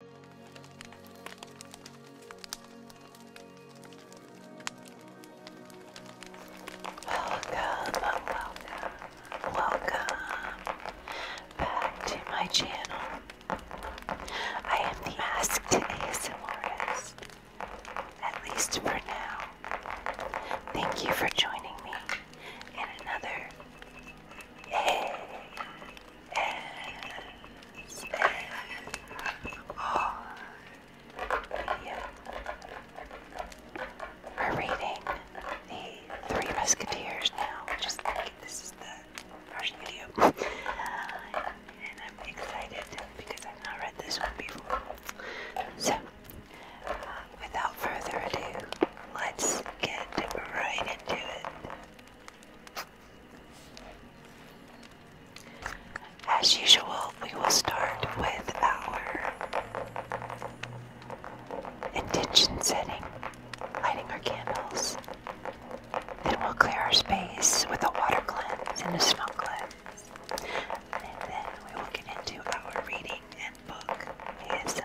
Welcome, welcome, welcome back to my channel. I am the Masked ASMRist, at least for now. Thank you for joining me in another we're reading the Three Musketeers now. Just this is the first video. and I'm excited because I've not read this one before. So, uh, without further ado, let's get right into it. As usual, we will start with our intention setting, lighting our candles. Then we'll clear our space with a water cleanse and a smoke cleanse. And then we will get into our reading and book ASMR.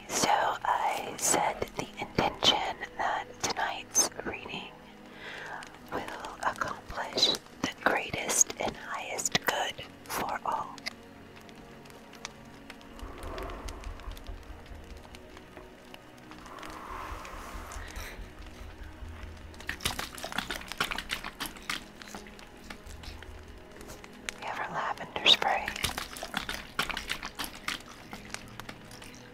Okay, so I said the intention that tonight's reading will accomplish the greatest and highest good for all. Ever lavender spray.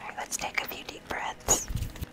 All right, let's take a few deep breaths.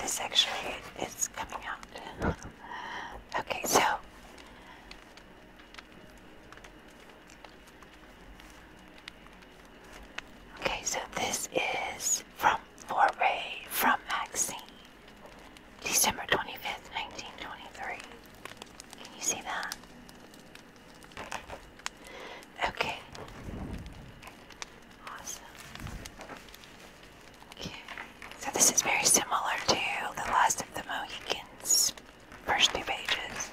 This actually is coming out. Okay, so Okay, so this is from Foray from Maxine. December 25th, 1923. Can you see that? Okay. Awesome. So this is very similar to the Last of the Mohicans first two pages.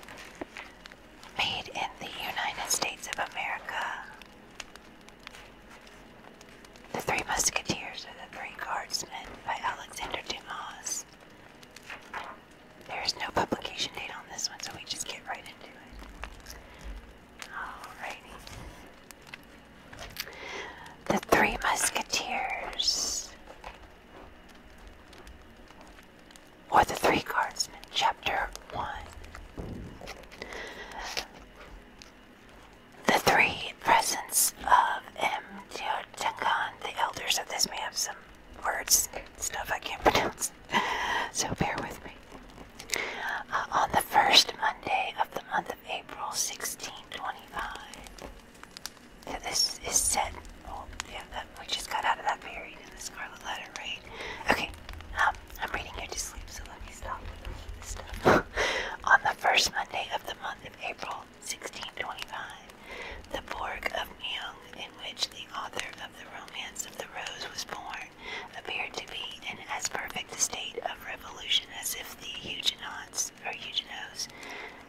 Made in the United States of America. The Three Musketeers are the Three Guardsmen by Alexander Dumas. There is no publication date on this one, so we just get right into it. Alrighty. The Three Musketeers. Or the Three Guardsmen, Chapter 1. The three presents of M. Teotihuacan, the elders of this may have some words stuff I can't pronounce, so bear with me. Uh, on the first Monday of the month of April 1625. this is set. Oh, yeah, we just got out of that period in the Scarlet Letter, right? Okay, um, I'm reading you to sleep, so let me stop this stuff. on the first Monday of the month of April 1625, the Borg of Meung, in which the author of the Romance of the Rose was born, appeared to be in as perfect a state of revolution as if the Huguenots or Huguenots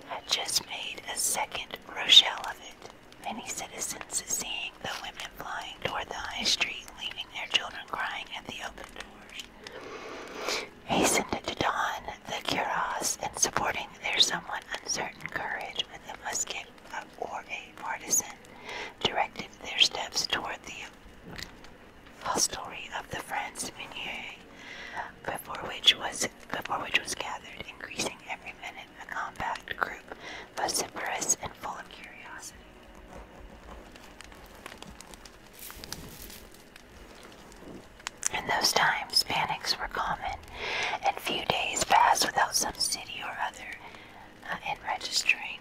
had just made a second Rochelle of it. Many citizens, seeing the women flying toward the high street, leaving their children crying at the open doors, hastened to don the cuirass and supporting their somewhat uncertain courage with a musket or a partisan, directed their steps toward the full story of the friends Meunier, before which was before which was gathered, increasing every minute a compact group, vociferous and full of curiosity. In those times, panics were common, and few days passed without some city or other uh, in registering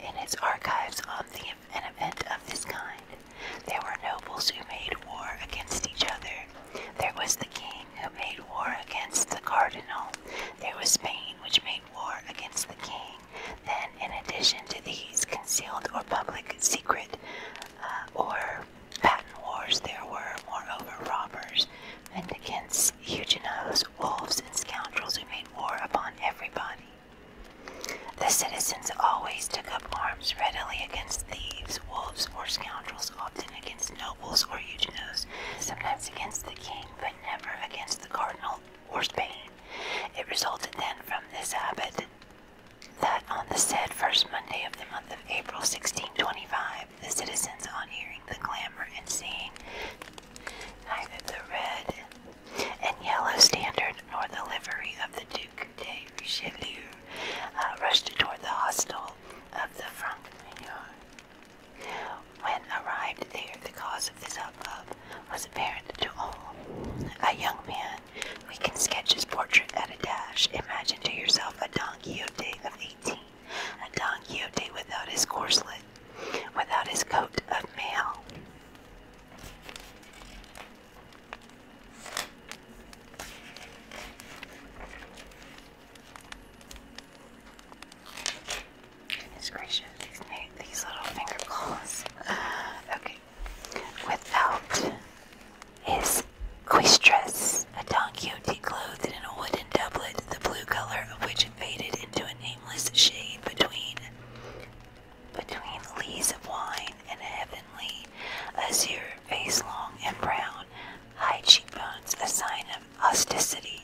in its archives on the, an event of this kind. There were nobles who made war against each other. There was the king who made war against the cardinal. There was Spain which made war against the king. Then, in addition to these concealed or public secret uh, or patent wars, there were, moreover, robbers, and against Huguenots, wolves, and scoundrels who made war upon everybody. The citizens always took up arms readily against thieves, wolves, or scoundrels, often against nobles or eugenos, sometimes against the king, but never against the cardinal or Spain. It resulted then from this habit that on the said first Monday of the month of April 1625, the citizens, on hearing the clamor and seeing neither the red and yellow standard nor the livery of the Duc de Richelieu uh, rushed toward the hostel of the Franc When arrived there, the cause of this hubbub was apparent to all. A young man, we can sketch his portrait at a dash. Imagine to yourself a Don Quixote of eighteen, a Don Quixote without his corslet, without his coat of mail. Goodness gracious, these, little finger claws. Uh, okay. Without his cuistress, a Don clothed in a wooden doublet, the blue color of which faded into a nameless shade between between lees of wine and heavenly, azure face long and brown, high cheekbones, a sign of osticity,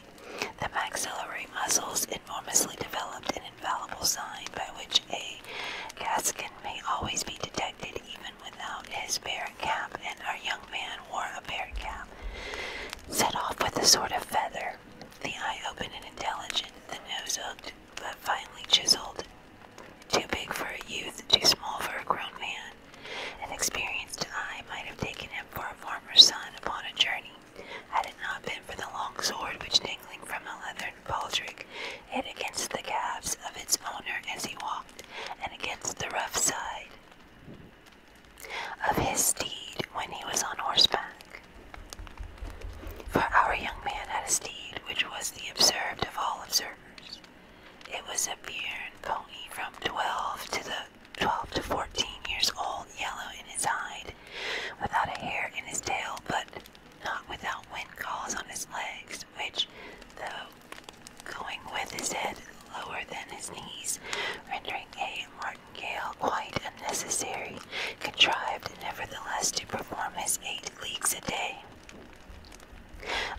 the maxillary muscles enormously developed, an infallible sign by which a Gascon may always be detected even without his beard cap, and our young man wore a beard cap, set off with a sort of feather, the eye open and intelligent, the nose hooked, but finely chiseled. Too big for a youth, too small for a grown man. An experienced eye might have taken him for a farmer's son upon a journey, had it not been for the long sword which dangling from a leathern baldric hit against the calves of its owner as he walked, and against the rough side of his steed when he was on horseback. For our young man had a steed which was the observed of all observers. It was a Bearn pony from twelve to the twelve to fourteen years old, yellow in his hide, without a hair in his tail, but not without wind calls on his legs, which, though going with his head lower than his knees, rendering a martingale quite if necessary, contrived nevertheless to perform his eight leagues a day.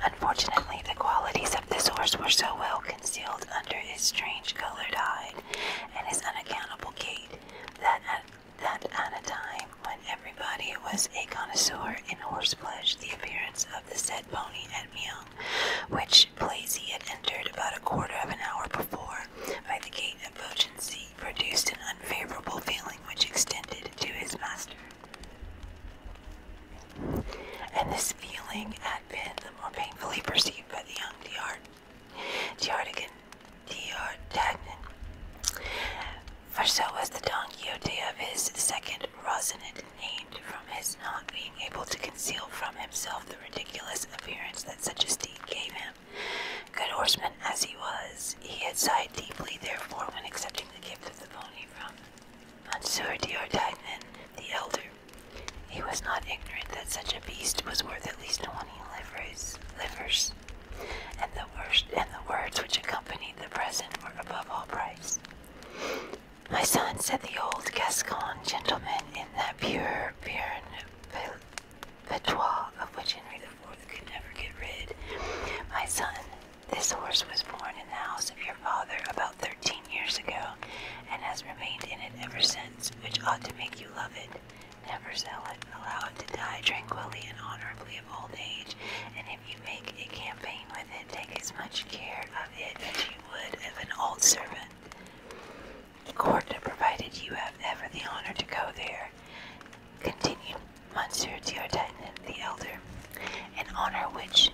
Unfortunately, the qualities of this horse were so well concealed under his strange colored eye and his unaccountable gait that at, that time when everybody was a connoisseur in horse flesh, the appearance of the said pony at Meung, which place he had entered about a quarter of an hour before by the gate of Bogency, produced an unfavorable feeling which extended to his master. And this feeling had been the more painfully perceived by the young D'Artagnan, D'Artagnan, Diardagnan, for so was the Don Quixote of his second Rosinante named from his not being able to conceal from himself the ridiculous appearance that such a deed gave him. Good horseman as he was, he had sighed deeply, therefore, when accepting the gift of the pony from Monsieur Diordaignan the elder. He was not ignorant that such a beast was worth at least twenty livers, and the worst and the words which accompanied the present were above all price. My son, said the old Gascon gentleman in that pure, pure the Patois, of which Henry IV could never get rid. My son, this horse was born in the house of your father about thirteen years ago, and has remained in it ever since, which ought to make you love it. Never sell it, allow it to die tranquilly and honorably of old age, and if you make a campaign with it, take as much care of it as you would of an old servant. Court, provided you have ever the honor to go there continued Monsieur Diartanyan the elder, in honor which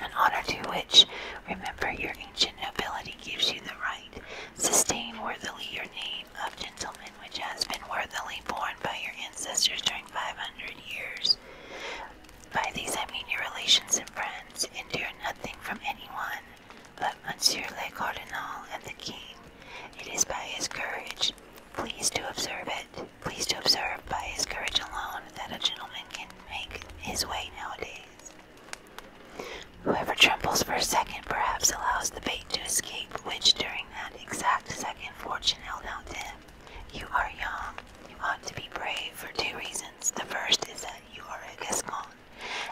an honor to which, remember, your ancient nobility gives you the right, sustain worthily your name of gentleman which has been worthily borne by your ancestors during 500 years. By these I mean your relations and friends, endure nothing from anyone, but Monsieur le Cardinal and the King, it is by his courage, please to observe it, please to observe by his courage alone that a gentleman can make his way nowadays. Whoever trembles for a second perhaps allows the bait to escape which during that exact second fortune held out to him. You are young. You ought to be brave for two reasons. The first is that you are a Gascon,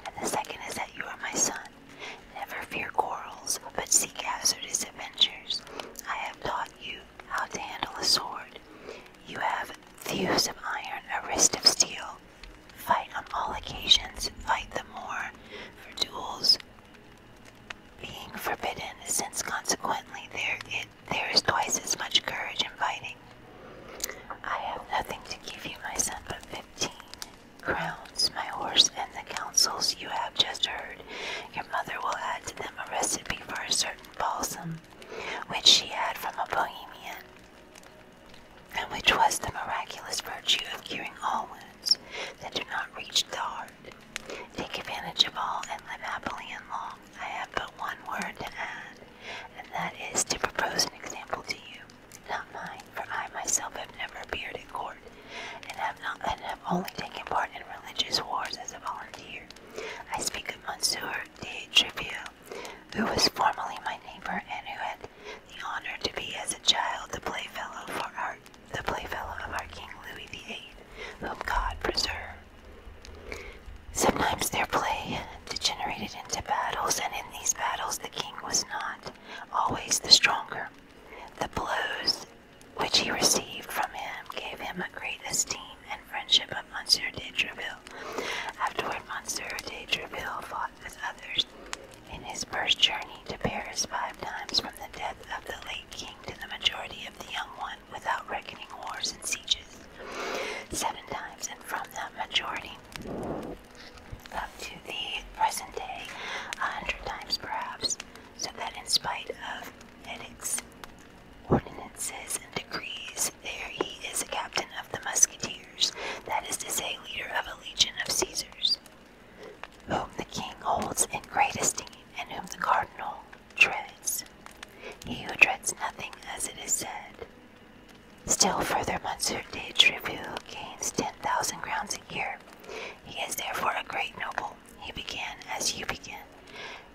and the second is that you are my son. Never fear quarrels, but seek hazardous adventures. I have taught you how to handle a sword. You have thews of iron, a wrist of steel. Fight on all occasions, fight the more, for duels being forbidden, since consequently there it there is twice as much courage in fighting. I have nothing to give you, my son, but fifteen crowns, my horse, and the counsels you have just heard. Your mother will add to them a recipe for a certain balsam, which she had from a Bohemian, and which was the miraculous virtue of curing all wounds that do not reach the heart. Take advantage of all and live happily and long. I have but one word to add, and that is to propose an example to you not mine, for I myself have never appeared at court, and have not and have only taken part in religious wars as a volunteer. I speak of Monsieur de Treville, who was formerly my neighbor, and who had the honor to be as a child the playfellow for our the playfellow of our King Louis VIII, whom God preserve. Sometimes their play degenerated into battles, and in these battles the king was not always the stronger. The blows which he received from him gave him a great esteem and friendship of Monsieur de Treville. Afterward, Monsieur de Treville fought with others. In his first journey to Paris five times from the death of the late king to the majority of the young one, without reckoning wars and sieges, seven times and from the majority up to the present day, a hundred times perhaps, so that in spite of edicts, ordinances, and decrees, there he is a captain of the musketeers, that is to say, leader of a legion of Caesars, whom the king holds in great esteem, and whom the cardinal dreads. He who dreads nothing, as it is said. Still further, Monsieur de Treville gains ten thousand crowns a year he is therefore a great noble. He began as you begin.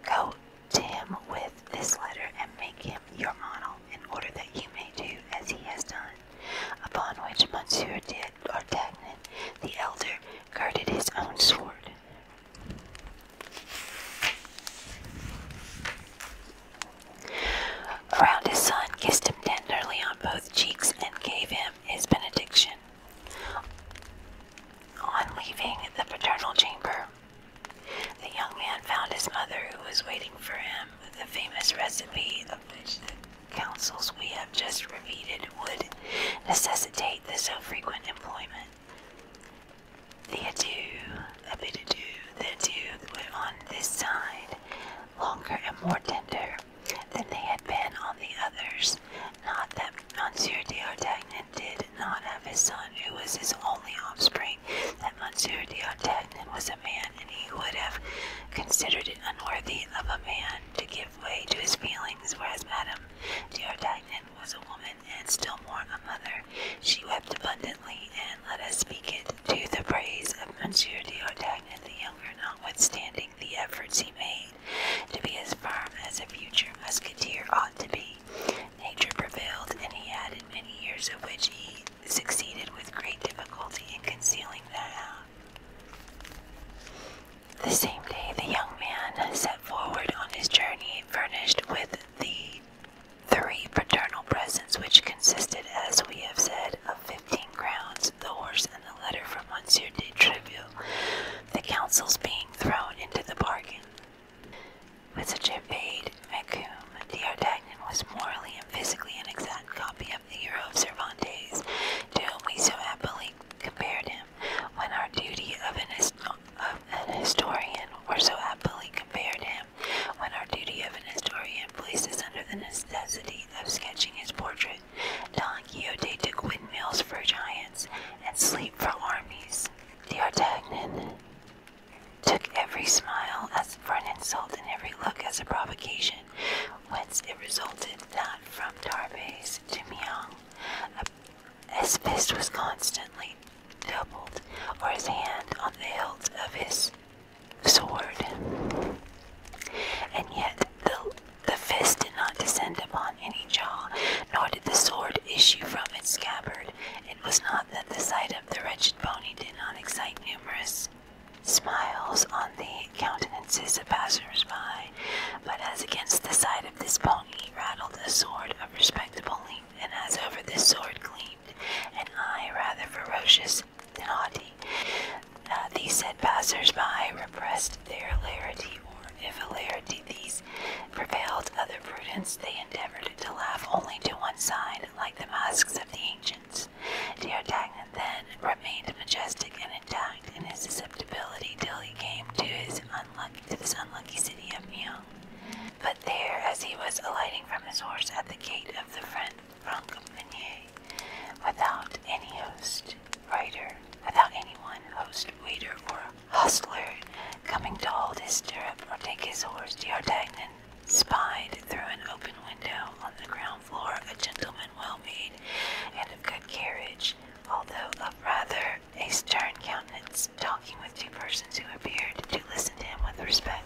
Go to him with this letter and make him your model in order that you may do as he has done. Upon which Monsieur d'Artagnan, the elder, guarded his own sword. Around his son, kissed him tenderly on both cheeks, and gave him his benediction. On leaving the paternal chamber, the young man found his mother who was waiting for him with the famous recipe of which the counsels we have just repeated would necessitate the so frequent employment. The ado, a bit ado, the ado went on this side, longer and more tender than they had been on the others. Not that Monsieur d'Artagnan did not have his son, who was his only offspring, that Monsieur d'Artagnan was a man, and he would have considered it unworthy of a man to give way to his feelings, whereas Madame d'Artagnan was a woman, and still more a mother. She wept abundantly, and let us speak it to the praise of Monsieur d'Artagnan the younger, notwithstanding the efforts he made to be as firm as a future musketeer ought to be. Nature prevailed, and he had many years of which he succeeded with great difficulty in concealing that. The same day the young man set forward on his journey, furnished with the three paternal presents, which consisted, as we have said, of the horse and the letter from Monsieur de Treville, the councils being thrown into the bargain. With such a vague vacuum, D'Artagnan was morally and physically an exact copy of the hero of Cervantes, to whom we so happily compared him, when our duty of an, historian were so happily compared him, when our duty of an historian places under the necessity of sketching his portrait Don Quixote took windmills for giants and sleep for armies. The Artagnan took every smile as a front insult and every look as a provocation, whence it resulted that from Tarbes to Meung, his fist was constantly doubled, or his hand on the hilt of his sword. And yet the the fist did not descend upon any jaw, nor did the sword issue from its scabbard. It was not that the sight of the wretched pony did not excite numerous smiles on the countenances of passers-by, but as against the side of this pony rattled a sword of respectable length, and as over this sword gleamed an eye rather ferocious than haughty, uh, these said passers-by repressed their hilarity, or if hilarity these prevailed other prudence, they endeavored to laugh only to one side, like the masks of the ancients. D'Artagnan then remained majestic and intact in his susceptibility till he came to his unlucky to this unlucky city of Mion. But there, as he was alighting from his horse at the gate of the friend Francompagnie, without any host, writer, without anyone, host, waiter, or hustler coming to hold his stirrup or take his horse, D'Artagnan spied through an open window on the ground floor a gentleman well made and of good carriage, although of rather a stern countenance, talking with two persons who appeared to listen to him with respect.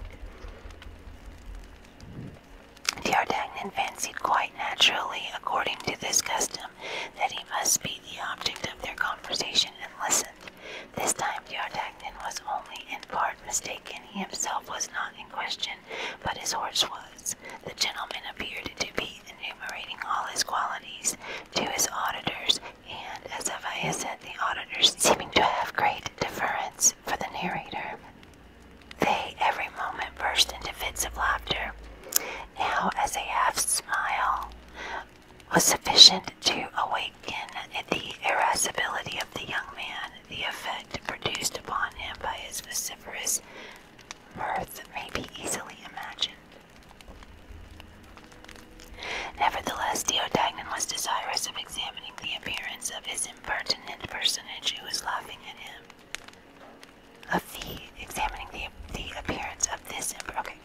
D'Artagnan fancied quite naturally, according to this custom, that he must be the object of their conversation and listened. This time D'Artagnan was only in part mistaken. He himself was not in question, but his horse was. The gentleman appeared to be enumerating all his qualities to his auditors, and, as Avaya said, the auditors seeming to have great deference for the narrator. They every moment burst into fits of laughter. Now, as a half smile was sufficient to awaken the irascibility of the young man, the effect produced upon him by his vociferous mirth may be easily imagined. Nevertheless, Diodagnan was desirous of examining the appearance of his impertinent personage who was laughing at him of the examining the the appearance of this emperor. Okay.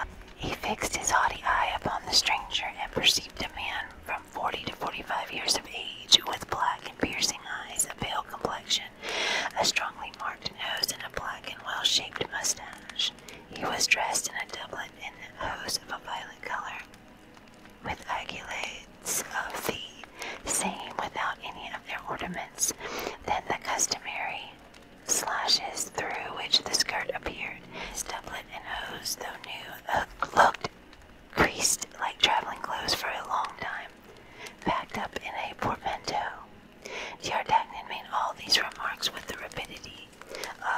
Um, he fixed his haughty eye upon the stranger and perceived a man from forty to forty-five years of age, with black and piercing eyes, a pale complexion, a strongly marked nose, and a black and well-shaped mustache. He was dressed in a doublet and hose of a violent color, with aiguillettes of the same without any of their ornaments than the customary slashes through which the skirt appeared. His doublet and hose, though new, looked creased like traveling clothes for a long time, packed up in a portmanteau. D'Artagnan made all these remarks with the rapidity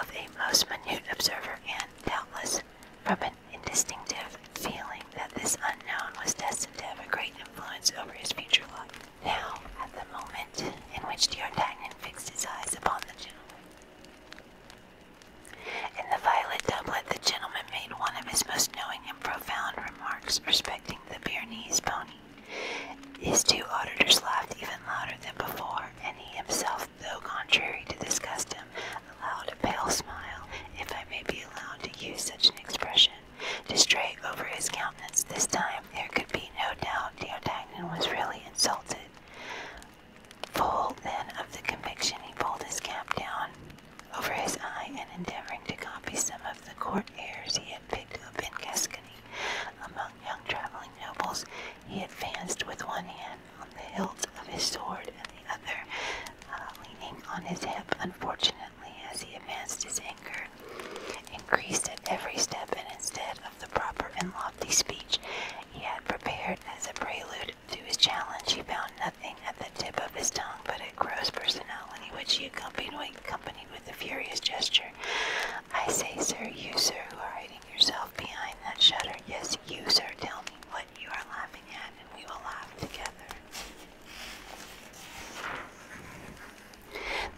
of a most minute observer and, doubtless, from an indistinctive feeling that this unknown was destined to have a great influence over his future life. Now, at the moment in which D'Artagnan fixed his eyes upon the gentleman, in the violet doublet, the gentleman made one of his most knowing and profound remarks respecting the Pyrenees pony. His two auditors laughed even louder than before, and he himself, though contrary to this custom, allowed a pale smile, if I may be allowed to use such an expression, to stray over his countenance. This time there could be no doubt D'Artagnan was really insulted. Full then of the conviction, he pulled his cap down over his eye and endeavoring to copy some of the court airs he had picked up in Gascony among young traveling nobles, he advanced with one hand on the hilt of his sword and the other uh, leaning on his hip. Unfortunately, as he advanced his anger, increased at every step, and instead of the proper and lofty speech he had prepared as a prelude to his challenge, he found nothing at the tip of his tongue but a gross personality which he accompanied with a furious gesture. I say, sir, you, sir, who are hiding yourself behind that shutter, yes, you, sir, tell me what you are laughing at, and we will laugh together.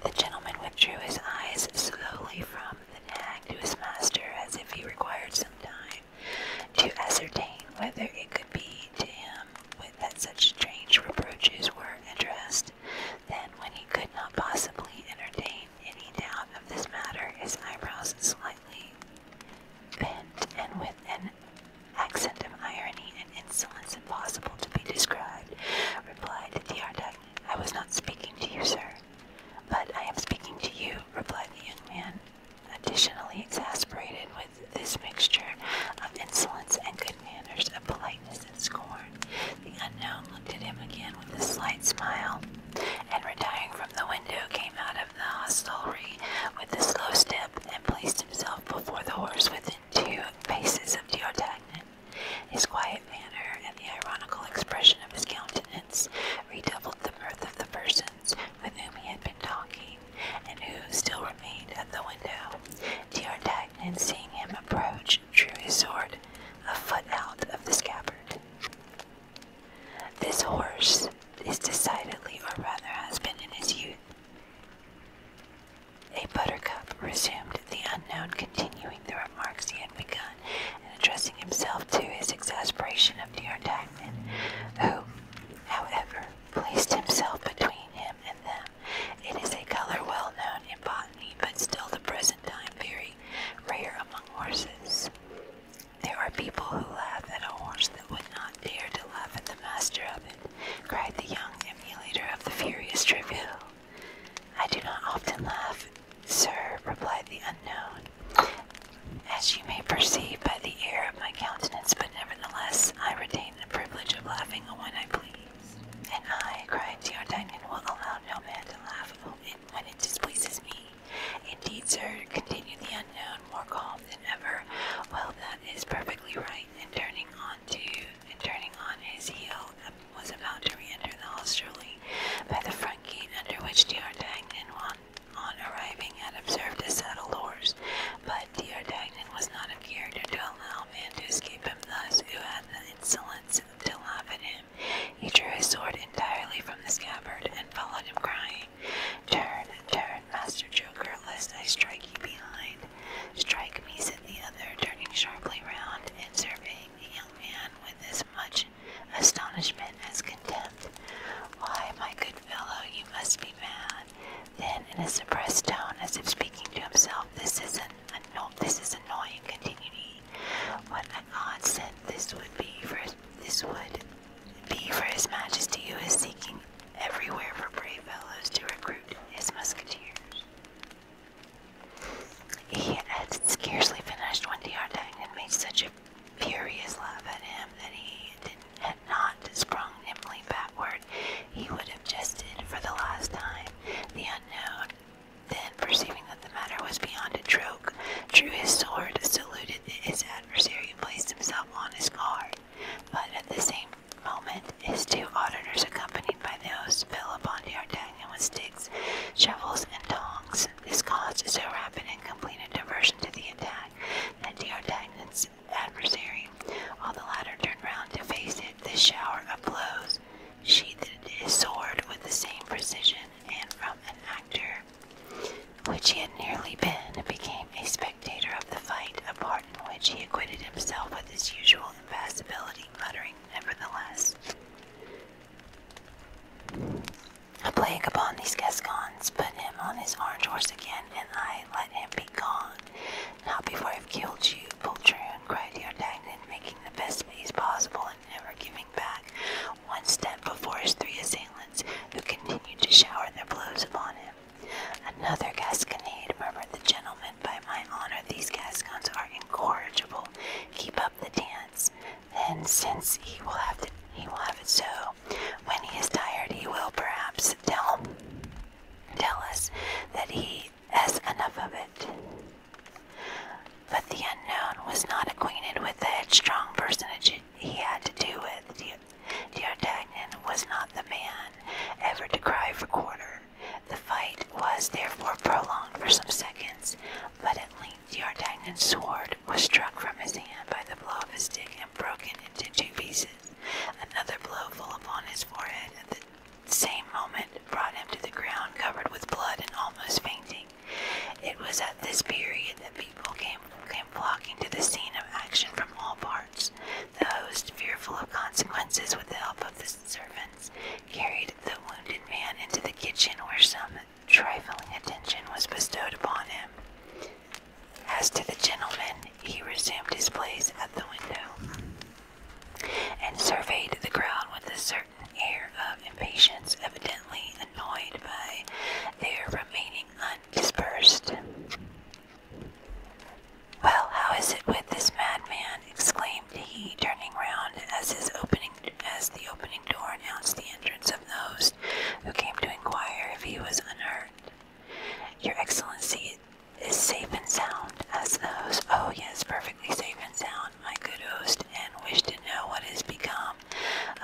The gentleman withdrew his eyes slowly from the nag to his master as if he required some time to ascertain whether it could be to him that such strange reproaches were addressed. Then, when he could not possibly entertain any doubt of this matter, his eyebrows slightly bent, and with an accent of irony and insolence impossible to be described, replied the Ardaghnan. I was not speaking to you, sir. But I am speaking to you, replied the young man, additionally exasperated with this mixture of insolence and good manners, of politeness and scorn. The unknown looked at him again with a slight smile, and retiring from the window, came out of the hostelry with a slow step and placed himself before the horse with into faces of D'Artagnan. His quiet manner and the ironical expression of his countenance redoubled the mirth of the persons with whom he had been talking, and who still remained at the window. D'Artagnan, seeing him approach, drew his sword a foot out of the scabbard. This horse is decidedly, or rather has been in his youth, a buttercup resumed the unknown, continuing the remarks he had begun, and addressing himself to his exasperation of dear Dyckman, who, however, placed himself between him and them. It is a color well known in botany, but still the present time very rare among horses. There are people who laugh at a horse that would not dare to laugh at the master of it cried the young emulator of the furious Treville. I do not often laugh, sir, replied the unknown, as you may perceive by the air of my countenance, but nevertheless I retain the privilege of laughing when I please. And I, cried D'Artagnan, will allow no man to laugh when it displeases me. Indeed, sir, continued the unknown, more calm than ever. Well, that is perfectly right. And turning on to and turning on his heel, um, was about to re-enter the hostelry by the front gate under which D'Artagnan, on, on arriving, had observed a saddle horse. But D'Artagnan was not a character to allow a man to escape him thus, who had the insolence to laugh at him. He drew his sword entirely from the scabbard and followed him, crying, "Turn, turn!" Master Joker, lest I strike you behind. Strike me, said the other, turning sharply round and surveying the young man with as much astonishment as contempt. Why, my good fellow, you must be mad. Then, in a suppressed tone, as if speaking to himself, this is an anno this is annoying, continued he. What an odd scent this would be for this would be for His Majesty who is seeking everywhere for brave fellows to recruit his musketeers. He had scarcely finished when D'Artagnan made such a furious laugh at him that he had not sprung nimbly backward. He would have jested for the last time. The unknown, then perceiving that the matter was beyond a joke, drew his sword, saluted his adversary, and placed himself on his guard. But at the same moment, his two auditors, accompanied by those, fell upon D'Artagnan with sticks, shovels, and tongs. This caused so rapid and complete a diversion to the attack that D'Artagnan's adversary, while the latter turned round to face it, this shower of blows sheathed his sword with the same precision, and from an actor which he had nearly been, became a spectator of the fight, a in which he acquitted himself with his usual impassibility, muttering, nevertheless, a plague upon these Gascons, put him on his orange horse again, and I let him be gone. Not before I've killed you, poltroon, cried the D'Artagnan, making the best pace possible and never giving back one step before his three assailants, who continued to shower their blows upon him. Another gasconade, murmured the gentleman. By my honor, these Gascons are incorrigible. Keep up the dance. Then, since he will have it so. When he is tired, he will perhaps tell tell us that he has enough of it. But the unknown was not acquainted with the headstrong personage he had to do with. D'Artagnan was not the man ever to cry for quarter. The fight was therefore prolonged for some seconds, but at length the D'Artagnan's sword was struck from his hand by the blow of his stick and broken into two pieces. Another blow fell upon his forehead at the same moment, brought him to the ground covered with blood and almost fainting. It was at this period that people came, came flocking to the scene of action from all parts. The host, fearful of consequences, with the help of the servants, carried the wounded man into the kitchen where some trifling attention was bestowed upon him. As to the gentleman, he resumed his place at the window and surveyed the crowd with a certain air of impatience, evidently annoyed by their remaining undispersed. Well, how is it with this madman? exclaimed he, turning round as his opening as the opening door announced the entrance of the host, who came to inquire if he was unhurt. Your Excellency is safe and sound, asked the host. Oh yes, perfectly safe and sound, my good host, and wish to know what has become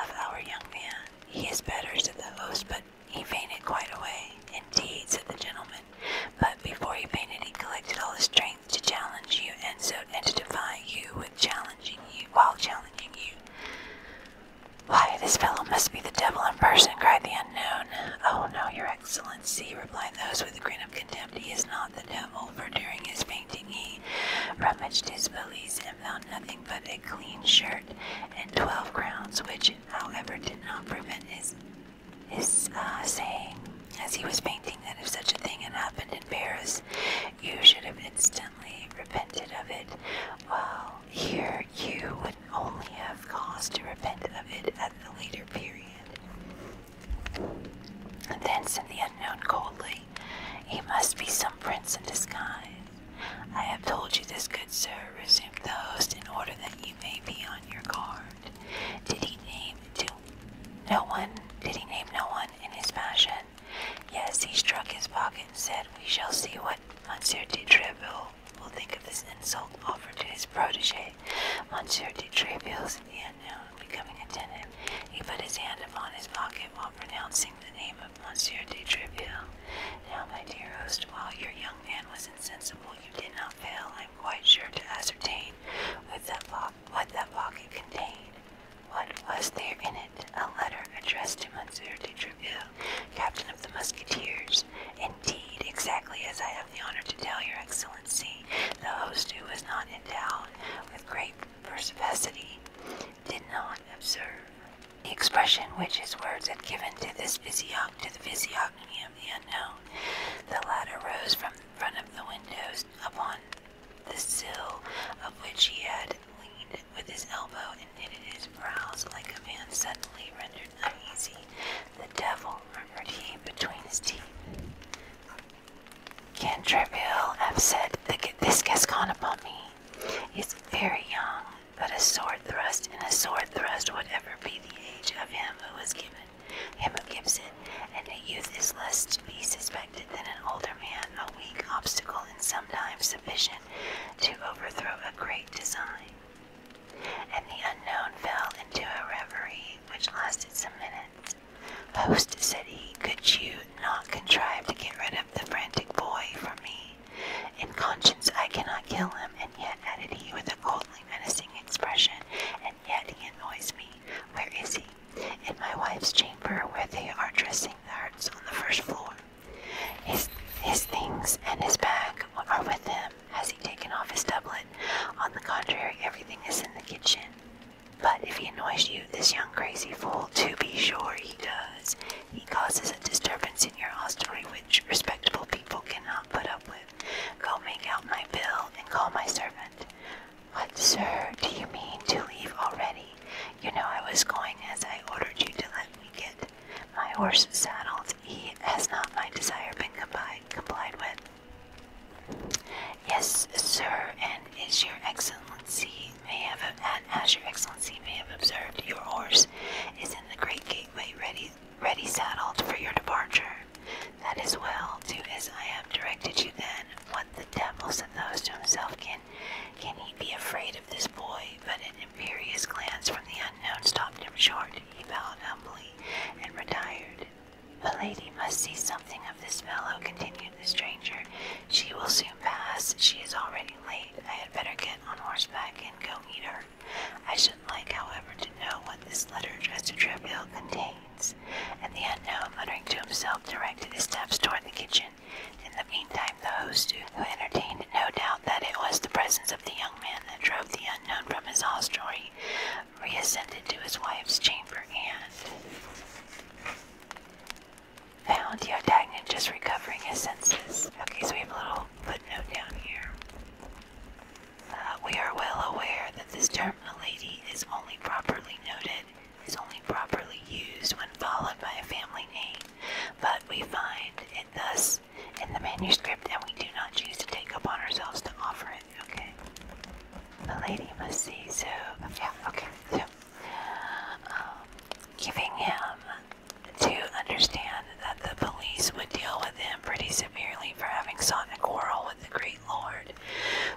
of our young man. He is better, said the host, but he fainted quite away. Indeed, said the gentleman, but before he fainted, he collected all his strength to challenge you, and so and to defy you with challenging you while challenging you. Why, this fellow must be the devil in person, cried the unknown. Oh no, your excellency, replied those with a grin of contempt. He is not the devil, for during his painting, he rummaged his valise and found nothing but a clean shirt and twelve crowns, which, however, did not prevent his is uh, saying, as he was painting, that if such a thing had happened in Paris, you should have instantly repented of it, while here you would only have cause to repent of it at a later period. And then said the unknown coldly, He must be some prince in disguise. I have told you this, good sir, resumed the host, in order that you may be on your card? Did he name No one. Did he name no one in his passion? Yes, he struck his pocket and said, We shall see what Monsieur de Treville will think of this insult offered to his protege. Monsieur de Treville's the unknown becoming attentive. He put his hand upon his pocket while pronouncing the name of Monsieur de Treville. Now, my dear host, while your young man was insensible, you did not fail, I am quite sure, to ascertain what that, what that pocket contained. What was there in it? A letter addressed to Monsieur de Treville, captain of the musketeers. Indeed, exactly as I have the honor to tell your excellency, the host who was not endowed with great perspicacity did not observe. The expression which his words had given to this physiognomy of the unknown the ladder rose from the front of the windows upon the sill of which he had leaned with his elbow and knitted his brows like a man suddenly rendered uneasy. The devil, murmured he between his teeth. Can trivial have said that this Gascon upon me? He's very young, but a sword thrust and a sword thrust, whatever be the age of him who was given Emma Gibson, and a youth is less to be suspected than an older man, a weak obstacle and sometimes sufficient to overthrow a great design. And the unknown fell into a reverie which lasted some minutes. Host, said he, could you not contrive to get rid of the frantic boy from me? In conscience, I cannot kill him, and yet, added he with a coldly menacing expression, yet he annoys me. Where is he? In my wife's chamber, where they are dressing the hurts on the first floor. His, his things and his bag are with him. Has he taken off his doublet? On the contrary, everything is in the kitchen. But if he annoys you, this young crazy fool, to be sure he does. He causes a disturbance in your hostelry which respectable people cannot put up with. Go make out my bill and call my servant. What, sir, do you mean to leave already? You know I was going as I ordered you to let me get my horse saddled. He has not my desire been complied, complied with. Yes, sir, and is your excellency may have as your excellency may have observed, your horse is in the great gateway ready ready saddled for your departure. That is well, do as I have directed you then. What the devil, said those to himself, can, can he be afraid of this boy? But an imperious glance from the unknown stopped him short. He bowed humbly and retired. The lady must see something of this fellow, continued the stranger. She will soon pass. She is already late. I had better get on horseback and go meet her. I shall like, however, to know what this letter addressed to Treville contains, and the unknown, muttering to himself, directed his steps toward the kitchen. In the meantime, the host, who entertained no doubt that it was the presence of the young man that drove the unknown from his hostelry, reascended to his wife's chamber and found D'Artagnan just recovering his senses. Okay, so we have a little footnote down here. Uh, we are well aware that this term lady is only properly noted, is only properly used when followed by a family name, but we find it thus in the manuscript and we do not choose to take upon ourselves to offer it, okay? Milady must see, so, yeah, okay, so, um, giving him to understand that the police would deal with him pretty severely for having sought a quarrel battle the great lord.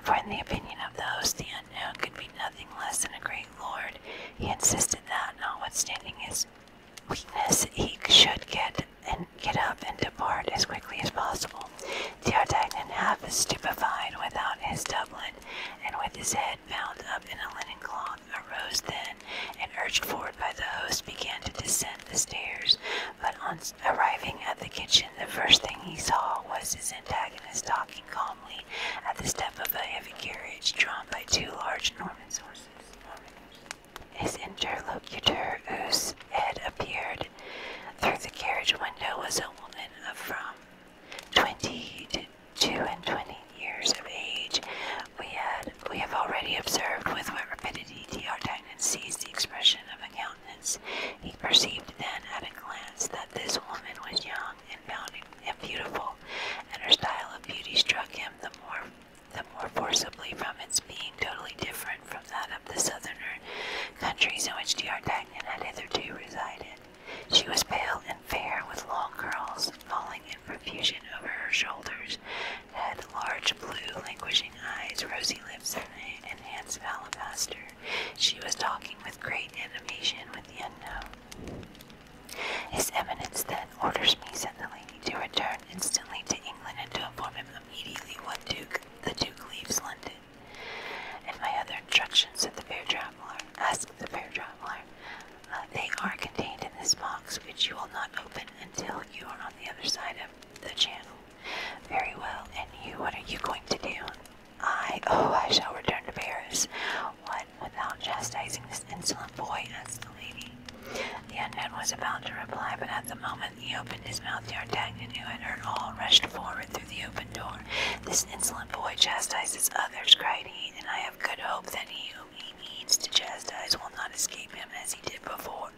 For in the opinion of those, the unknown could be nothing less than a great lord. He insisted that, notwithstanding his weakness, he should get and get up and depart as quickly as possible. D'Artagnan, half stupefied without his doublet, and with his head bound up in a linen cloth, arose then, and urged forward by the host, began to descend the stairs. But on Arriving at the kitchen, the first thing he saw was his antagonist stalking calmly at the step of a heavy carriage drawn by two large Norman horses. His interlocutor, whose head appeared through the carriage window, was a woman of from twenty to two and twenty years of age. We had have already observed with what rapidity D'Artagnan seized the expression of a he perceived then at a glance that this woman was young and found him beautiful, and her style of beauty struck him the more the more forcibly from its being totally different from that of the southerner countries in which Dr. D'Artagnan had hitherto resided. She was pale and fair, with long curls falling in profusion over her shoulders, and had large blue languishing eyes, rosy lips, and, and alabaster. She was talking with great animation with the unknown. His Eminence then orders me, said the lady, to return instantly to England and to inform him immediately what Duke the Duke leaves London. And my other instructions, said the fair traveler, ask the fair traveler. Uh, they are contained in this box, which you will not open until you are on the other side of the channel. Very well, and you, what are you going to do? I, oh, I shall return to Paris. What, without chastising this insolent boy? asked the lady. The man was about to reply, but at the moment he opened his mouth, D'Artagnan, who had heard all, rushed forward through the open door. This insolent boy chastises others, cried he, and I have good hope that he whom he needs to chastise will not escape him as he did before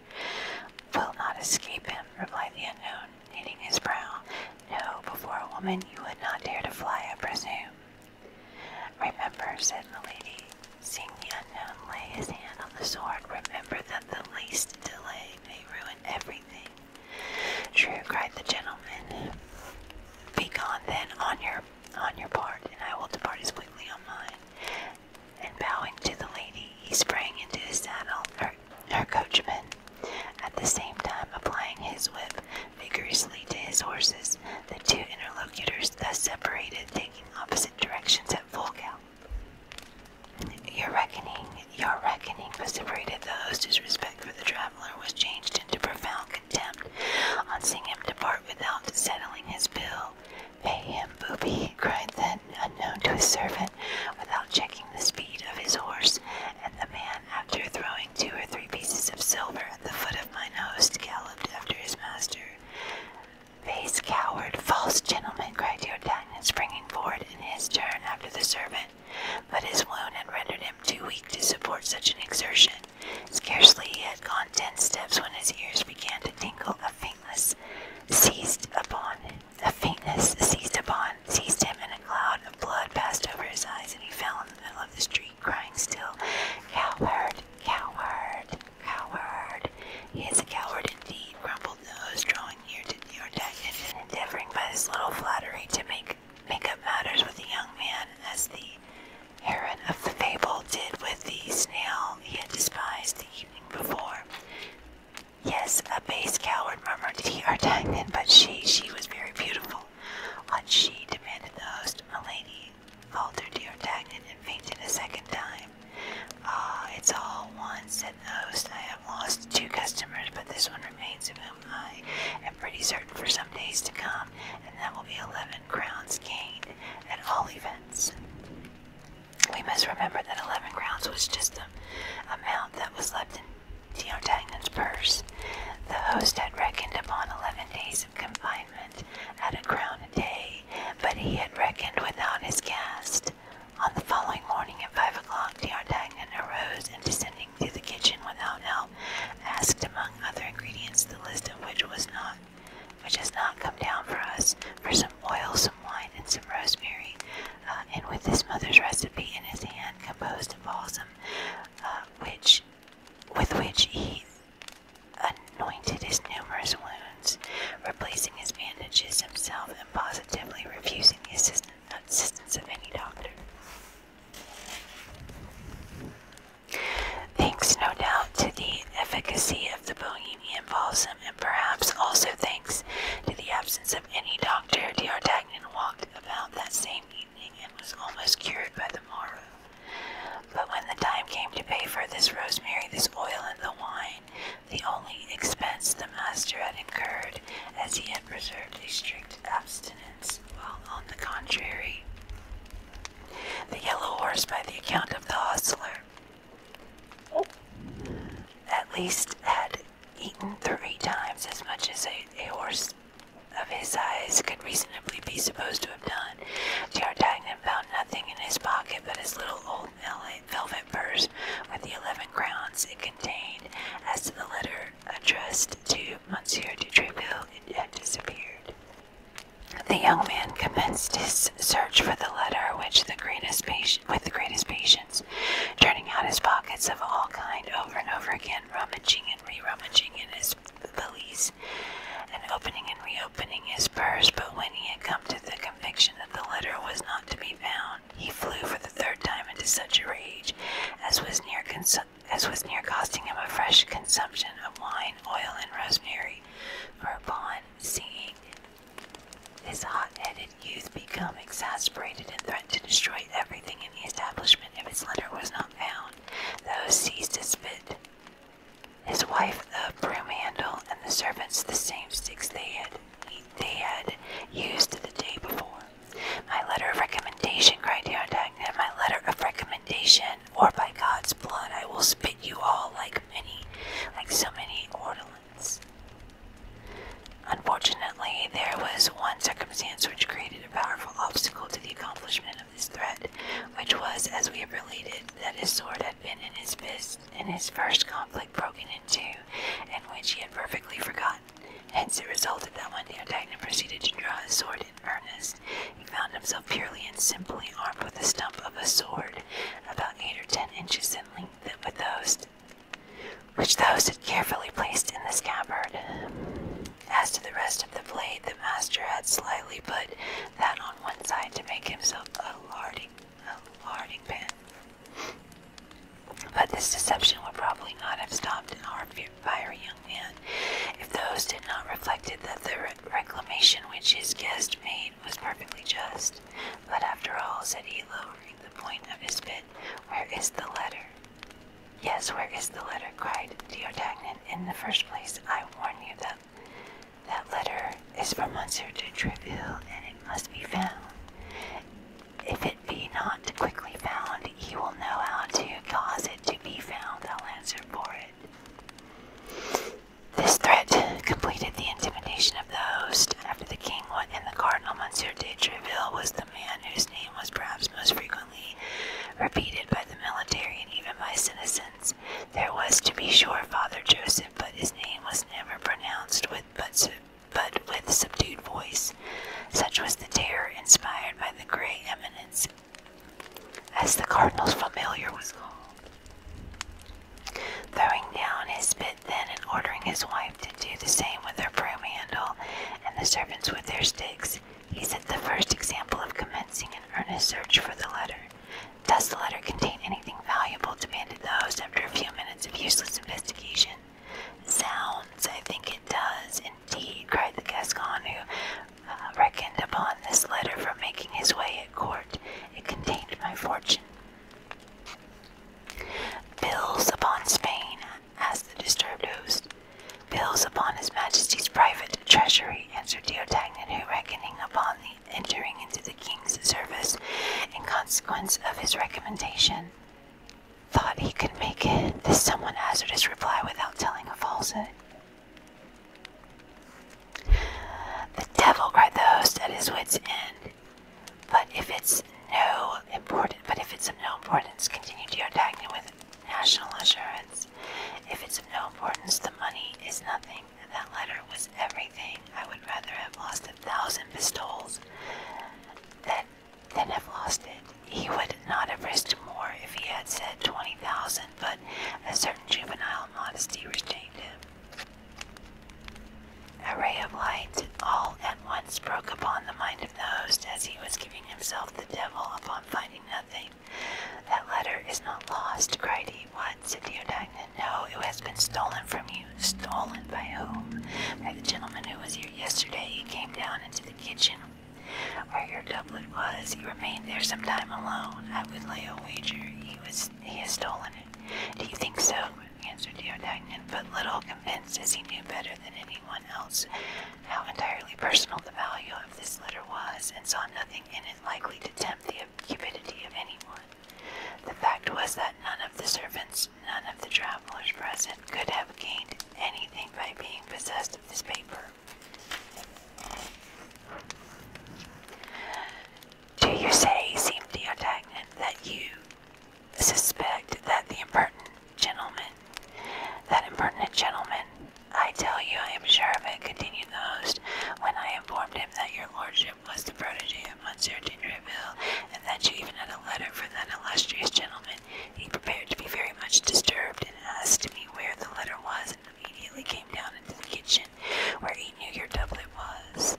will not escape him, replied the unknown, knitting his brow. No, before a woman you would not dare to fly, I presume. Remember, said the lady, seeing the unknown lay his hand on the sword, remember that the least delay may ruin everything. True, cried the gentleman. Begone then on your on your part, and I will depart as quickly as mine and bowing to the lady, he sprang into his saddle, her, coachman, at the same time applying his whip vigorously to his horses. The two interlocutors thus separated, taking opposite directions at full gallop. Your reckoning, your reckoning, vociferated the host, whose respect for the traveler was changed into profound contempt on seeing him depart without settling his bill. Pay him booby, cried then, unknown to his servant, without checking the speed of his horse, and the man, after throwing two or three pieces of silver at the foot of mine host, galloped after his master. Base coward, false gentleman, cried D'Artagnan, springing forward in his turn after the servant, but his wound had rendered him too weak to support such an exertion. Scarcely had he gone ten steps when his ears began to tingle. A faintness seized upon him. A faintness seized upon, seized him, and a cloud of blood passed over his eyes, and he fell in the middle of the street, crying still, Coward, coward, coward. He is a coward indeed, grumbled Nose, drawing near to D'Artagnan and endeavoring by this little flattery to make make up matters with the young man, as the heron of the fable did with the snail he had despised the evening before. Yes, a base coward, murmured he D'Artagnan, but she, she was very beautiful. What she? demanded the host. Milady, faltered D'Artagnan and fainted a second time. Ah, it's all one, said the host. I have lost two customers, but this one remains of whom I am pretty certain for some days to come, and that will be eleven crowns gained at all events. We must remember that 11 crowns was just the amount that was left in D'Artagnan's purse. The host had reckoned upon 11 days of confinement at a crown a day, but he had reckoned without his guest. On the following morning at five o'clock, D'Artagnan arose and descending to the kitchen without help, asked among other ingredients, the list of which was not, which has not come down for us, for some oil, some wine, and some rosemary, uh, and with his mother's recipe in his hand, composed a balsam, uh, which, with which he anointed his numerous wounds, replacing his bandages himself, and positively refusing the assistance, assistance of any doctor. Thanks, no doubt, to the efficacy of the Bohemian balsam and perhaps also thanks to the absence of any doctor, D'Artagnan walked about that same evening and was almost cured by the morrow. But when the time came to pay for this rosemary, this oil, and the wine, the only expense the master had incurred, as he had preserved a strict abstinence, while on the contrary, the yellow horse, by the account of the hostler, at least had eaten three times as much as a, horse of his size could reasonably be supposed to have done. D'Artagnan found nothing in his pocket but his little old velvet purse with the eleven crowns it contained. As to the letter addressed to Monsieur de Tréville, it had disappeared. The young man commenced his search for the letter, which the greatest patience turning out his pockets of all kind over and over again, rummaging and re-rummaging in his valise, and opening and reopening his purse. But when he had come to the conviction that the letter was not to be found, he flew for the third time into such a rage as was near as was near costing him a fresh consumption of wine, oil, and rosemary. Whereupon, seeing this hot-headed youth became exasperated and threatened to destroy everything in the establishment if his letter was not found. Those seized his spit, his wife the broom handle, and the servants the same sticks they had they had used the day before. My letter of recommendation, cried Diodagna, my letter of recommendation, or by God's blood I will spit you all like many, like so many ortolans. Unfortunately, there was one circumstance which created a powerful obstacle to the accomplishment of this threat, which was, as we have related, that his sword had been in his fist in his first conflict broken in two, and which he had perfectly forgotten. Hence, it resulted that when D'Artagnan proceeded to draw his sword in earnest, he found himself purely and simply armed with the stump of a sword, about eight or ten inches in length, with those which the host had carefully placed in the scabbard. As to the rest of the blade, the master had slightly put that on one side to make himself a larding, a larding pin. But this deception would probably not have stopped an our fiery young man, if the host had not reflected that the reclamation which his guest made was perfectly just. But after all, said he, lowering the point of his pin. Where is the letter? Yes, where is the letter? cried Diotagnan. In the first place, I warn you that that letter is from Monsieur de Treville, and it must be found. If it be not quickly found, he will know how to cause it to be found. I'll answer for it. This threat completed the intimidation of the host, after the king went and the cardinal, Monsieur de Treville was the man whose name was perhaps most frequently repeated by the military and even by citizens. There was, to be sure, Father Joseph, but his name was never pronounced with but but with subdued voice. Such was the terror inspired by the gray eminence, as the cardinal's familiar was called. Throwing down his bill stood then and ordering his wife to do the same with her broom handle and the servants with their sticks, he set the first example of commencing an earnest search for the letter. Does the letter contain anything valuable? demanded the host after a few minutes of useless investigation. Sounds, I think it does, indeed, cried the Gascon, who uh, reckoned upon this letter for making his way at court. It contained my fortune. Bills upon Spain as the disturbed host. Bills upon His Majesty's private treasury, answered D'Artagnan, who, reckoning upon the entering into the king's service in consequence of his recommendation, thought he could make this somewhat hazardous reply without telling a falsehood. The devil, cried the host at his wits' end. But if it's of no importance, continue to your tag with national insurance. If it's of no importance, the money is nothing. That letter was everything. I would rather have lost a thousand pistoles than than have lost it. He would not have risked more if he had said twenty thousand, but a certain juvenile modesty restrained him. A ray of light all at once broke upon the mind of the host as he was giving himself the devil upon finding nothing. That letter is not lost, cried he. What? said Theodagnan. No, it has been stolen from you. Stolen by whom? By the gentleman who was here yesterday. He came down into the kitchen where your doublet was. He remained there some time alone. I would lay a wager he was he has stolen it. Do you think so? answered D'Artagnan, but little convinced as he knew better than anyone else how entirely personal the value of this letter was, and saw nothing in it likely to tempt the cupidity of anyone. The fact was that none of the servants, none of the travelers present, could have gained anything by being possessed of this paper. Do you say, seemed D'Artagnan, that you, suspect that the impertinent gentleman, that impertinent gentleman, I tell you I am sure of it, continued the host, when I informed him that your lordship was the protege of Monsieur de Treville, and that you even had a letter for that illustrious gentleman, he prepared to be very much disturbed, and asked me where the letter was, and immediately came down into the kitchen, where he knew your doublet was.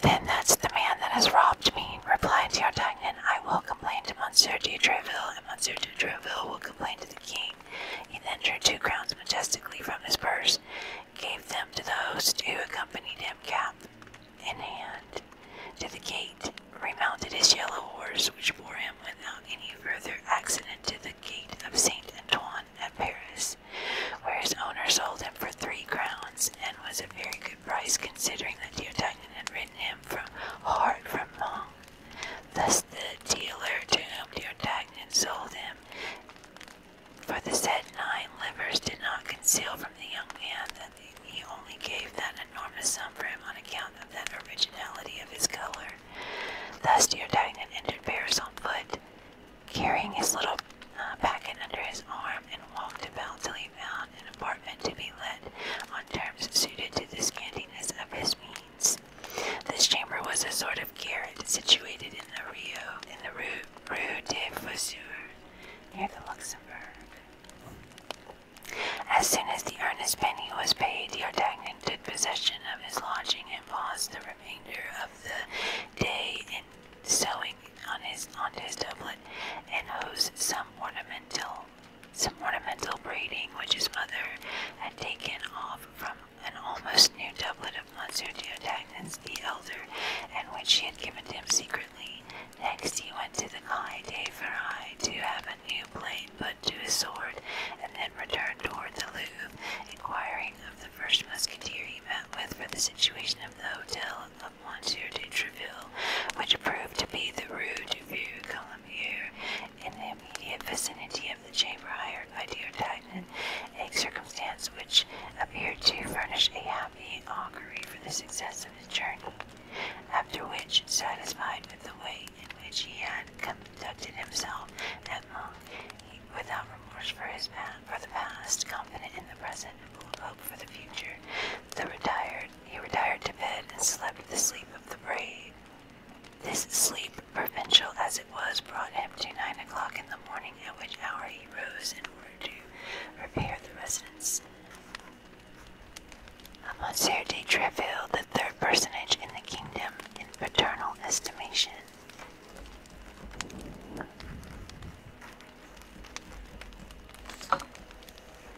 Then that's the man that has robbed me, replied D'Artagnan. I will complain to Monsieur de Treville, and Monsieur de Treville will complain to the king. He then drew two crowns majestically from his purse, gave them to the host who accompanied him, cap in hand, to the gate, remounted his yellow horse, which bore him without any further accident to the gate of Saint Antoine at Paris, where his owner sold him for three crowns, and was a very good price considering that D'Artagnan and had ridden him from heart from wrong. Thus the dealer to whom D'Artagnan sold him for the said nine livers did not conceal from the young man that he only gave that enormous sum for him on account of that originality of his color. Thus D'Artagnan entered Paris on foot, carrying his little uh, packet under his arm, and walked about till he easily found an apartment to be let on terms suited to the scantiness of his means. This chamber was a sort of garret situated in the Rio, in the Rue, Rue de Faussure, near the Luxembourg. As soon as the earnest penny was paid, D'Artagnan took possession of his lodging and passed the remainder of the day in sewing on his on his doublet and hose some ornamental some ornamental braiding which his mother had taken off from an almost new doublet of Monsieur Diodagnus the elder, and which she had given to him secretly. Next he went to the Calle de Ferraille to have a new blade put to his sword, and then returned toward the Louvre, inquiring of the first musketeer he met with for the situation of the hotel column 10 de which proved to be the Rue du Vieux here in the immediate vicinity of the chamber hired by Dear a circumstance which appeared to furnish a happy augury for the success of his journey. After which, satisfied with the way in which he had conducted himself at Monk, without remorse for his past, confident in the present, and full for the future, the retired he retired to bed and slept the sleep of the brave. This sleep, provincial as it was, brought him to nine o'clock in the morning, at which hour he rose in order to repair the residence. Monsieur de Treville, the third personage in the kingdom in paternal estimation.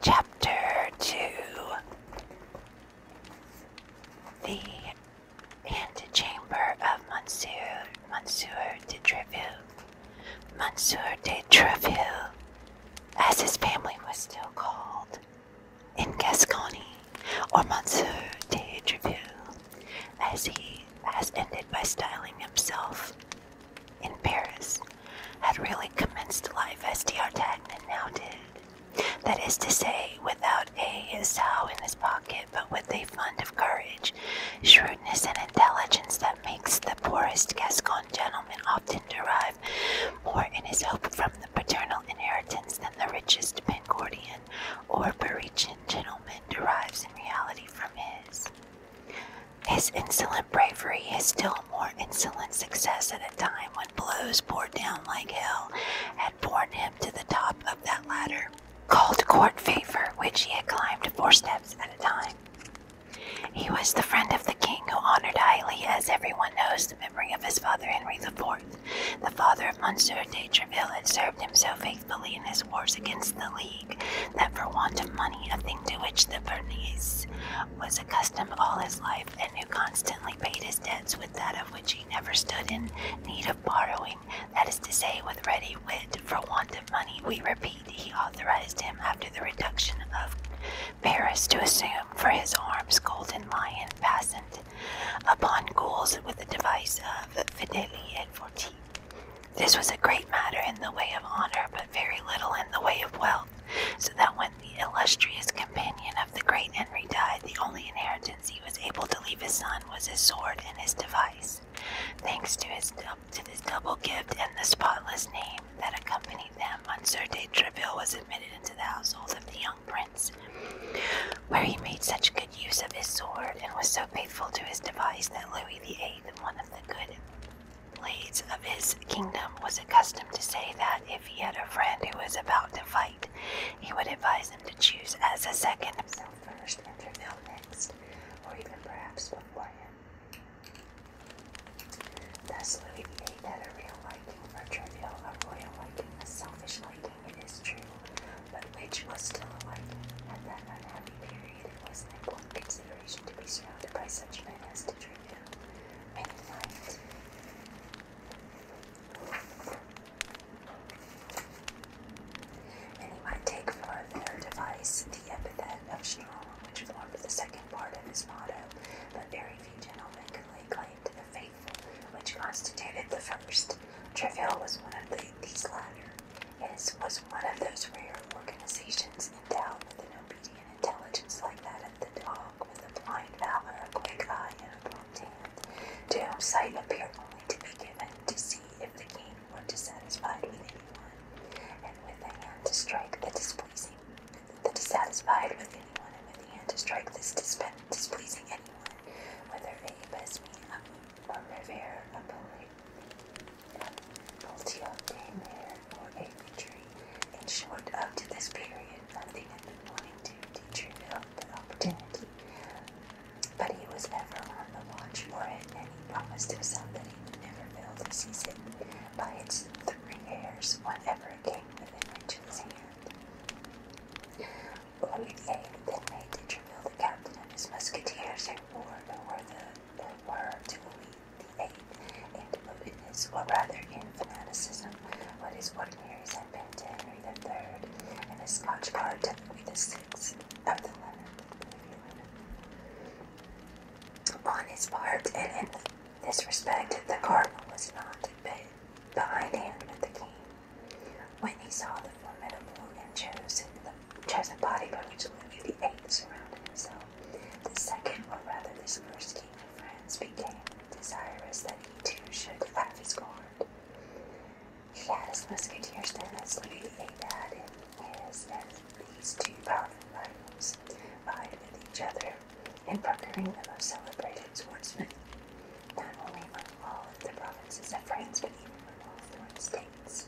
Chapter Two The Antechamber of Monsieur Monsieur de Treville. Monsieur de Treville, as his family was still called in Gascony or Monsieur de Treville, as he has ended by styling himself in Paris, had really commenced life as D'Artagnan now did. That is to say, without a sow in his pocket, but with a fund of courage, shrewdness, and intelligence that makes the poorest Gascon gentleman often derive more in his hope from the paternal inheritance than the richest Pencordian or Parisian gentleman derives in reality from his. His insolent bravery, is still more insolent success at a time when blows poured down like hell had borne him to the top of that ladder, called court favor, which he had climbed four steps at a time. He was the friend of the king who honored highly, as everyone knows, the memory of his father Henry IV, the father of Monsieur de Treville, had served him so faithfully in his wars against the League that for want of money, a thing to which the Bernese was accustomed all his life, and who constantly paid his debts with that of which he never stood in need of borrowing, that is to say, with ready wit, for want of money, we repeat, he authorized him after the reduction of Paris to assume for his arms golden lion fastened upon gules with the device of fideli et forti. This was a great matter in the way of honor, but very little in the way of wealth, so that when the illustrious companion of the great Henry died, the only inheritance he was able to leave his son was his sword and his device. Thanks to his to this double gift and the spotless name that accompanied them, Monsieur de Treville was admitted into the household of the young prince, where he made such good use of his sword and was so faithful to his device that Louis VIII, one of the good blades of his kingdom, was accustomed to say that if he had a friend who was about to fight, he would advise him to choose as a second himself first Treville next, or even perhaps before him. Thus Louis VIII had a real liking for trivial, a royal liking, a selfish liking, it is true, but which was still a liking. At that unhappy period it was an important consideration to be surrounded by such men as did trivial and fight. And he might take for their device the epithet of strong, which formed the second part of his motto, but very few gentlemen could lay claim to faithful, which constituted the first. Treville was one of these latter. His was one of those rare organizations endowed with an obedient intelligence like that of the dog, with a blind valor, a quick eye, and a prompt hand, to whom sight appear only to be given to see if the king were dissatisfied with anyone, and with a hand to strike the displeasing. The dissatisfied with anyone and with the end to strike this displeasing anyone, whether a Besme or Rivera, a Multiodamer, or a tree. In short, up to this period, nothing had been wanting to Dietrichville the opportunity. But he was ever on the watch for it, and he promised himself that he would never fail to seize it by its three hairs, whatever came within reach of his hand. Olivier the inmate did reveal the captain and his musketeers and ward were the were to the eight in devotedness, or rather in fanaticism, what is ordinaries had been to Henry the Third, and his Scotch guard to Louis the Sixth of the Leonard. On his part, and in this respect, the cardinal was not in bit Behind him, hand the king. When he saw the formidable and chosen, the chosen body by which Louis VIII surrounded so the second, or rather this first king of France, became desirous that he too should have his guard. He had as musketeers then as Louis VIII had in his, and these two powerful rivals vied with each other in procuring the most celebrated swordsmen, not only from all the provinces of France, but even from all foreign states.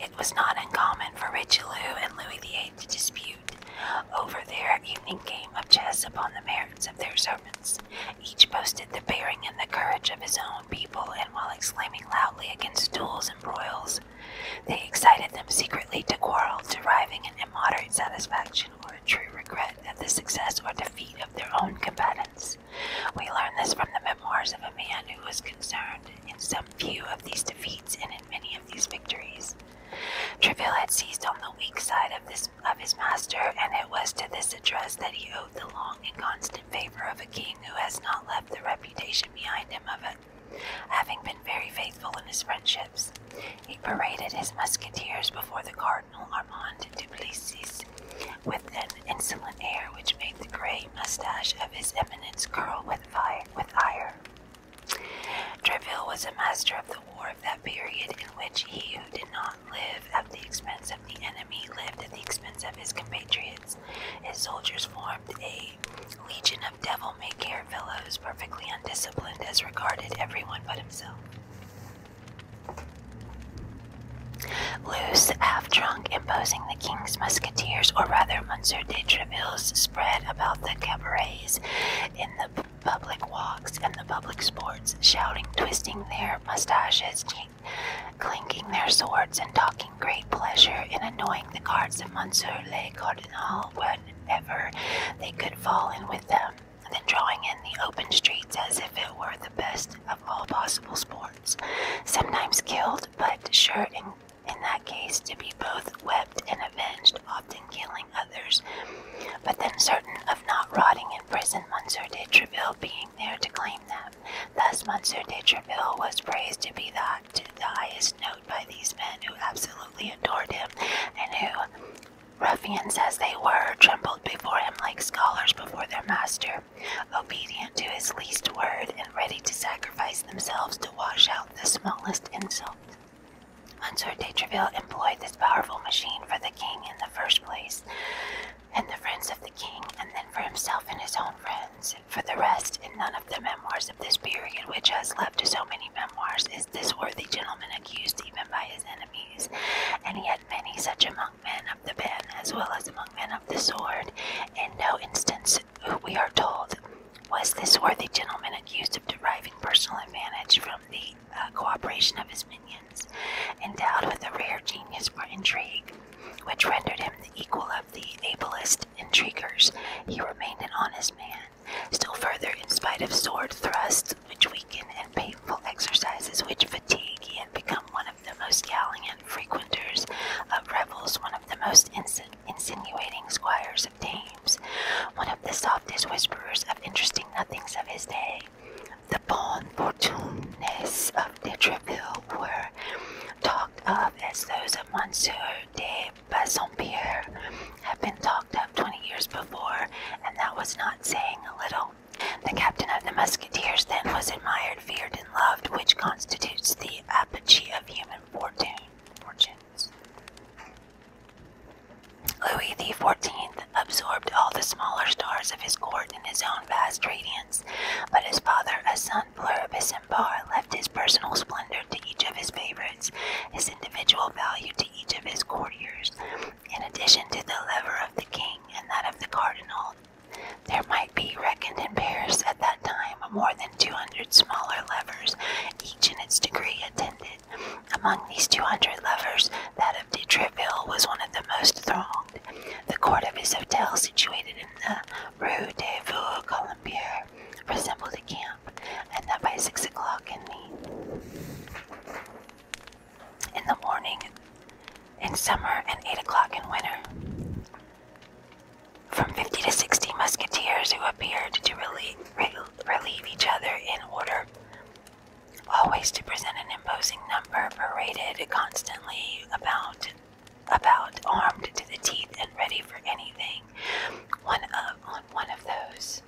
It was not uncommon for Richelieu and Louis VIII to dispute over their evening game of chess upon the merits of their servants. Each boasted the bearing and the courage of his own people, and while exclaiming loudly against duels and broils, they excited them secretly to quarrel, deriving an immoderate satisfaction or true regret at the success or defeat of their own combatants. We learn this from the memoirs of a man who was concerned in some few of these defeats and in many of these victories. Treville had seized on the weak side of this of his master, and it was to this address that he owed the long and constant favor of a king who has not left the reputation behind him of it having been very faithful in his friendships. He paraded his musketeers before the cardinal Cardinal Armand Duplessis, with an insolent air which made the grey moustache of his eminence curl with fire with ire. Treville was a master of the war of that period in which he who did not live at the expense of the enemy lived at the expense of his compatriots. His soldiers formed a legion of devil-may-care fellows, perfectly undisciplined as regarded everyone but himself. Loose, half drunk, imposing the king's musketeers, or rather Monsieur de Treville's spread about the cabarets, in the public walks, and the public sports, shouting, twisting their mustaches, clinking their swords, and talking great pleasure in annoying the guards of Monsieur le Cardinal whenever they could fall in with them and then drawing in the open streets as if it were the best of all possible sports, sometimes killed, but sure in, in that case to be both wept and avenged, often killing others. But then certain of not rotting in prison, Monsieur de Treville being there to claim them. Thus Monsieur de Treville was praised to be that to the highest note by these men who absolutely adored him, and who Ruffians as they were trembled before him like scholars before their master, obedient to his least word and ready to sacrifice themselves to wash out the smallest insult. Monsieur de Treville employed this powerful machine for the king in the first place, and the friends of the king, and then for himself and his own friends. For the rest, in none of the memoirs of this period which has left so many memoirs is this worthy gentleman accused even by his enemies, and yet many such among men of the pen as well as among men of the sword. In no instance, we are told, was this worthy gentleman accused of deriving personal advantage from the uh, cooperation of his minions, endowed with a rare genius for intrigue, which rendered him the equal of the ablest intriguers. He remained an honest man. Still further, in spite of sword thrusts, which weaken, and painful exercises, which fatigue. and become one of the most galling and frequenters of revels, one of the most insinuating squires of dames, one of the softest whisperers of interesting nothings of his day. The bon fortunes of de Treville were talked of as those of Monsieur de Bassompierre had been talked of twenty years before, and that was not saying a little. The captain of the musketeers then was admired, feared, and loved, which constitutes the apogee of human fortune. Fortunes. Louis XIV absorbed all the smaller stars of his court in his own vast radiance, but his father, a son pluribus and bar left his personal splendor to each of his favorites, his individual value to each of his courtiers. In addition to the lever of the king and that of the cardinal, there might be reckoned in Paris at that time more than 200 smaller levers, each in its degree attended. Among these 200 levers, that of de Treville was one of the most thronged. The court of his hotel, situated in the Rue de Vaux Colombier, resembled a camp, and that by six o'clock in the in the morning in summer and 8 o'clock in winter. From 50 to 60 musketeers who appeared to relieve, each other in order, always to present an imposing number, paraded constantly about, about armed to the teeth and ready for anything. One of, on one of those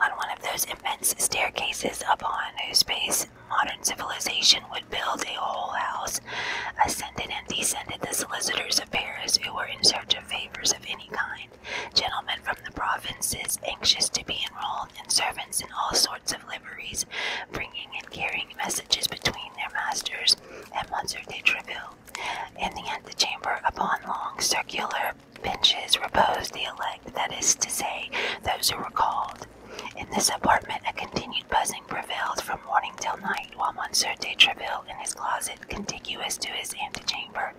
on one of those immense staircases upon whose base modern civilization would build a whole house, ascended and descended the solicitors of Paris who were in search of favors of any kind, gentlemen from the provinces anxious to be enrolled, and servants in all sorts of liveries, bringing and carrying messages between their masters and Monsieur de Treville. In the antechamber, upon long circular benches reposed the elect, that is to say, those who were called. In this apartment, a continued buzzing prevailed from morning till night, while Monsieur de Treville, in his closet contiguous to his antechamber,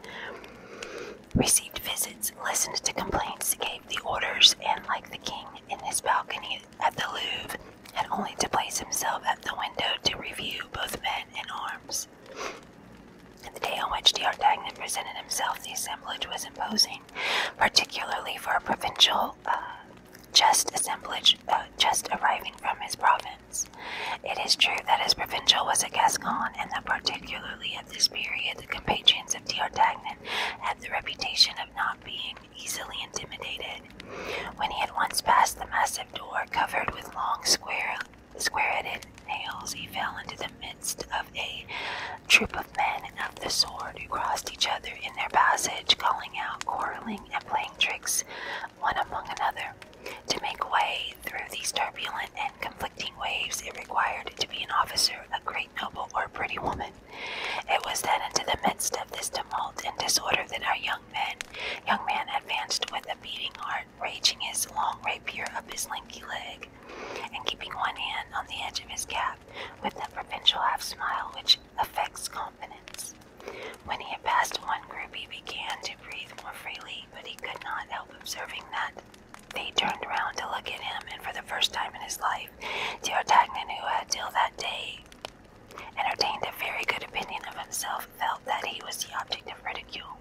received visits, listened to complaints, gave the orders, and, like the king in his balcony at the Louvre, had only to place himself at the window to review both men and arms. On The day on which D'Artagnan presented himself, the assemblage was imposing, particularly for a provincial uh, just assemblage uh, just arriving from his province. It is true that his provincial was a Gascon, and that particularly at this period the compatriots of D'Artagnan had the reputation of not being easily intimidated. When he had once passed the massive door covered with long square square-headed nails, he fell into the midst of a troop of men of the sword who crossed each other in their passage, calling out, quarreling, and playing tricks one among another. To make way through these turbulent and conflicting waves, it required to be an officer, a great noble, or a pretty woman. It was then into the midst of this tumult and disorder that our young man, young man advanced with a beating heart, raging his long rapier up his lanky leg and keeping one hand on the edge of his cap with that provincial half smile which affects confidence. When he had passed one group, he began to breathe more freely, but he could not help observing that they turned round to look at him, and for the first time in his life, D'Artagnan, who had till that day entertained a very good opinion of himself, felt that he was the object of ridicule.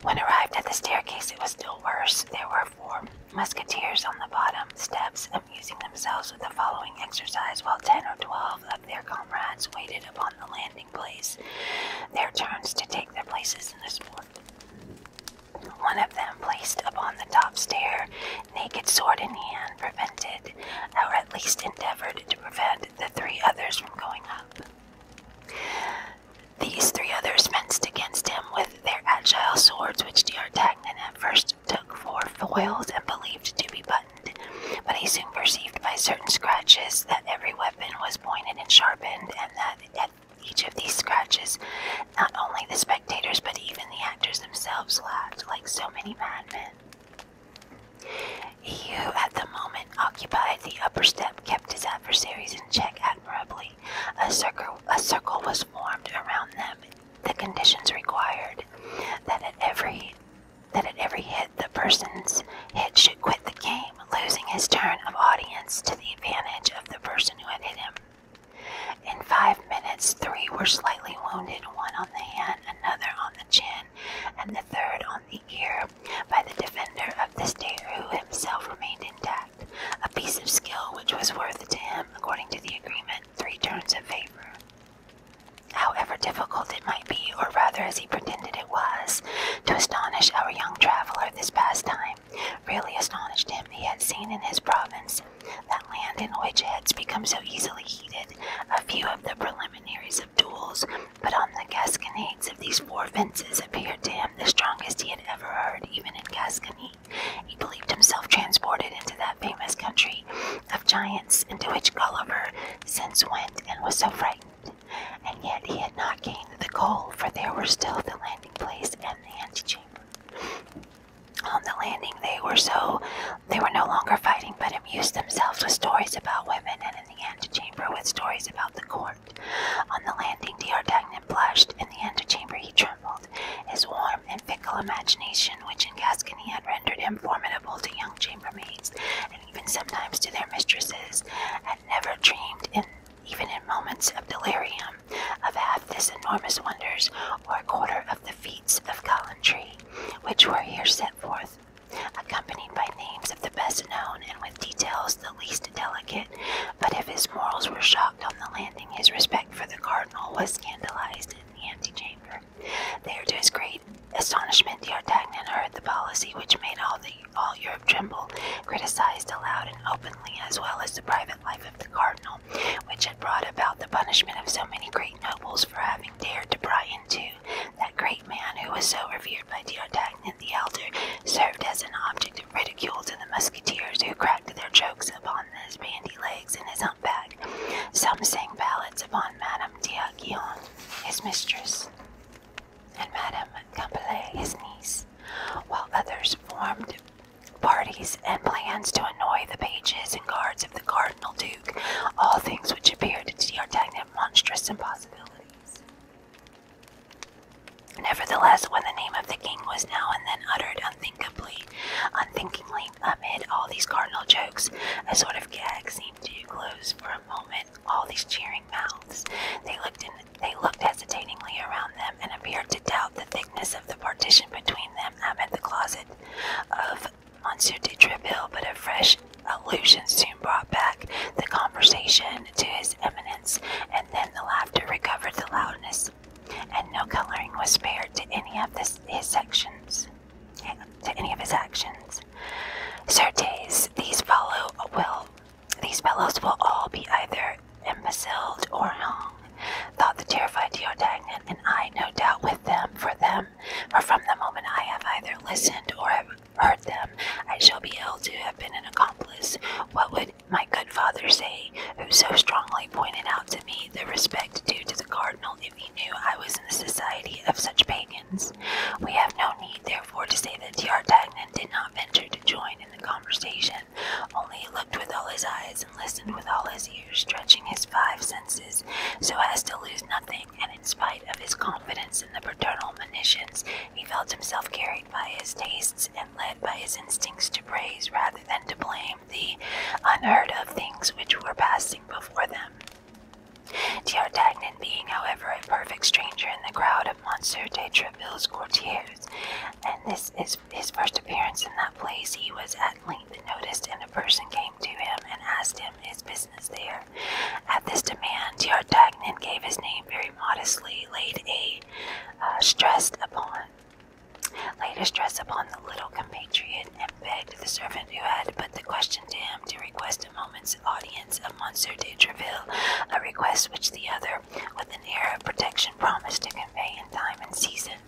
When arrived at the staircase, it was still worse. There were four musketeers on the bottom steps, amusing themselves with the following exercise, while ten or twelve of their comrades waited upon the landing place, their turns to take their places in the sport. One of them, placed upon the top stair, naked sword in hand, prevented, or at least endeavored to prevent, the three others from going up. These three others fenced against him with their agile swords, which D'Artagnan at first took for foils and believed to be buttoned, but he soon perceived by certain scratches that every weapon was pointed and sharpened, and that at each of these scratches, not only the spectators but even the actors themselves laughed like so many madmen. He who at the moment occupied the upper step kept his adversaries in check admirably. A circle, a circle was formed around them. The conditions required that at every that at every hit the person's hit should quit the game, losing his turn of audience to the advantage of the person who had hit him. In five minutes, three were slightly wounded, one on the hand, another on the chin, and the third on the ear, by the defender of the state who himself remained intact a piece of skill which was worth to him, according to the agreement, three turns of favor. However difficult it might be, or rather as he pretended it was, to astonish our young traveller this pastime, really astonished him, he had seen in his province that land in which heads become so easily heated, a few of the preliminaries of duels, but on the gasconades of these four fences appeared to him the strongest he had ever heard, even in Gascony. He believed himself transported into that famous country of giants into which Gulliver since went and was so frightened. And yet he had not gained the goal, for there were still the landing place and the antechamber. On the landing, they were so they were no longer fighting, but amused themselves with stories about women, and in the antechamber with stories about the court. On the landing, D'Artagnan blushed. In the antechamber, he trembled. His warm and fickle imagination, which in Gascony had rendered him formidable to young chambermaids, and even sometimes to their mistresses, had never dreamed even in moments of delirium, of half these enormous wonders, or a quarter of the feats of gallantry, which were here set forth, accompanied by names of the best known, and with details the least delicate, but if his morals were shocked on the landing, his respect for the cardinal was scandalized in the antechamber. There, to his great astonishment, D'Artagnan heard the policy which made all the all Europe tremble, criticized aloud and openly, as well as the private life of the cardinal, which had brought about the punishment of so many great nobles for having dared to pry into that great man who was so revered by D'Artagnan the elder served as an object of ridicule to the musketeers who cracked their jokes upon his bandy legs and his humpback. Some sang ballads upon Madame d'Aguillon, his mistress, and Madame Campelet, his niece, while others formed parties and plans to annoy the pages and guards of the Cardinal Duke, all things which appeared to D'Artagnan monstrous impossibilities. Nevertheless, when the name of the king was now and then uttered unthinkably, unthinkingly, amid all these cardinal jokes, a sort of gag seemed to close for a moment all these cheering mouths. They looked they looked hesitatingly around them and appeared to doubt the thickness of the partition between them and the closet of Monsieur de Treville, but a fresh allusion soon brought back the conversation to his eminence, and then the laughter recovered the loudness, and no coloring was spared to any of his sections, to any of his actions. Certes, these follow will, these fellows will all be either imbeciled or hung, thought the terrified Diodagnan, and I, no doubt, with them, for them, for from the moment I have either listened or have heard them, I shall be held to have been an accomplice. What would my good father say, who so strongly pointed out to me the respect due to the cardinal if he knew I was in the society of such pagans. We have no need, therefore, to say that D'Artagnan did not venture to join in the conversation, only he looked with all his eyes and listened with all his ears, stretching his five senses so as to lose nothing, and in spite of his confidence in the paternal monitions, he felt himself carried by his tastes and led by his instincts to praise rather than to blame the unheard of things which were passing before them. D'Artagnan, being, however, a perfect stranger in the crowd of Monsieur de Treville's courtiers, and this is his first appearance in that place, he was at length noticed, and a person came to him and asked him his business there. At this demand, D'Artagnan gave his name very modestly, laid a uh, stress upon laid a stress upon the little compatriot, and begged the servant who had put the question to him to request a moment's audience of Monsieur de Treville, a request which the other, with an air of protection, promised to convey in time and season.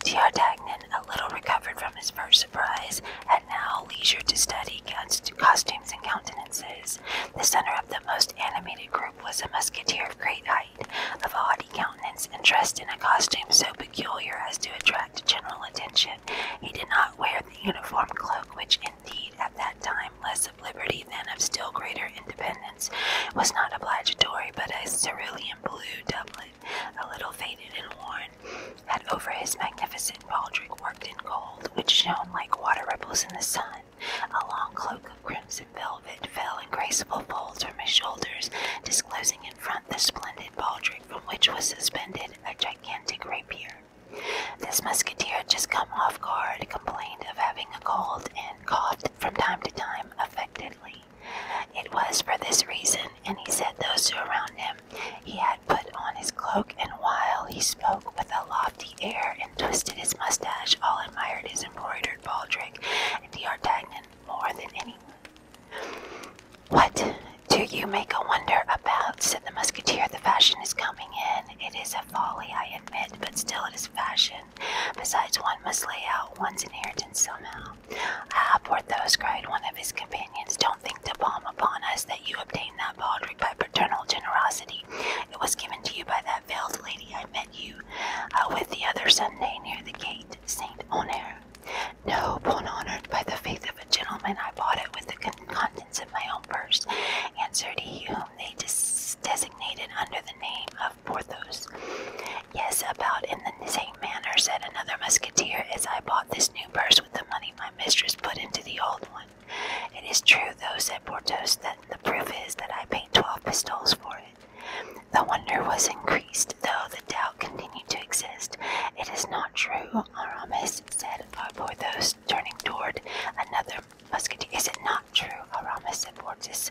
D'Artagnan, a little recovered from his first surprise, had now leisure to study costumes and countenances. The center of the most animated group was a musketeer of great height of a haughty countenance, and dressed in a costume so peculiar as to attract general attention. He did not wear the uniform cloak, which indeed at that time, less of liberty than of still greater independence, was not obligatory, but a cerulean blue doublet, a little faded and worn, had over his magnificent baldric worked in gold, which shone like water ripples in the sun. A long cloak of crimson velvet fell in graceful folds from his shoulders, disclosing in front the splendid baldric from which was suspended a gigantic rapier. This musketeer had just come off guard, complained of having a cold, and coughed from time to time affectedly. It was for this reason, and he said those who around him, he had put on his cloak, and while he spoke with a lofty air and twisted his mustache, all admired his embroidered baldric. Frederick and D'Artagnan more than anyone. What do you make a wonder about? said the musketeer. The fashion is coming in. It is a folly, I admit, but still it is fashion. Besides, one must lay out one's inheritance somehow. Ah, Porthos, cried one of his companions, don't think to palm upon us that you obtained that baldric by paternal generosity. It was given to you by that veiled lady I met you uh, with the other Sunday near the gate, Saint Honor. No, bon honored by the faith of a gentleman, I bought it with the contents of my own purse, answered he whom they designated under the name of Porthos. Yes, about in the same manner, said another musketeer, as I bought this new purse with the money my mistress put into the old one. It is true, though, said Porthos, that the proof is that I paid twelve pistoles for it. The wonder was increased, though the doubt continued to exist. It is not true, Aramis said Porthos, turning toward another musketeer. Is it not true, Aramis said Porthos,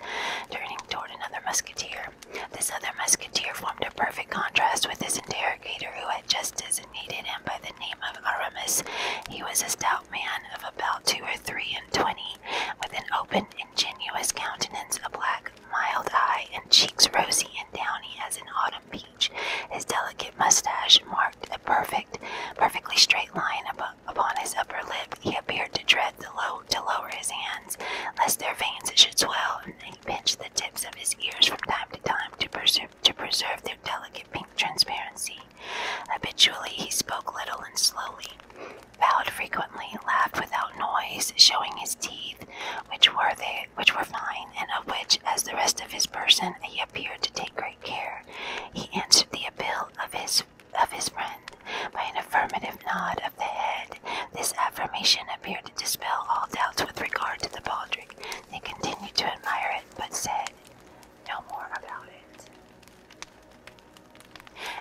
turning toward another musketeer? This other musketeer formed a perfect contrast with his interrogator, who had just designated him by the name of Aramis. He was a stout man of about two or three and twenty, with an open ingenuous countenance, a black, mild eye, and cheeks rosy and downy as an autumn peach. His delicate mustache marked a perfect, perfectly straight line upon his upper lip. He appeared to dread the low to lower his hands, lest their veins should swell, and he pinched the tips of his ears from time to time to preserve their delicate pink transparency. Habitually, he spoke little and slowly bowed frequently, laughed without noise, showing his teeth, which were they, which were fine, and of which, as the rest of his person, he appeared to take great care. He answered the appeal of his of his friend by an affirmative nod of the head. This affirmation appeared to dispel all doubts with regard to the baldric. They continued to admire it, but said no more about it.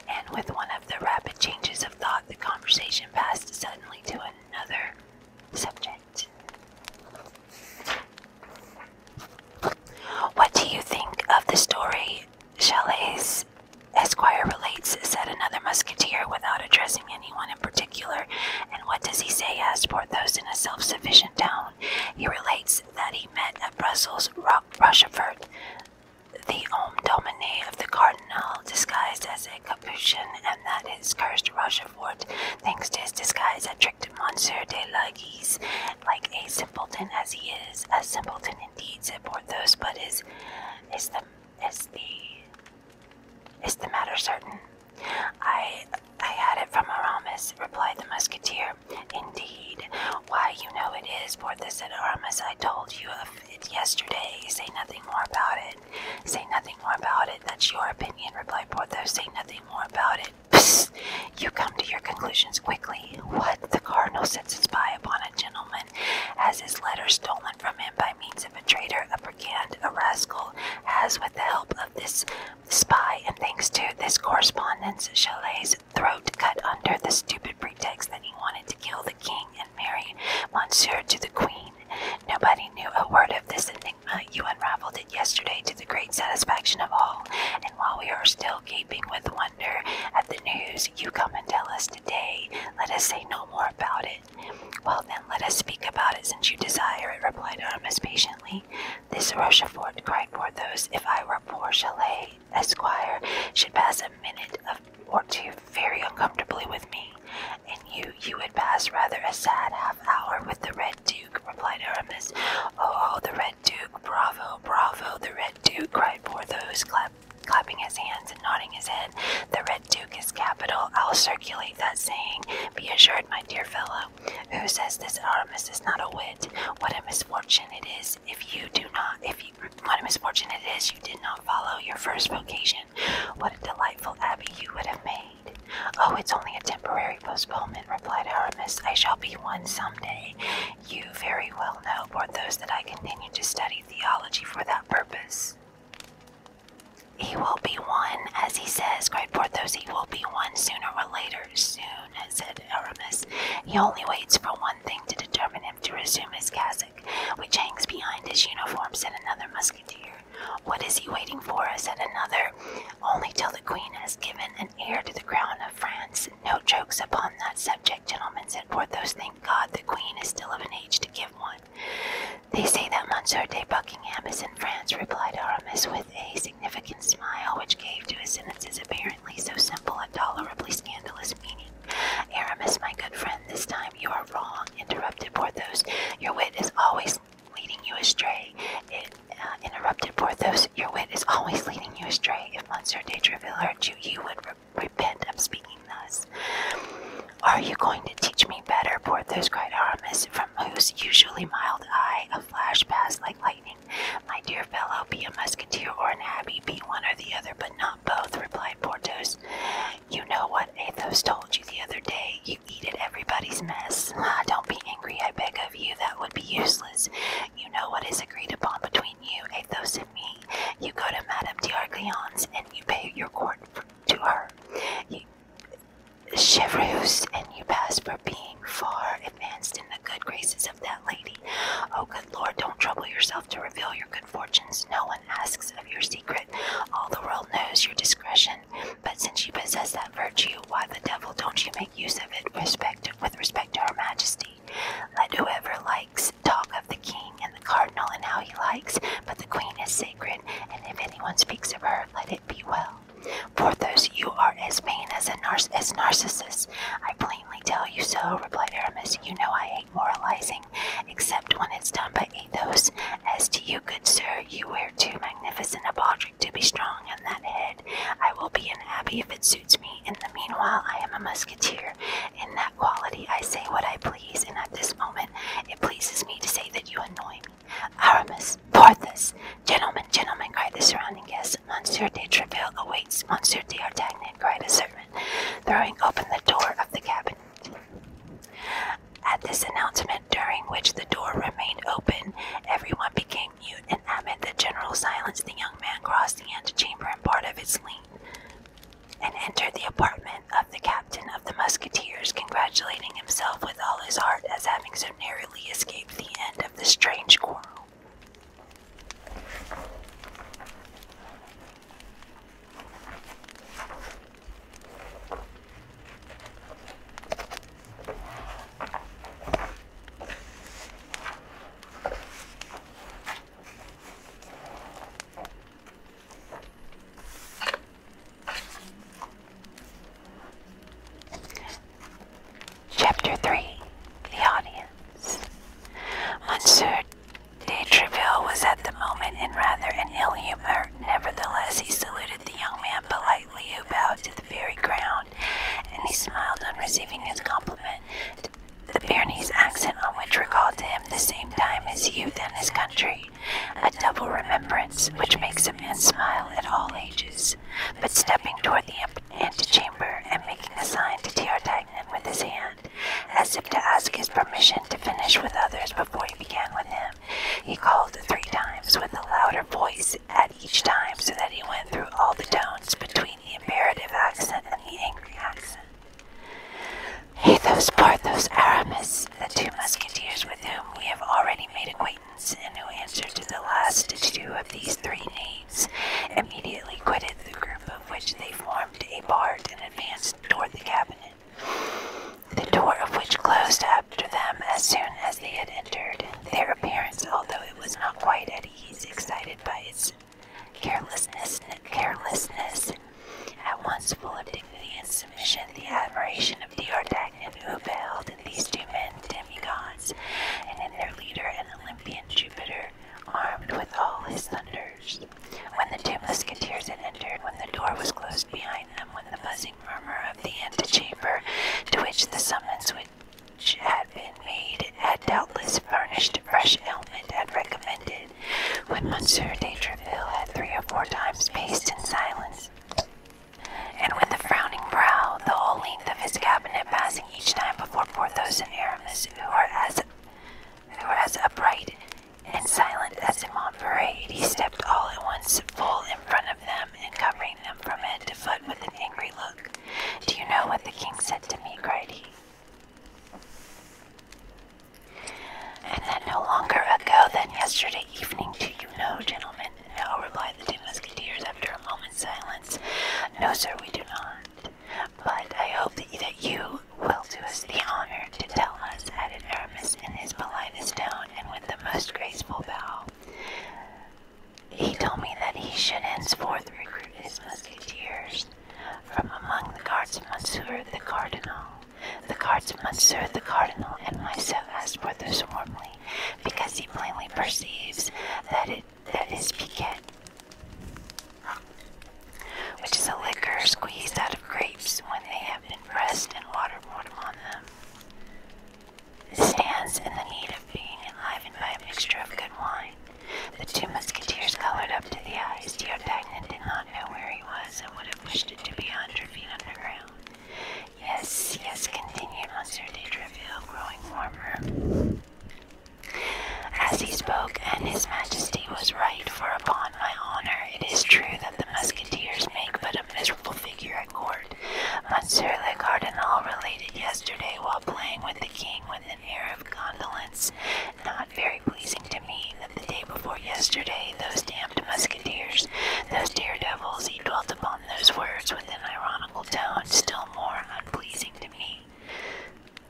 And with one of the rapid changes of thought, the conversation passed suddenly to another subject. What do you think of the story Chalet's Esquire relates? said another musketeer without addressing anyone in particular. And what does he say? asked Porthos in a self sufficient tone. He relates that he met at Brussels Rochefort, the Om Domine of the Cardinal, disguised as a Capuchin, and that his cursed Rochefort, thanks to his disguise, had tricked Monsieur de la like a simpleton as he is. A simpleton indeed, said Porthos, but is, is, the, is, the, is the matter certain? I, I had it from Aramis, replied the musketeer. Indeed, why, you know it is, Porthos and Aramis. I told you of it yesterday. Say nothing more about it. Say nothing more about it. That's your opinion, replied Porthos. Say nothing more about it. Psst! You come to your conclusions quickly. What? The cardinal sets his spy upon a gentleman, has his letter stolen from him by means of a traitor, a brigand, a rascal, has, with the help of this spy, and thanks to this correspondence, Chalet's throat cut under the stupid pretext that he wanted to kill the king and marry Monsieur to the queen. Nobody knew a word of this enigma. You unraveled it yesterday to the great satisfaction of all, and while we are still gaping with wonder at the news, you come and tell us today. Let us say no more about it. Well, then, let us speak about it since you desire it, replied Aramis patiently. This Rochefort, cried Porthos, if I were poor Chalet, Esquire, should pass a minute of, or two very uncomfortably with me, and you, you would pass rather a sad half hour with the Red Duke, replied Aramis. Oh, oh, the Red Duke, bravo, bravo, the Red Duke, cried Porthos, clapping his hands and nodding his head. The Red Duke is capital. I'll circulate that saying. Be assured, my dear fellow, who says this Aramis is not a wit, what a misfortune it is if you do not, if you what a misfortune it is you did not follow your first vocation. What a delightful abbey you would have made. Oh, it's only a temporary postponement, replied Aramis. I shall be one some day. You very well know, Porthos, that I continue to study theology for that purpose. He will be one, as he says, cried Porthos. He will be one sooner or later. Soon, said Aramis. He only waits for one thing to determine him to resume his cast which hangs behind his uniform, said another musketeer. What is he waiting for? said another. Only till the queen has given an heir to the crown of France. No jokes upon that subject, gentlemen, said Porthos. Thank God the queen is still of an age to give one. They say that Monsieur de Buckingham is in France, replied Aramis with a significant smile, which gave to his sentences apparently so simple a tolerably scandalous meaning Aramis, my good friend, this time you are wrong, interrupted Porthos. Your wit is always leading you astray. Uh, interrupted Porthos. Your wit is always leading you astray. If Monsieur de Treville heard you, you would repent of speaking thus. Are you going to teach me better? Porthos cried Aramis, from whose usually mild eye a flash passed like lightning. My dear fellow, be a musketeer or an abbé, be one or the other, but not both, replied replied Porthos. You know what Athos told you the other day. You eat at everybody's mess. Ah, don't be angry, I beg of you. That would be useless. You know what is agreed upon between you, Athos, and me. You go to Madame d'Arglian's and you pay your court to her. You, Chevreuse, and you pass for being far advanced in the good graces of that lady. Oh, good Lord, don't trouble yourself to reveal your good fortunes. No one asks of your secret. All the world knows your discretion. But since you possess that virtue, why the devil don't you make use of it with respect to her majesty? Let whoever likes talk of the king and the cardinal and how he likes, but the queen is sacred, and if anyone speaks of her, let it be well. Porthos, you are as vain as a Narcissus. I plainly tell you so, replied Aramis. You know I hate moralizing, except when it's done by Athos. As to you, good sir, you wear too magnificent a baldric to be strong on that head. I will be an abbey if it suits me. In the meanwhile, I am a musketeer. In that quality, I say what I please, and at this moment, it pleases me to say that you annoy me. Aramis, Porthos, gentlemen, gentlemen, cried the surrounding guests. Monsieur de Treville awaits. Monsieur d'Artagnan, cried a servant throwing open the door of the cabin. At this announcement, during which the door remained open, everyone became mute, and amid the general silence, the young man crossed the antechamber and part of its length, and entered the apartment of the captain of the musketeers, congratulating himself with all his heart as having so narrowly escaped the end of the strange quarrel. Chapter 3 The Audience Monsieur De Treville was at the moment in rather an ill humor. Nevertheless, he saluted the young man politely, who bowed to the very ground, and he smiled on receiving his compliment. The Pyrenees accent on which recalled to him the same time his youth and his country, a double remembrance which makes a man smile at all ages. But stepping toward the antechamber and making a sign to Teartagnan with his hand, as if to ask his permission to finish with others before he began with him. He called three times with a louder voice at each time so that he went through all the tones between the imperative accent and the angry accent. Athos, Porthos, Aramis, the two musketeers with whom we have already made acquaintance and who answered to the last two of these three names, immediately quitted the group of which they formed formed a barred and advanced toward the cabinet, the door of which closed after them as soon as they had entered. Their appearance, although it was not quite at ease, excited by its carelessness, carelessness, at once full of dignity and submission, the admiration of the Artagnan who beheld in these two men demi-gods, and in their leader an Olympian Jupiter, armed with all his thunders. When the two musketeers had entered, when the door was closed behind them, when the buzzing murmur of the antechamber to which the summons which had been made had doubtless furnished fresh ailment and recommended, when Monsieur de Treville had three or four times paced in silence, and when the frowning brow, the whole length of his cabinet passing each time before Porthos and Aramis, who were as there as upright and silent as a Montferrat. He stepped all at once full in front of them and covering them from head to foot with an angry look. Do you know what the king said to me? cried he. And that no longer ago than yesterday evening, do you know, gentlemen? No, replied the two musketeers after a moment's silence. No, sir, we do not. But I hope that you will do us the honor to tell us, added Aramis in his politest tone and with the most graceful bow. He told me that he should henceforth recruit his musketeers from among the guards of Monsieur the Cardinal. The guards of Monsieur the Cardinal and myself asked for this warmly, because he plainly perceives that it that is piquet which is a liquor squeezed out of grapes when they have been pressed and water poured upon them. It stands in the need of being enlivened by a mixture of good wine. The two musketeers colored up to the eyes. D'Artagnan did not know where he was and would have wished it to be a hundred feet underground. Yes, yes, continued Monsieur de Treville, growing warmer. As he spoke, and his majesty was right, for upon my honor, it is true that the musketeers make but a miserable figure at court. Monsieur le Cardinal related yesterday while playing with the king with an air of condolence, not very pleasing to me, that the day before yesterday those damned musketeers, those daredevils, he dwelt upon those words with an ironical tone still more unpleasing to me.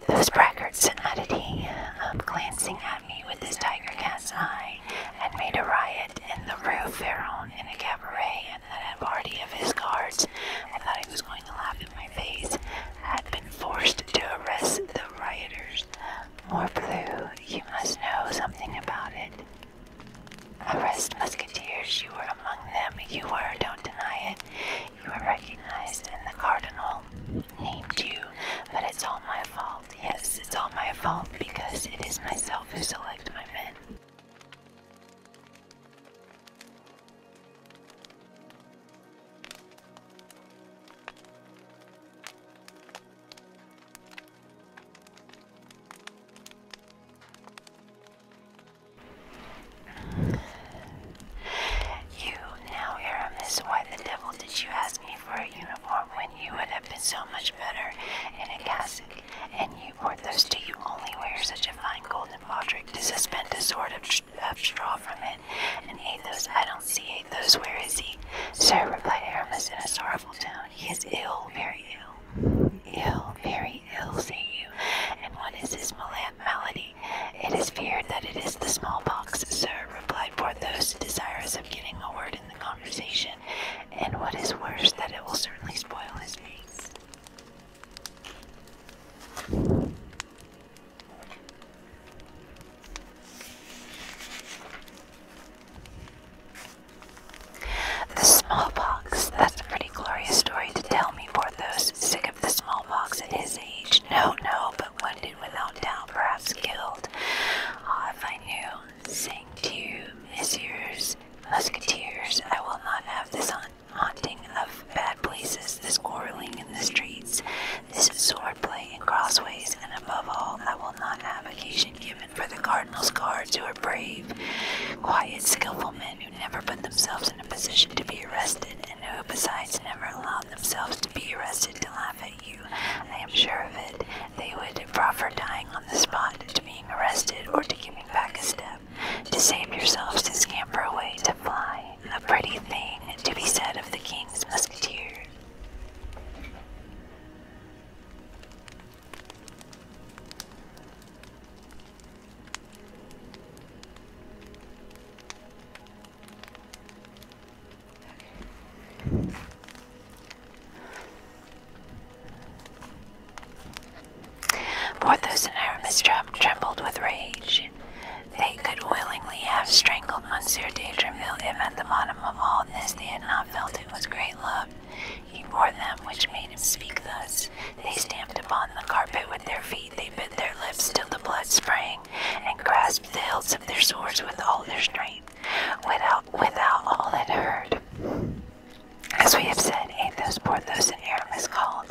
Those braggarts, added he, um, glancing at me with his tiger cat's eye, had made a riot in the Rue Ferron in a cabaret, and that a party of his guards, I thought he was going to laugh in my face, had been forced to arrest the rioters. Morbleu, you must know something about it. Arrest musketeers, you were among them, you were, don't deny it. You were recognized, in the cardinal. Named you, but it's all my fault. Yes, it's all my fault because it is myself who select my men. You now, Aramis, why the devil did you ask me for a uniform when you would have been so much better in a cassock, and you Porthos, do you only wear such a fine golden baldric to suspend a sword of, of straw from it? And Athos, I don't see Athos, where is he? Sir, replied Aramis in a sorrowful tone, he is ill, very ill. Ill, very ill, say you. And what is his malady? It is feared that it is the smallpox, sir, replied Porthos, desirous of getting a word in the conversation, and what is worse, that it will certainly spoil his face. The smallpox. That's a pretty glorious story to tell me, Porthos. Sick of the smallpox at his age. No, no, but wounded without doubt, perhaps killed. Ah, if I knew, saying to you, messieurs musketeers, I will not have this on haunting of bad places, this quarreling in the streets, this swordplay in crossways, and above all, I will not have occasion given for the cardinal's guards who are brave, quiet, skillful men who never put themselves in a position to be arrested, and who besides never allowed themselves to be arrested to laugh you. I am sure of it. They would prefer dying on the spot, to being arrested, or to giving back a step. To save yourselves, to scamper away, to fly. A pretty thing to be said of the king's musketeers. Okay. Porthos and Aramis trembled with rage. They could willingly have strangled Monsieur de Treville if at the bottom of all this they had not felt it was great love. He bore them, which made him speak thus. They stamped upon the carpet with their feet, they bit their lips till the blood sprang and grasped the hilts of their swords with all their strength, without, without all that heard. As we have said, Athos, Porthos, and Aramis called,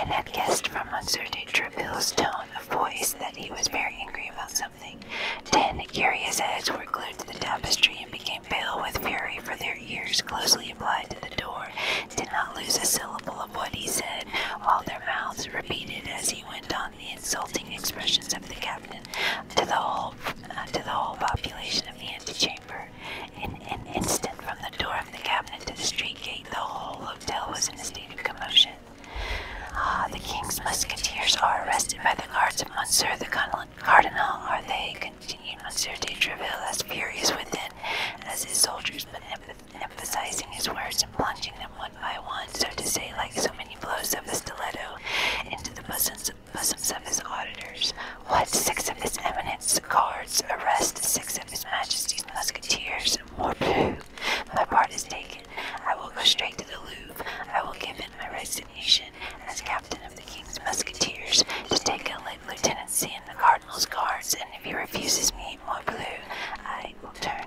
and had guessed from Monsieur de Tréville's tone of voice that he was very angry about something. Ten curious heads were glued to the tapestry and became pale with fury, for their ears, closely applied to the door, did not lose a syllable of what he said, while their mouths repeated as he went on the insulting expressions of the captain to the whole uh, to the whole population of the antechamber. In an instant, from the door of the cabinet to the street gate, the whole hotel was in a state of commotion. Ah, the king's musketeers are arrested by the guards of Monsieur the Cardinal, are they? continued Monsieur de Treville, as furious within as his soldiers, but emphasizing his words and plunging them one I want, so to say, like so many blows of a stiletto into the bosoms, of his auditors. What six of his eminence's guards arrest six of his majesty's musketeers? More blue. My part is taken. I will go straight to the Louvre. I will give in my resignation as captain of the king's musketeers to take a late lieutenancy in the cardinal's guards, and if he refuses me, more blue, I will turn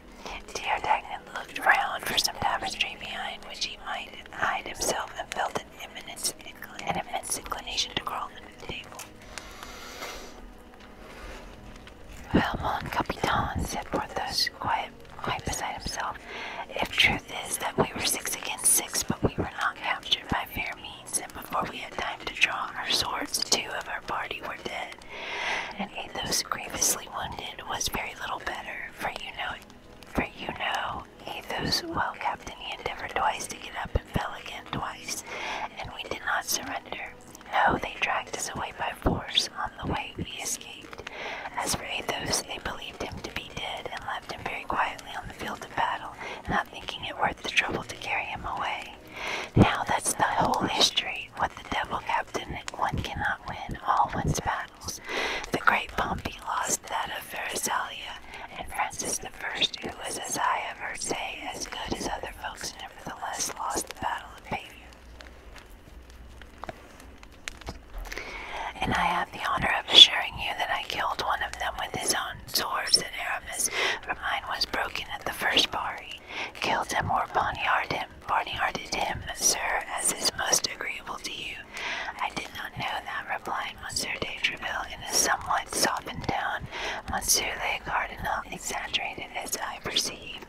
there. Teodagnant looked round for some tapestry behind which he might hide himself and felt an imminent, immense inclination to crawl under the table. Well, mon capitaine, said Porthos, quite, quite beside himself, if truth is that we were six against six, but we were not captured by fair means, and before we had time to draw our swords, two of our party were dead and Athos grievously wounded was very little better, for you know, for you know, Athos, well, Captain, he endeavored twice to get up and fell again twice, and we did not surrender. No, they dragged us away by force. On the way, we escaped. As for Athos, they believed him to be dead and left him very quietly on the field of battle, not thinking it worth the trouble to carry him away. Now that's the whole history. What the devil captain, one cannot win all one's battles. The great Pompey lost that of Verasalia, and Francis I, who was, as I have heard say, as good as other folks, nevertheless lost the battle of Pavia. And I have the honor of assuring you that I killed one of them with his own swords at Aramis, for mine was broken at the first parry. Killed him or poniarded him, Barney hearted him, Sir, as is most agreeable to you. I did not know that, replied Monsieur de Treville in a somewhat softened tone. Monsieur le Cardinal exaggerated, as I perceive.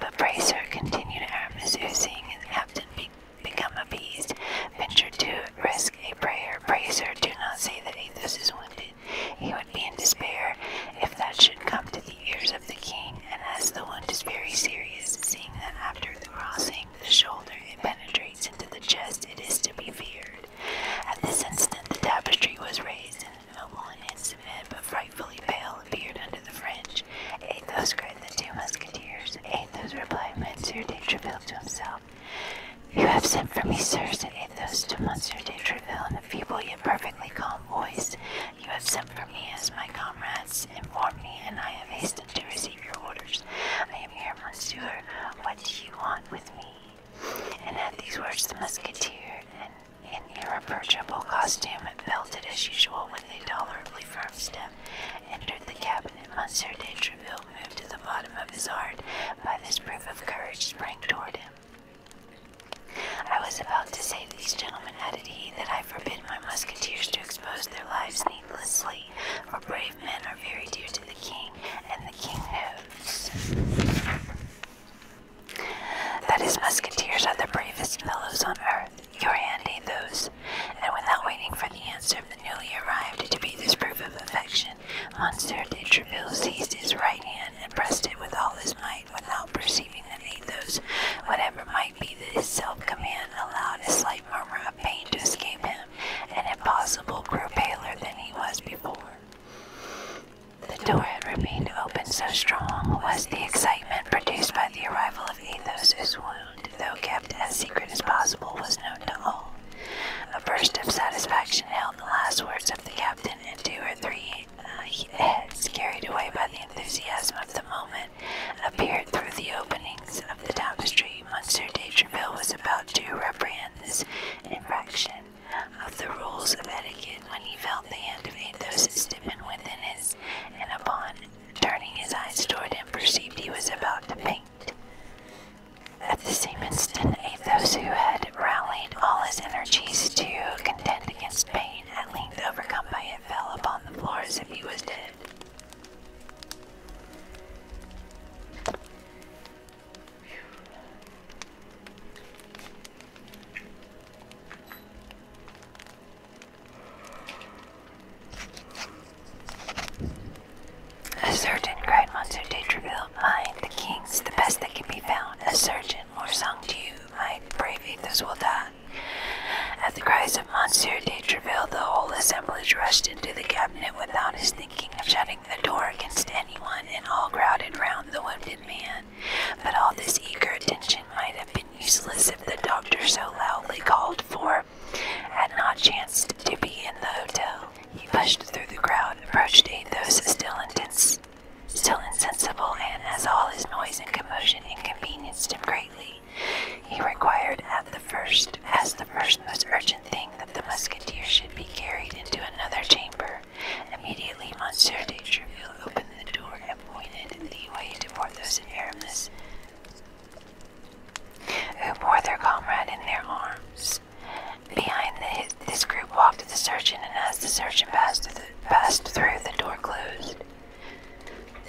But pray, sir, continued Aramis, who seeing his captain be become appeased, ventured to risk a prayer. Pray, sir, do not say that Athos is wounded. He would be in despair if that should come to the ears of the king, and as the wound is very serious, seeing that after the crossing the shoulder it penetrates into the chest, it is to be feared. At this instant the tapestry was raised, and a noble and handsome head, but frightfully pale, appeared under the fringe. Athos cried the two musketeers. Athos replied Monsieur de Treville to himself. You have sent for me, sir, said Athos to Monsieur de Treville in a feeble yet perfectly calm voice. You have sent for me as my comrades informed me, and I have hastened to receive your orders. I am here, monsieur. What do you want with me? And at these words, the musketeer, in, an irreproachable costume, belted as usual with a tolerably firm step, entered the cabinet. Monsieur de Treville moved to the bottom of his heart by this proof of courage, sprang toward him. I was about to say these gentlemen, added he, that I I forbid my musketeers to expose their lives needlessly, for brave men are very dear to the king, and the king knows that his musketeers are the bravest fellows on earth. You are ain't those. And without waiting for the answer of the newly arrived to be this proof of affection, Monsieur de Treville seized his right hand and pressed it with all his might without perceiving that Athos, whatever might Likely this self-command allowed a slight murmur of pain to escape him, and if possible grew paler than he was before. The door had remained open, so strong was the excitement produced by the arrival of Athos, whose wound, though kept as secret as possible, was known to all. A burst of satisfaction held the last words of the captain, and two or three uh, heads, carried away by the enthusiasm of the moment, appeared through the openings of the tapestry, Monsieur D'Urville was about to reprehend this infraction of the rules of etiquette when he felt the hand of Athos stiffen within his, and upon turning his eyes toward him, perceived he was about to faint. At the same instant, Athos, who had rallied all his energies to contend against pain, at length overcome by it fell upon the floor as if he was dead. A surgeon, cried Monsieur de Treville. the king's the best that can be found. A surgeon, more sung to you, my brave Athos will die. At the cries of Monsieur de Treville, the whole assemblage rushed into the cabinet without his thinking of shutting the door against anyone, and all crowded round the wounded man. But all this eager attention might have been useless if the doctor so loudly called for had not chanced to be in the hotel. He pushed through the crowd, approached Athos, still insensible, and as all his noise and commotion inconvenienced him greatly, he required at the first, as the first most urgent thing, that the musketeers should be carried into another chamber. Immediately Monsieur de Treville opened the door and pointed the way to Porthos and Aramis, who bore their comrade in their arms. Behind this group walked the surgeon, and as the surgeon passed through, the door closed.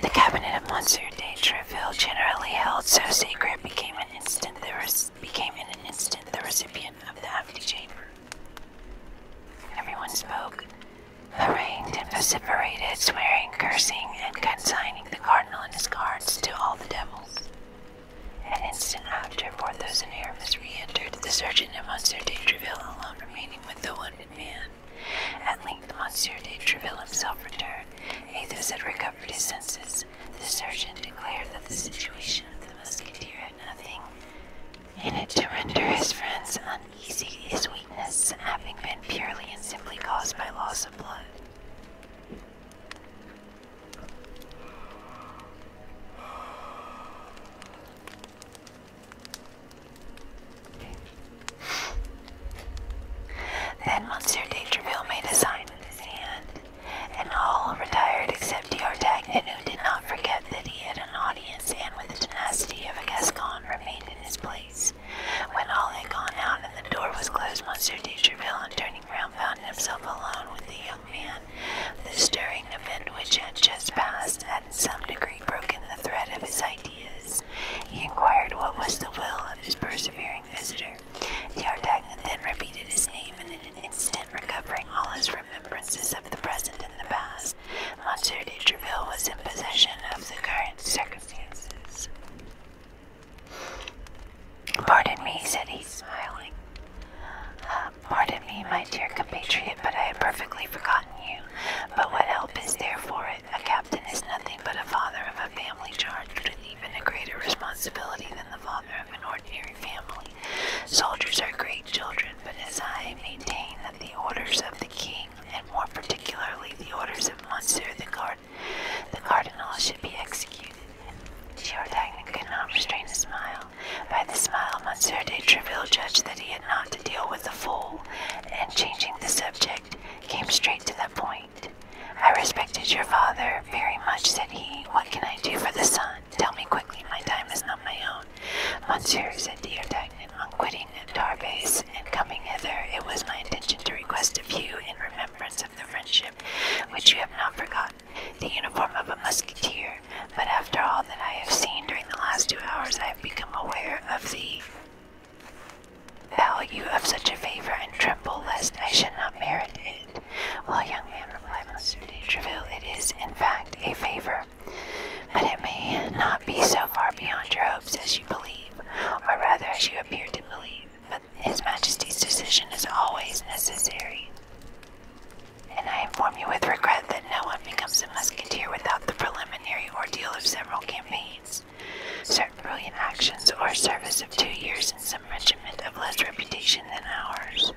The cabinet of Monsieur de Treville, generally held so sacred, became an instant the in an instant the recipient of the chamber. Everyone spoke, harangued and vociferated, swearing, cursing, and consigning the cardinal and his guards to all the devils. An instant after, Porthos and Aramis re-entered, the surgeon and Monsieur de Treville alone remaining with the wounded man. At length Monsieur de Treville himself returned. Athos had recovered his senses. The surgeon declared that the situation of the musketeer had nothing in it to render his friends uneasy, his weakness having been purely and simply caused by loss of blood. Then Monsieur de Treville made a sign with his hand, and all retired except D'Artagnan, who did not forget that he had an audience, and with the tenacity of a Gascon remained in his place. When all had gone out and the door was closed, Monsieur de Treville, turning round, found himself alone with the young man. The stirring event which had just passed had in some degree broken the thread of his ideas. He inquired what was the will of his persevering visitor. The D'Artagnan then repeated his name, and in an instant recovering all his remembrances of the present and the past, Monsieur de Treville was in possession of the current circumstances. Pardon me, said he, smiling. Uh, pardon me, my dear compatriot, but I had perfectly forgotten you. But what help is there for it? A captain is nothing but a father of a family charged with even a greater responsibility than the father of an ordinary family. Soldiers are great children, but as I maintain that the orders of the king, and more particularly the orders of Monsieur the, cardinal, should be executed. Giardagnan could not restrain a smile. By the smile, Monsieur de Treville judged that he had not to deal with a fool, and changing the subject, came straight to the point. I respected your father very much, said he. What can I do for the son? Tell me quickly, my time is not my own. Monsieur, said Diotagnan, on quitting Tarbes and coming hither, it was my intention to request of you, in remembrance of the friendship which you have not forgotten, the uniform of a musketeer. But after all that I have seen during the last two hours, I have become aware of the value of such a favour and tremble lest I should not merit it. While young man, replied Monsieur de Treville, it is, in fact, a favour, but it may not be so far beyond your hopes as you believe, or rather as you appear to believe, but His Majesty's decision is always necessary. And I inform you with regret that no one becomes a musketeer without the preliminary ordeal of several campaigns. Certain brilliant actions or service of two years in some regiment of less reputation than ours.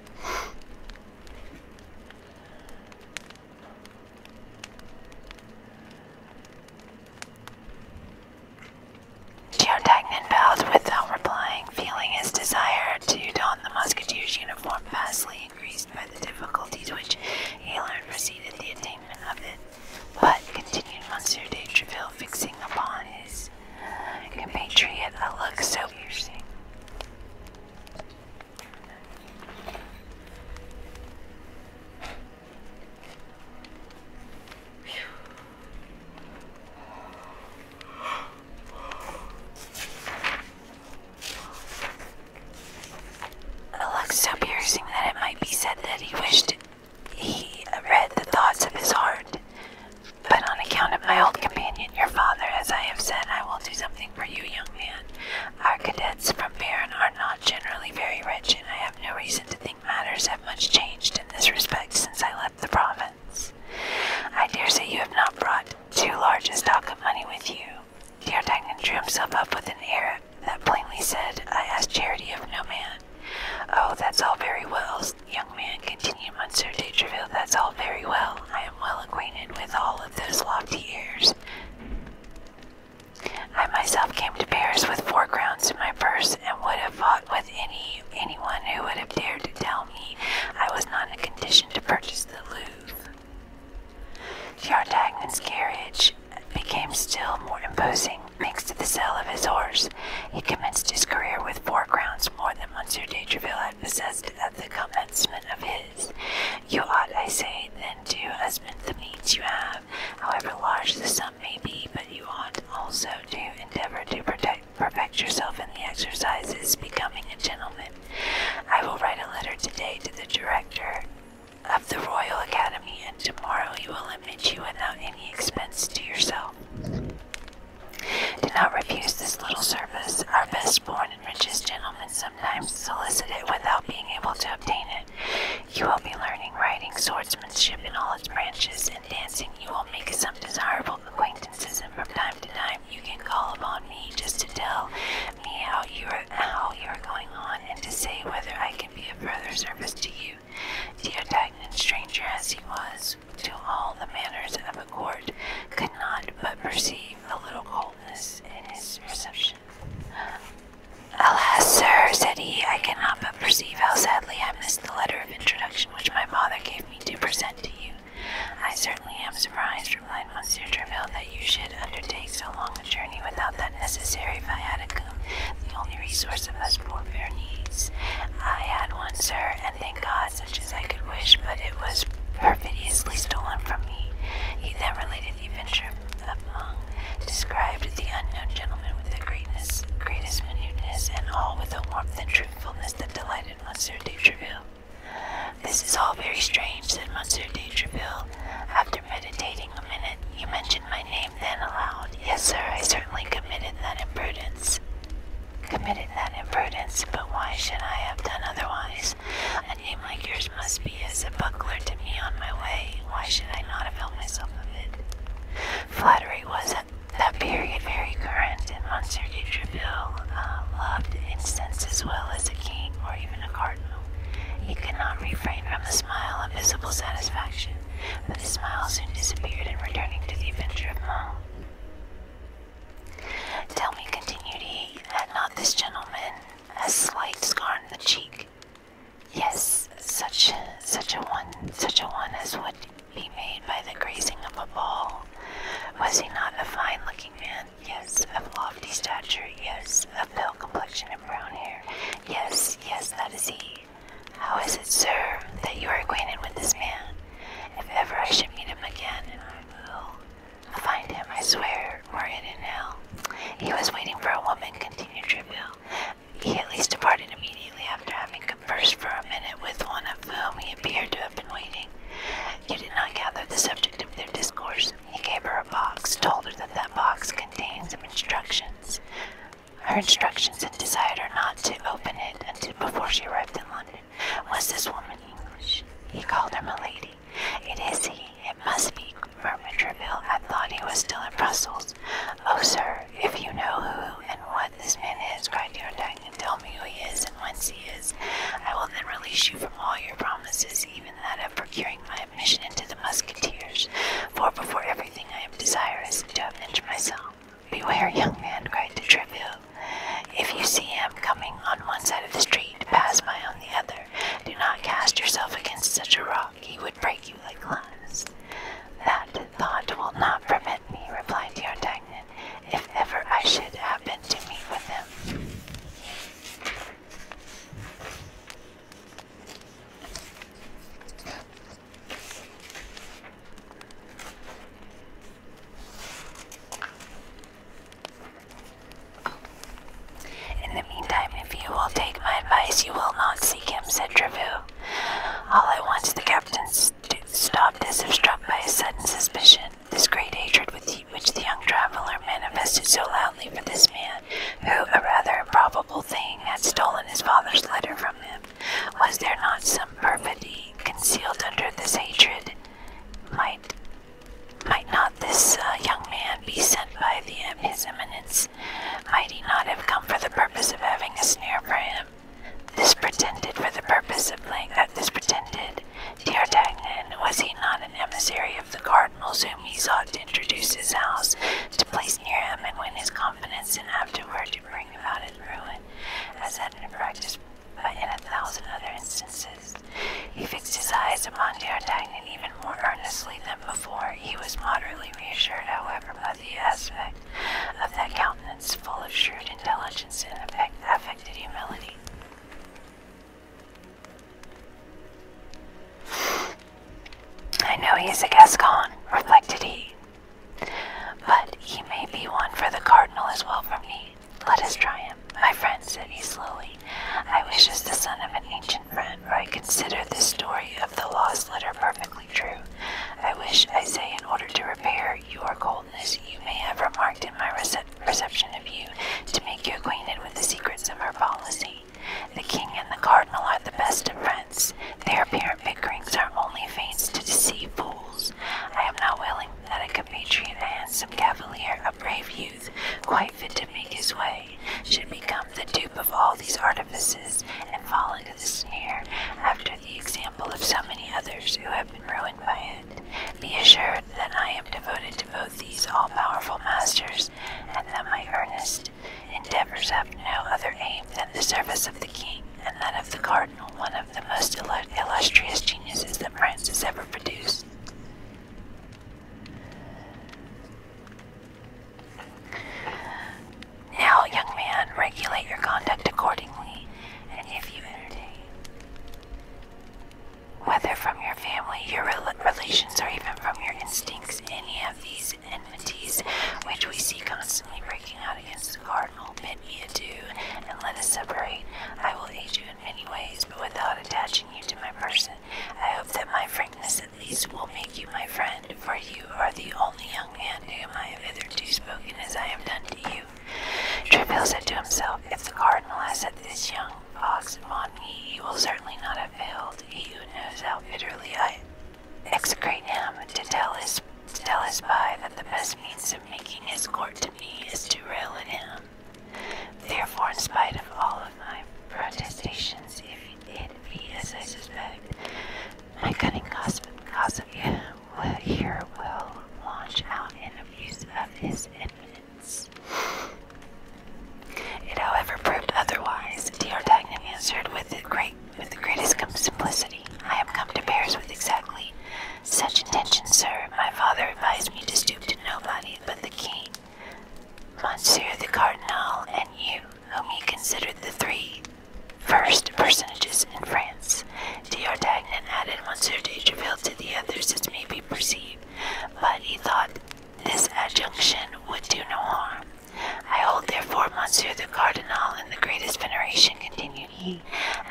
Geotagnan bowed without replying, feeling his desire to don the musketeer's uniform vastly increased by the difficulties which he preceded the attainment of it. But, continued Monsieur de Treville, fixing upon his compatriot a look so piercing a look so piercing that it might be said that he wished he read the thoughts of his heart. But on account of my old companion, your father, as I have said, I will do something for you, young man. Our cadets from Barron are not generally very rich, and I have no reason to think matters have much changed in this respect since I left the province. I dare say you have not brought too large a stock of money with you. Dear Dagnan drew himself up with an air that, plainly said, I ask charity of no man. Oh, that's all very well, young man, continued Monsieur de Treville. That's all very well. I am well acquainted with all of those lofty airs. I myself came to Paris with four crowns in my purse, and would have fought with any anyone who would have dared to tell me I was not in a condition to purchase the Louvre. D'Artagnan's carriage became still more imposing next to the sale of his horse. He commenced his career with four crowns more than Monsieur de Treville had possessed at the commencement of his. You ought, I say, then to husband the means you have, however large the sum may be, but you ought also to endeavor to perfect yourself in the exercises becoming a gentleman. I will write a letter today to the director of the Royal Academy, and tomorrow you will admit you without any expense to yourself. Do not refuse this little service. Our best born and richest gentlemen sometimes solicit it without being able to obtain it. You will be learning riding, swordsmanship in all its branches, and dancing. You will make some desirable acquaintances, and from time to time you can call upon me just to tell me how you are how you are going on, and to say whether I can be of further service to you. The indignant stranger as he was to all the manners of a court could not but perceive a little coldness in his reception. Alas, sir, said he, I cannot but perceive how sadly I missed the letter of introduction which my father gave me to present to you. I certainly am surprised, replied Monsieur Treville, that you should undertake so long the journey without that necessary viaticum, the only resource of us poor fair needs. I had one, sir, and thank God, such as I could wish, but it was perfidiously stolen from me. He then related the adventure of Mung, described the unknown gentleman with the greatness, greatest minuteness, and all with a warmth and truthfulness that delighted Monsieur de Treville. This is all very strange, said Monsieur de Treville. After meditating a minute, you mentioned my name then aloud. Yes, sir, I certainly committed that imprudence. Committed that imprudence, but why should I have done otherwise? A name like yours must be as a buckler to me on my way. Why should I not have held myself of it? Flattery was at that period very current, and Monsieur de Treville uh, loved incense as well as a king or even a cardinal. He could not refrain from a smile of visible satisfaction but the smile soon disappeared and returning to the adventure of Mung. Tell me, continued he, had not this gentleman a slight scar on the cheek? Yes, such such a one, such a one as would be made by the grazing of a ball. Was he not a fine-looking man? Yes, of lofty stature. Yes, of pale complexion and brown hair. Yes, yes, that is he. How is it, sir, that you are acquainted with this man? If ever I should meet him again, I will find him, I swear, were in hell. He was waiting for a woman, continued Tribune. He at least departed immediately after having conversed for a minute with one of whom he appeared to have been waiting. He did not gather the subject of their discourse. He gave her a box, told her that that box contained some instructions. Her instructions had desired her not to open it until before she arrived in London. Was this woman English? He called her milady. It is he. It must be, murmured Treville. I thought he was still in Brussels. Oh, sir, if you know who and what this man is, to your cried and tell me who he is and whence he is. I will then release you from all your promises, even that of procuring my admission into the musketeers. For before every I am desirous to avenge myself. Beware, young man, cried the tribu. If you see him coming on one side of the street, pass by on the other. Do not cast yourself against such a rock, he would break you like glass. That thought will not prevent me, replied D'Artagnan, if ever I should happen to meet with him. In the meantime, if you will take my advice, you will not seek him, said Trevoux. All at once the captain stopped as if struck by a sudden suspicion. This great hatred which the young traveller manifested so loudly for this man, who, a rather improbable thing, had stolen his father's letter from was there not some perfidy concealed under this hatred? Might might not this uh, young man be sent by the, his eminence? Might he not have come for the purpose of having a snare for him? This pretended for the purpose of playing at uh, this pretended. D'Artagnan, was he not an emissary of the cardinals whom he sought to introduce his house, to place near him and win his confidence, and afterward to bring about his ruin, as had been practiced but in a thousand other instances. He fixed his eyes upon D'Artagnan even more earnestly than before. He was moderately reassured, however, by the aspect of that countenance, full of shrewd intelligence and affect affected humility. I know he is a Gascon, reflected he. But he may be one for the cardinal as well for me. Let us try him. My friend, said he slowly, I wish as the son of an ancient friend, for I consider the story of the lost letter perfectly true. I wish, I say, in order to repair your coldness, you may have remarked in my reception of you, to make you acquainted with the secrets of our policy. The king and the cardinal are the best of friends. Their apparent bickerings are only feints to deceive fools. I am not willing that a compatriot, a handsome cavalier, a brave youth, quite fit to make his way, should become the dupe of all these artifices and fall into the snare after the example of so many others who have been ruined by it. Be assured that I am devoted to both these all powerful masters, and that my earnest endeavors have no other aim than the service of the king, and that of the cardinal, one of the most illustrious geniuses that France has ever produced. Now, young man, regulate your conduct accordingly, and if you entertain, whether from your family, your relations, or even from your instincts, any of these enmities which we see constantly breaking out against the cardinal, bid me adieu, and let us separate. I will aid you in many ways, but without attaching you to my person. I hope that my frankness at least will make you my friend, for you are the only young man whom I have hitherto spoken as I have done to you. Treville said to himself, If the cardinal has set this young fox upon me, he will certainly not have failed, he who knows how bitterly I execrate him, to tell his, to tell his spy that the best means of making his court to me is to rail at him. Therefore, in spite of all of my protestations, if it be as I suspect, my cunning gossip, gossip yeah, will here will launch out in abuse of his eminence. It, however, proved otherwise. D'Artagnan answered with great with the greatest simplicity. I have come to Paris with exactly such intentions, sir. My father advised me to stoop to nobody but the king, Monsieur the Cardinal, and you, whom he considered the three first personages in France. D'Artagnan added Monsieur de Treville to the others, as may be perceived, but he thought this adjunction would do no harm. I hold therefore Monsieur the Cardinal in the greatest veneration, continued he,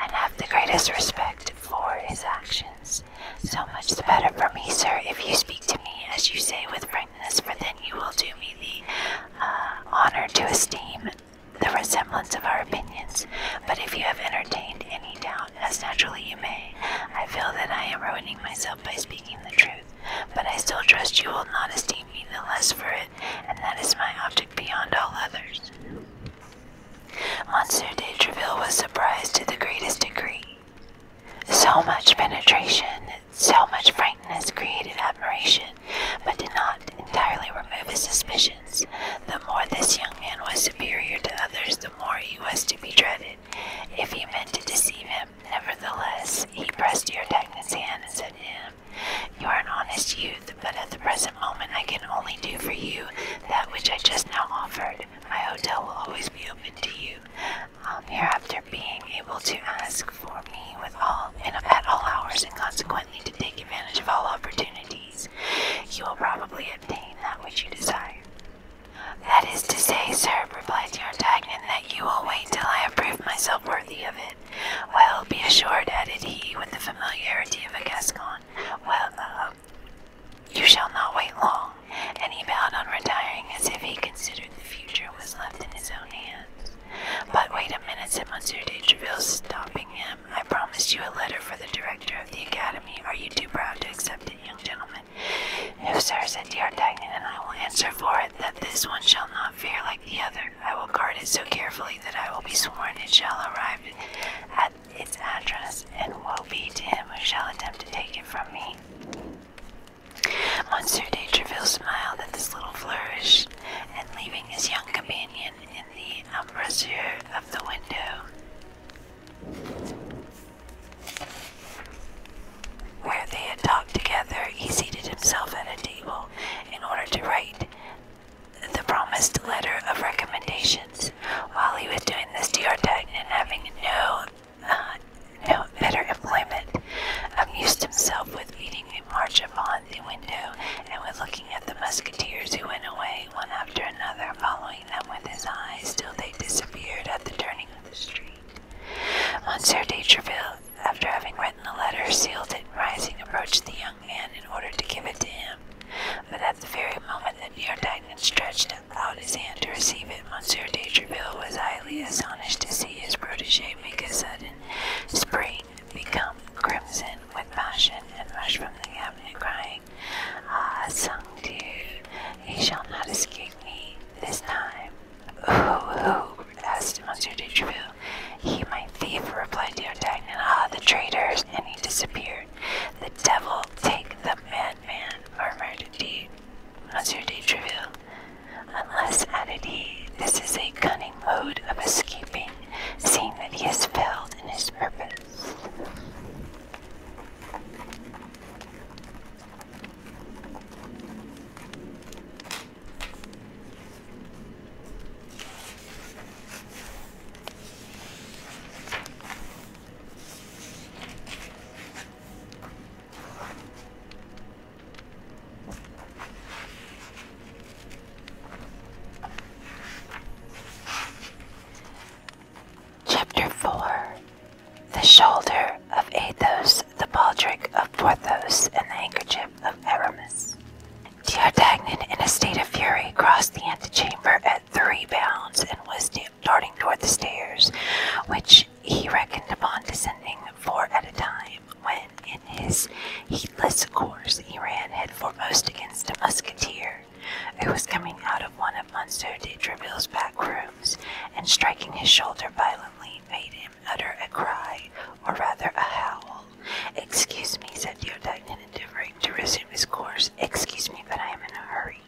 and have the greatest respect for his actions. So much the better for me, sir, if you speak to me as you say with frankness, for then you will do me the uh, honor to esteem the resemblance of our opinions. But if you have entertained any doubt, as naturally you may, I feel that I am ruining myself by speaking the truth. But I still trust you will not esteem me the less for it and that is my object beyond all others. Monsieur de Treville was surprised to the greatest degree. So much penetration, so much frankness created admiration, but did not entirely remove his suspicions. The more this young man was superior to others, the more he was to be dreaded. If he meant to deceive him, nevertheless, he pressed D'Artagnan's hand and said, to him. You are an honest youth, but at the present moment I can only do for you that which I just now offered. My hotel will always be open to you. Um, hereafter being able to ask for me with all at all hours and consequently to take advantage of all opportunities. You will probably obtain that which you desire. That is to say, sir, replied the D'Artagnan, that you will wait till I have proved myself worthy of it. Well, be assured, added he, with the familiarity of a Gascon, well, you shall not wait long. And he bowed on retiring as if he considered the future was left in his own hands. But wait a minute, said Monsieur de Treville, stopping him. I promised you a letter for the director of the academy. Are you too proud to accept it, young gentleman? No, sir, said D'Artagnan, and I will answer for it that this one shall not fare like the other. I will guard it so carefully that I will be sworn it shall arrive at its address, and woe be to him who shall attempt to take it from me. Monsieur de Treville smiled at this little flourish, and leaving his young companion in the embrasure of the window, where they had talked together, he seated himself at a table in order to write the promised letter of recommendations. While he was doing this, D'Artagnan, having no, uh, no better employment, amused himself with beating a march upon the window and with looking at the musketeers who went away one after another, following them with his eyes till they disappeared at the turning of the street. Monsieur de after having written the letter, sealed it, rising, approached the young man in order to give it to him. But at the very moment that D'Artagnan stretched out his hand to receive it, Monsieur de Tréville was highly astonished to see his protégé make a sudden spring, become crimson with passion, and rush from the cabinet, crying, "Ah, sang Dieu, he shall not escape me this time!" "Who, who?" asked Monsieur de Tréville. He, my thief, replied D'Artagnan. Ah, the traitors! And he disappeared. The devil take the madman, murmured D. Monsieur de Treville. Unless, added he, this is a cunning mode of escaping, seeing that he has failed in his purpose. Chapter 4 The Shoulder of Athos, the Baldric of Porthos, and the Handkerchief of Aramis. D'Artagnan, in a state of fury, crossed the antechamber at three bounds and was darting toward the stairs, which he reckoned upon descending four at a time, when, in his heedless course, he ran head foremost against a musketeer who was coming out of one of Monsieur de Tréville's back rooms, and striking his shoulder violently, made him utter a cry, or rather a howl. Excuse me, said Theodagnus, endeavoring to resume his course. Excuse me, but I am in a hurry.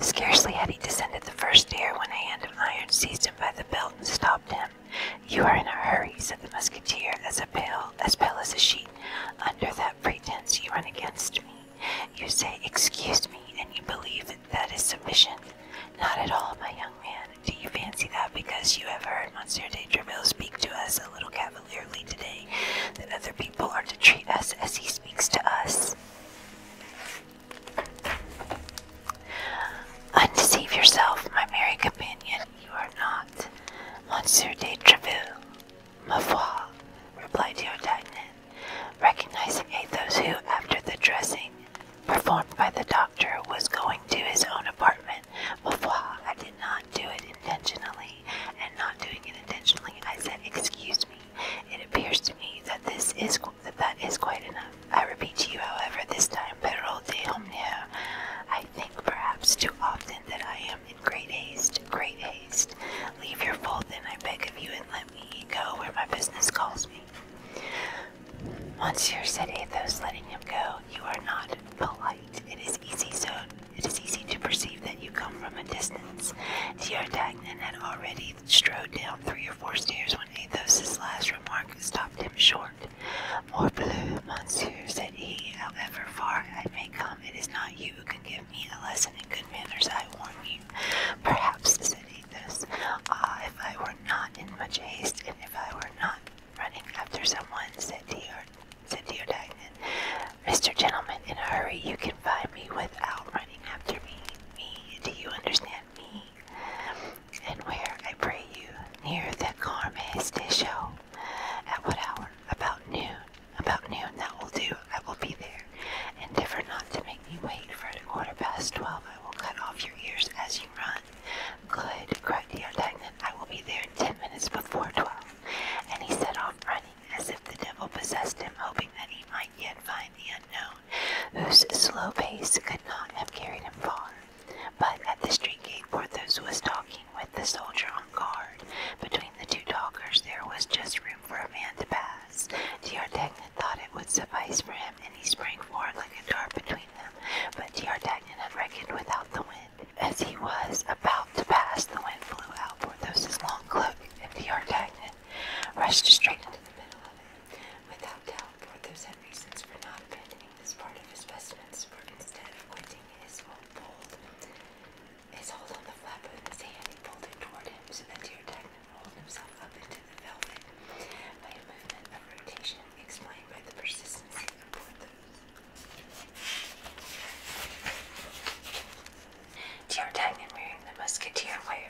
Scarcely had he descended the first stair when a hand of iron seized him by the belt and stopped him. You are in a hurry, said the musketeer, as pale as pale as a sheet. Under that pretense you run against me. You say, Excuse me, and you believe that is sufficient. Not at all, my young man. Do you fancy that because you have heard Monsieur de Treville speak to us a little cavalierly today, that other people are to treat us as he speaks to us? Undeceive yourself, my merry companion, you are not Monsieur de Treville, ma foi, replied D'Artagnan, recognizing Athos, who, after the dressing performed by the doctor, was going to his own apartment. Ma foi, I did not do it intentionally, and not doing it intentionally, I said, "Excuse me. It appears to me that this is that that is quite enough. I repeat to you, however, this time, perro de omnia. I think perhaps too often that I am in great haste. Great haste. Leave your fold, then, I beg of you, and let me go where my business calls me." Monsieur said Athos, letting him go, you are not polite. It is easy so it is easy to perceive that you come from a distance. Sieur Dagnan had already strode down three or four stairs when Athos's last remark stopped him short. "More Morbleu, monsieur, said he, however far I may come, it is not you who can give me a lesson in good manners, I warn you. Perhaps, said Athos, ah, if I were not in much haste, and if I were not running after someone, said Dear, said Dear Mr. Gentleman, in a hurry, you can find me without running after me. Me, do you understand me? And where, I pray you, near the Carmes Station. At what hour? About noon. About noon, that will do. I will be there. And Endeavor not to make me wait, for a quarter past twelve I will cut off your ears as you run. Good, cried Neodagnum. I will be there in ten minutes before twelve. And he set off running, as if the devil possessed him, hoping that he might yet find the unknown, whose slow pace could not have carried him far. But at the street gate Porthos was talking with the soldier on guard. Between the two talkers there was just room for a man to pass. D'Artagnan thought it would suffice for him, and he sprang forward like a dart between them. But D'Artagnan had reckoned without the wind as he was about to pass, the wind blew out Porthos's long cloak, and the D'Artagnan rushed straight into the middle of it. Without doubt, Porthos had reasons for not abandoning this part of his vestments, for instead of quitting his hold, his hold on the flap of his hand, he pulled it toward him, so that the D'Artagnan rolled himself up into the velvet by a movement of rotation explained by the persistence of Porthos. The young D'Artagnan, wearing the musketeer wire,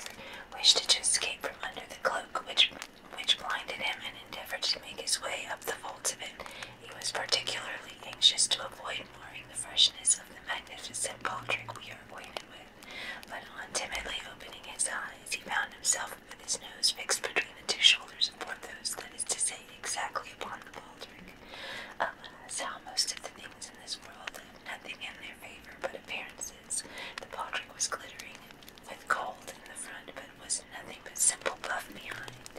wished to escape from under the cloak which, which blinded him and endeavored to make his way up the folds of it. He was particularly anxious to avoid marring the freshness of the magnificent baldric we are acquainted with, but on timidly opening his eyes, he found himself with his nose fixed between the two shoulders of those, that is to say, exactly upon the baldric. Alas, how most of the things in this world have nothing in their favor but appearances. The baldric was glittering with gold in the front, but was nothing but simple buff behind.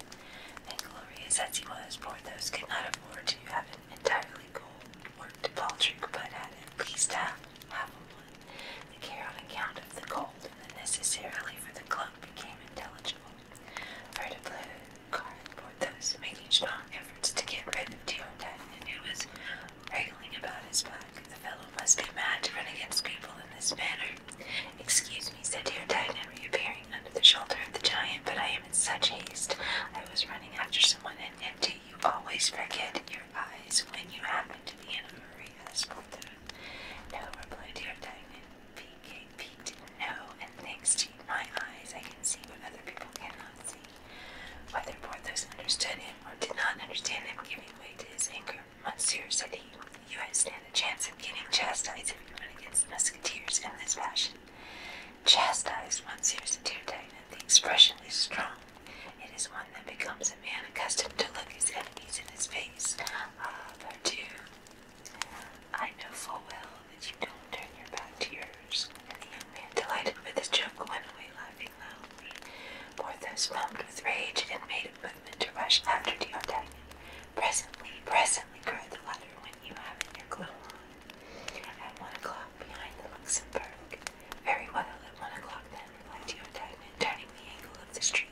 And glorious as he was, Porthos could not afford to have an entirely gold worked baldric, but had at least have half one. The care on account of the gold and the necessarily for the cloak became intelligible. Vertiblue cardboard thus making strong efforts to get rid of Diordan, and who was wriggling about his back. The fellow must be mad to run against people in this manner. Excuse me, said Diordan, reappearing under the shoulder of the giant, but I am in such haste. I was running after someone, and, and you always forget your eyes when you happen to be in a hurry? asked Porthos. No, replied Diordan, my and thanks to my eyes, I can see what other people cannot see. Whether Porthos understood him or did not understand him, giving way to his anger, Monsieur, said he, you have stand a chance of getting chastised if you run against the musketeers in this fashion. Chastised, Monsieur, said D'Artagnan, the expression is strong. It is one that becomes a man accustomed to look his enemies in the face. Ah, pardieu, I know full well that you don't turn your back to yours. And the young man, delighted with his joke, went away laughing loudly. Porthos foamed with rage and made a movement to rush after D'Artagnan. Presently, presently, cried the latter, when you have in your glow on. At one o'clock, behind the Luxembourg. Very well, at one o'clock then, replied D'Artagnan, turning the angle of the street.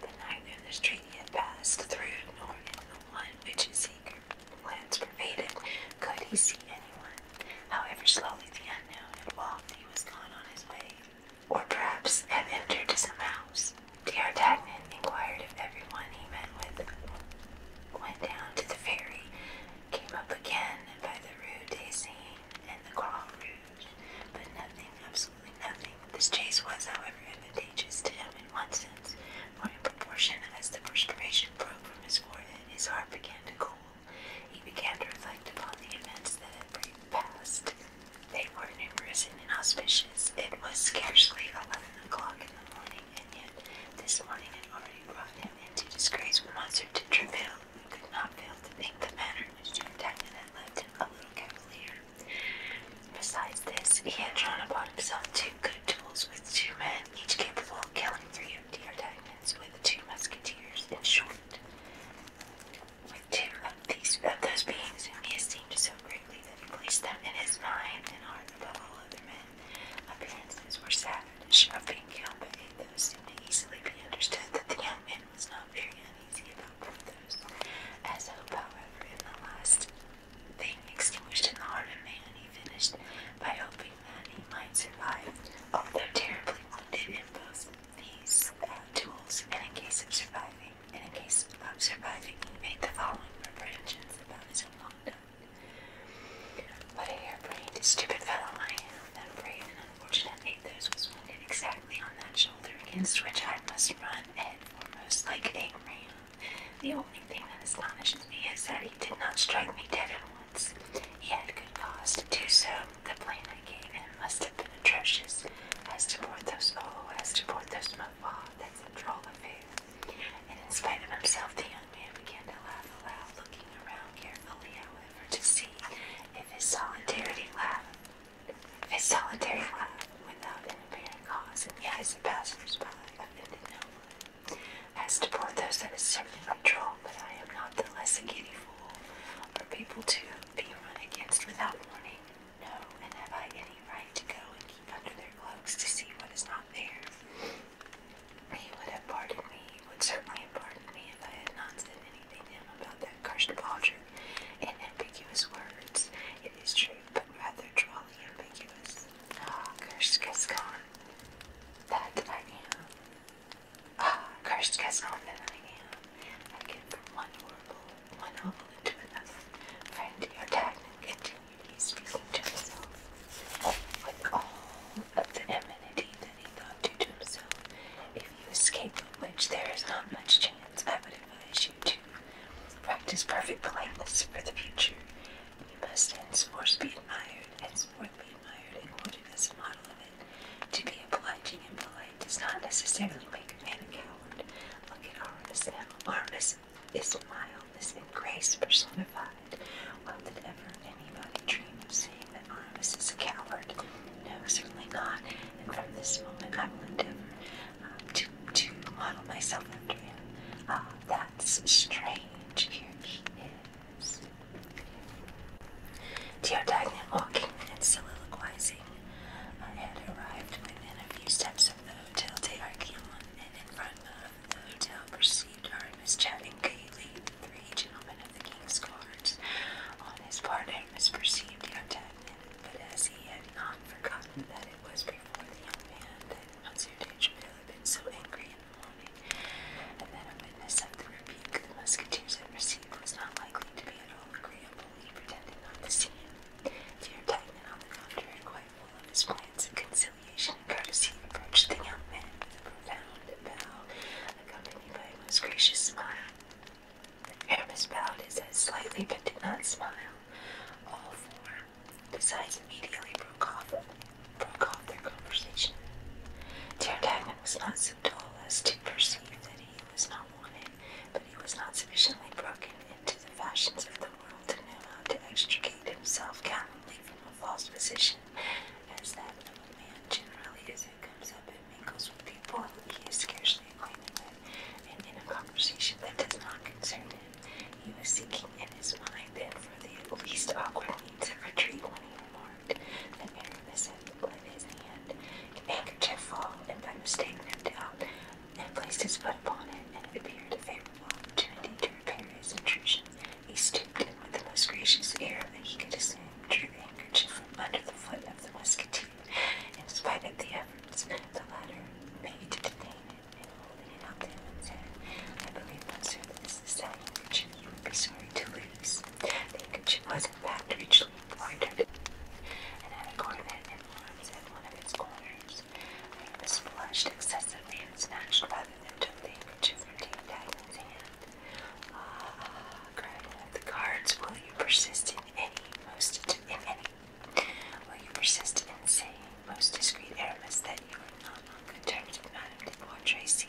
The neither the street had passed through, nor in the one which his eager glance pervaded, could he see anyone. However slowly the unknown had walked, he was gone on his way, or perhaps had entered some house. D'Artagnan inquired if everyone he met with went down to the ferry, came up again by the Rue des Seines and the Croix Rouge, but nothing of absolutely nothing. This chase was, however, advantageous to him in one sense, for in proportion as the perspiration broke from his forehead, his heart began to cool. He began to reflect upon the events that had passed. They were numerous and inauspicious. It was scarcely eleven o'clock in the morning, and yet this morning had already brought him into disgrace with Monsieur de Treville, who could not fail to think the manner in which D'Artagnan had left him a little cavalier. Besides this, he had drawn upon himself two good tools with two men, each capable of killing three of D'Artagnan's with two musketeers, in short. With two of these of those beings whom he esteemed so greatly that he placed them in his mind and heart above all other men, appearances were savage of being killed by eight those seemed to easily be understood that the young man was not very uneasy about both those. As hope, however, in the last thing extinguished in the heart of man, he finished by hoping that he might survive, although terribly wounded in both these tools, uh, And in case of surviving, in case of surviving, he made the following preparations about his own conduct. What a harebrained, stupid fellow I am! That brave and unfortunate Athos was wounded exactly on that shoulder against which I must run head foremost like a rain the only thing that astonishes me is that he did not strike me dead at once. He had good cause to do so. The plan I gave him must have been atrocious. As to Porthos, oh, as to Porthos, my father, that's a troll of faith. And in spite of himself, the young man began to laugh aloud, looking around carefully, however, to see if his solidarity laughed his solitary laugh, without an apparent cause, in the eyes of passers-by, offended no one. As to Porthos, that is certainly not droll, but I am not the less a giddy fool, or people to be run against without warning. No, and have I any right to go and keep under their cloaks to see what is not there? He would have pardoned me, he would certainly have pardoned me if I had not said anything to him about that cursed Bodger in ambiguous words. It is true but rather drawly ambiguous. Ah, cursed Gascon, that I am. Ah, cursed Gascon, that I am. I get from one horrible, one hovel into Friend, your D'Artagnan continued, he speaking to himself. With all of the amenity that he thought due to himself, if you escape, of which there is not much chance, I would advise you to Practice perfect politeness for the future. You must henceforth be admired, henceforth be admired and quoted as a model of it. To be obliging and polite does not necessarily make a man a coward. Look at Aramis now. Aramis is mildness and grace personified. Well, did ever anybody dream of seeing that Aramis is a coward? No, certainly not. And from this moment I am will endeavor to, to model myself after him. Ah, that's strange. Here he is. Teodagnum, walking and soliloquizing, I had arrived within a few steps of the Hotel de Archelon, and in front of the hotel perceived Aramis chatting gaily with three gentlemen of the king's guards. On his part, Aramis perceived Teodagnum, but as he had not forgotten that it was for the young man that Monsieur de Treville had been so angry in the morning, and then that a witness of the rebuke the musketeers had received was not likely to be at all agreeable, he pretended not to see him. D'Artagnan, on the contrary, quite full of his plans of conciliation and courtesy, approached the young man with a profound bow, accompanied by a most gracious smile. Aramis bowed his head slightly, but did not smile. All four the sides immediately broke off, broke off their conversation. Daredevil was not so dull as to perceive that he was not wanted, but he was not sufficiently broken into the fashions of the world to know how to extricate himself calmly from a false position, as that of a man generally is who comes up and mingles with people who he is scarcely acquainted with, and in a conversation that does not concern him he was seeking in his mind then for the least awkward means of retreat when he remarked that Mary had with his hand, handkerchief fall, and by mistake nipped out, and placed his foot upon it, and it appeared a favorable opportunity to repair his intrusion. He stooped with the most gracious air that he could assume, drew the handkerchief from under the foot of the musketeer, in spite of the efforts the latter made to detain it. I believe, monsieur, that this is that which you would be sorry to lose. The handkerchief was, in fact, richly embroidered, and had a coronet and arms at one of its corners. I was flushed excessively and snatched rather than took the handkerchief from the Dagwood's hand. Ah, cried of the cards will you persist in any most in any Will you persist in saying, most discreet Aramis, that you are not on good terms with Madame de Bois Tracy,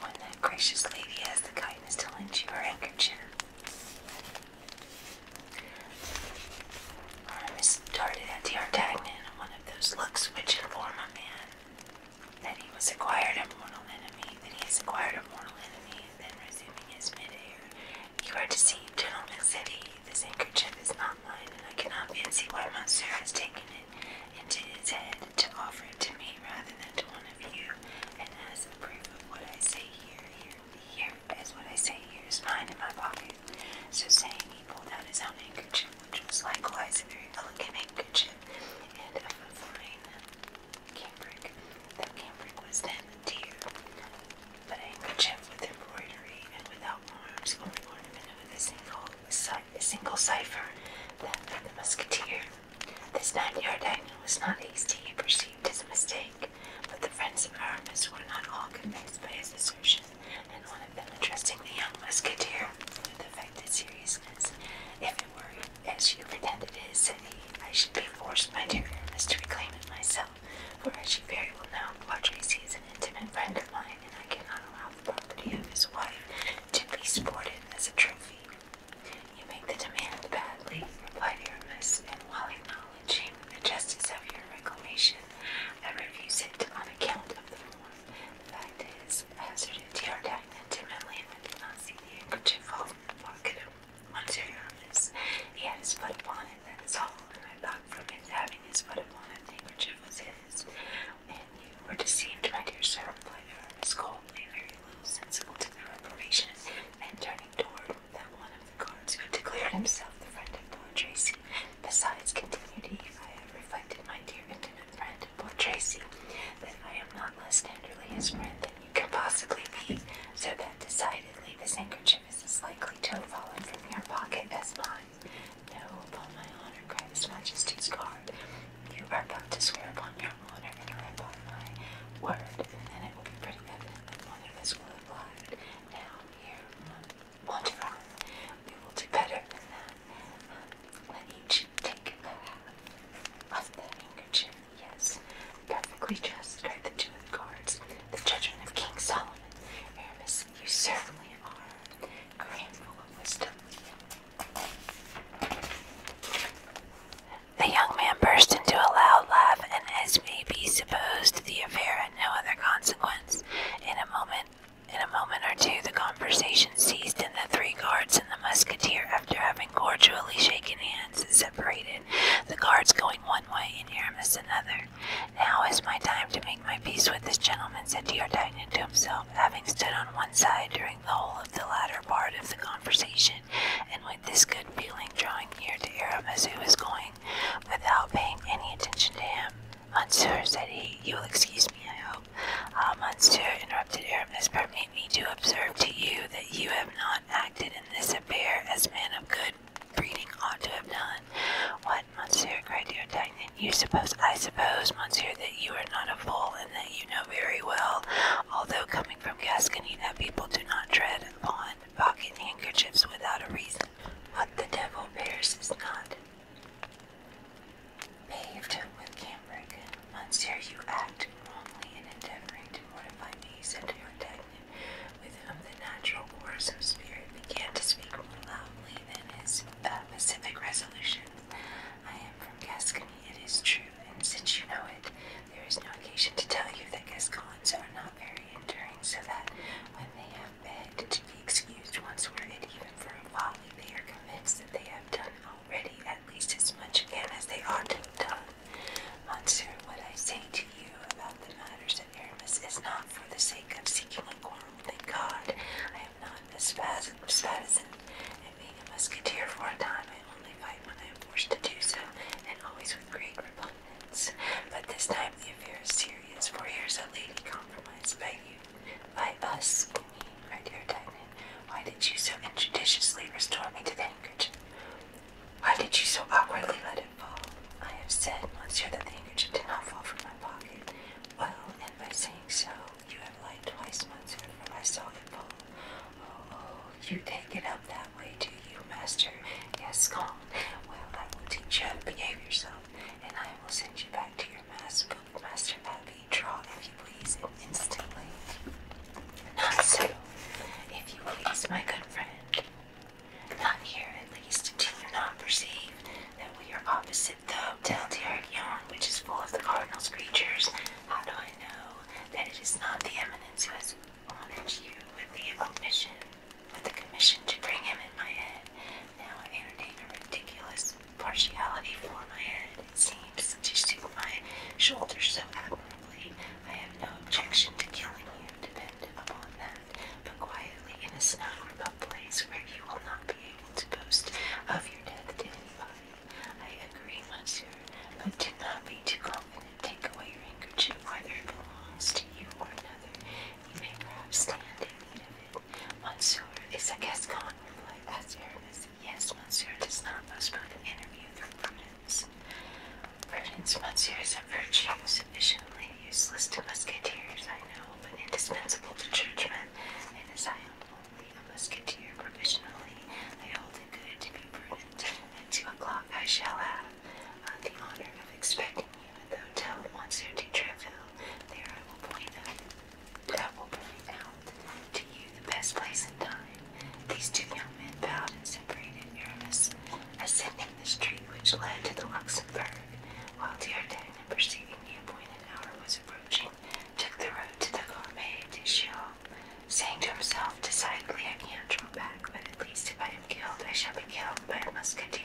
when that gracious lady has the kindness to lend you her handkerchief? Aramis started at D'Artagnan in one of those looks which inform a man that he has acquired a mortal enemy, that he has acquired a mortal enemy, and then resuming his mid air. You are deceived, gentlemen, said he. This handkerchief is not mine, and I cannot fancy why Monsieur has taken it into his head to offer it to me rather than to one of you. And as a proof of what I say here, here, what I say here is mine in my pocket. So saying, he pulled out his own handkerchief, which was likewise a very elegant handkerchief, and of a fine cambric. That cambric was then dear but a handkerchief with embroidery and without arms, only ornamented with a single, cipher, that of the musketeer. This time D'Artagnan was not hasty, he perceived as a mistake, but the friends of Aramis were not all convinced by his assertion, and one of them addressing the young musketeer with affected seriousness, if it were as you pretended it is, said he, I should be forced, my dear Aramis, to reclaim it myself for as you very well know, Padres is an intimate friend of mine, and I cannot allow the property of his wife to be sported as a trophy. You make the demand badly, replied Aramis, and while acknowledging the justice of your reclamation, I refuse it on account of the form. The fact is, I hazarded D'Artagnan timidly, and I did not see the handkerchief fall from the pocket Monsieur Aramis. He had his foot upon it, that is all, and I thought from his having his but upon that handkerchief was his, and you were deceived by your servant Leather. His cold lay very little sensible to and turning toward that one of the guards who declared himself the friend of Lord Tracy. Besides, continued he, I have reflected, my dear intimate friend, Lord Tracy, that I am not less tenderly his friend than you can possibly be, so that decidedly this handkerchief this is likely to have fallen from your pocket as mine. No, upon my honor, cried his majesty's guard. You are about to swear upon your honor and upon my word, and it will be pretty evident that one of us will have lied. Now, here, Monteron, we will do better than that. Let each take a half of the handkerchief. Yes, perfectly just, cried the two of the guards. The judgment of King Solomon. Aramis you certainly are. The young man burst into a loud laugh, and as may be supposed, the affair had no other consequence. In a moment, in a moment or two, the conversation ceased, and the three guards and the musketeer, after having cordially shaken hands, separated. The guards going one one way and Aramis another. Now is my time to make my peace with this gentleman, said D'Artagnan to himself, having stood on one side during the whole of the latter part of the conversation, and with this good feeling drawing near to Aramis, who was going, without paying any attention to him. Monsieur, said he, you will excuse me, I hope. Ah, monsieur, interrupted Aramis, permit me to observe to you that you have not acted in this affair as a man of good reading ought to have done. What, monsieur, cried D'Artagnan, you suppose, I suppose, monsieur, that you are not a fool, and that you know very well, although coming from Gascony, that people do not tread upon pocket handkerchiefs without a reason. What the devil bears is not paved with cambric. Monsieur, you act wrongly in endeavoring to mortify me, said D'Artagnan with whom um, the natural wars of spirit began to speak more loudly than his pacific resolutions. I am from Gascony, it is true, and since you know it, there is no occasion to tell you that Gascons are not very enduring, so that when they have begged to be excused once worded even for a folly, they are convinced that they have done already at least as much again as they ought to have done. Monsieur, what I say to you about the matters of is not for the sake of seeking a quarrel. Thank God, I am not a spazin, and being a musketeer for a time, I only fight when I am forced to do so, and always with great repugnance. But this time the affair is serious, for here's a lady compromised by you, by us, me, my dear Diamond. Why did you so injudiciously restore me to the handkerchief? Why did you so awkwardly let it I have said Monsieur, that the handkerchief did not fall from my pocket. Well, and by saying so, you have lied twice, monsieur, for I saw it fall. Oh, oh, you take it up that way, do you, master? Yes, gone. Well, I will teach you how to behave yourself, and I will send you back to your master, Master Pappy. Draw, if you please, instantly. Not so, if you please, my good friend. Not here, at least, do you not perceive that we are opposite the Hotel d'Arguillon, which is full of the cardinal's creatures? How do I know that it is not the eminence who has honored you with the commission, with the commission to bring him in my head? Now I entertain a ridiculous partiality for my head. It seems to suit my shoulders so admirably. I have no objection to killing you, depend upon that quietly in a snug, remote place where you will not be able to boast of your death to anybody. I agree, monsieur, but do not be too confident. Take away your handkerchief, whether it belongs to you or another. You may perhaps stand in need of it. Monsieur is a Gascon, replied Monsieur, Yes, monsieur does not postpone the interview through prudence. Prudence, monsieur, is a virtue sufficiently useless to musketeers, I know, but indispensable to judgment, and as I am only a musketeer provisionally, they hold it good to be prudent. At two o'clock I shall have uh, the honor of expecting you at the hotel of Monsieur de Treville. There I will point out, I will point out to you the best place in time. These two young men bowed and separated. Aramis ascending the street which led to the Luxembourg. While D'Artagnan, perceiving the appointed hour was approaching, took the road to the Gourmet de saying to himself, Decidedly I can't draw back, but at least if I am killed, I shall be killed by a musketeer.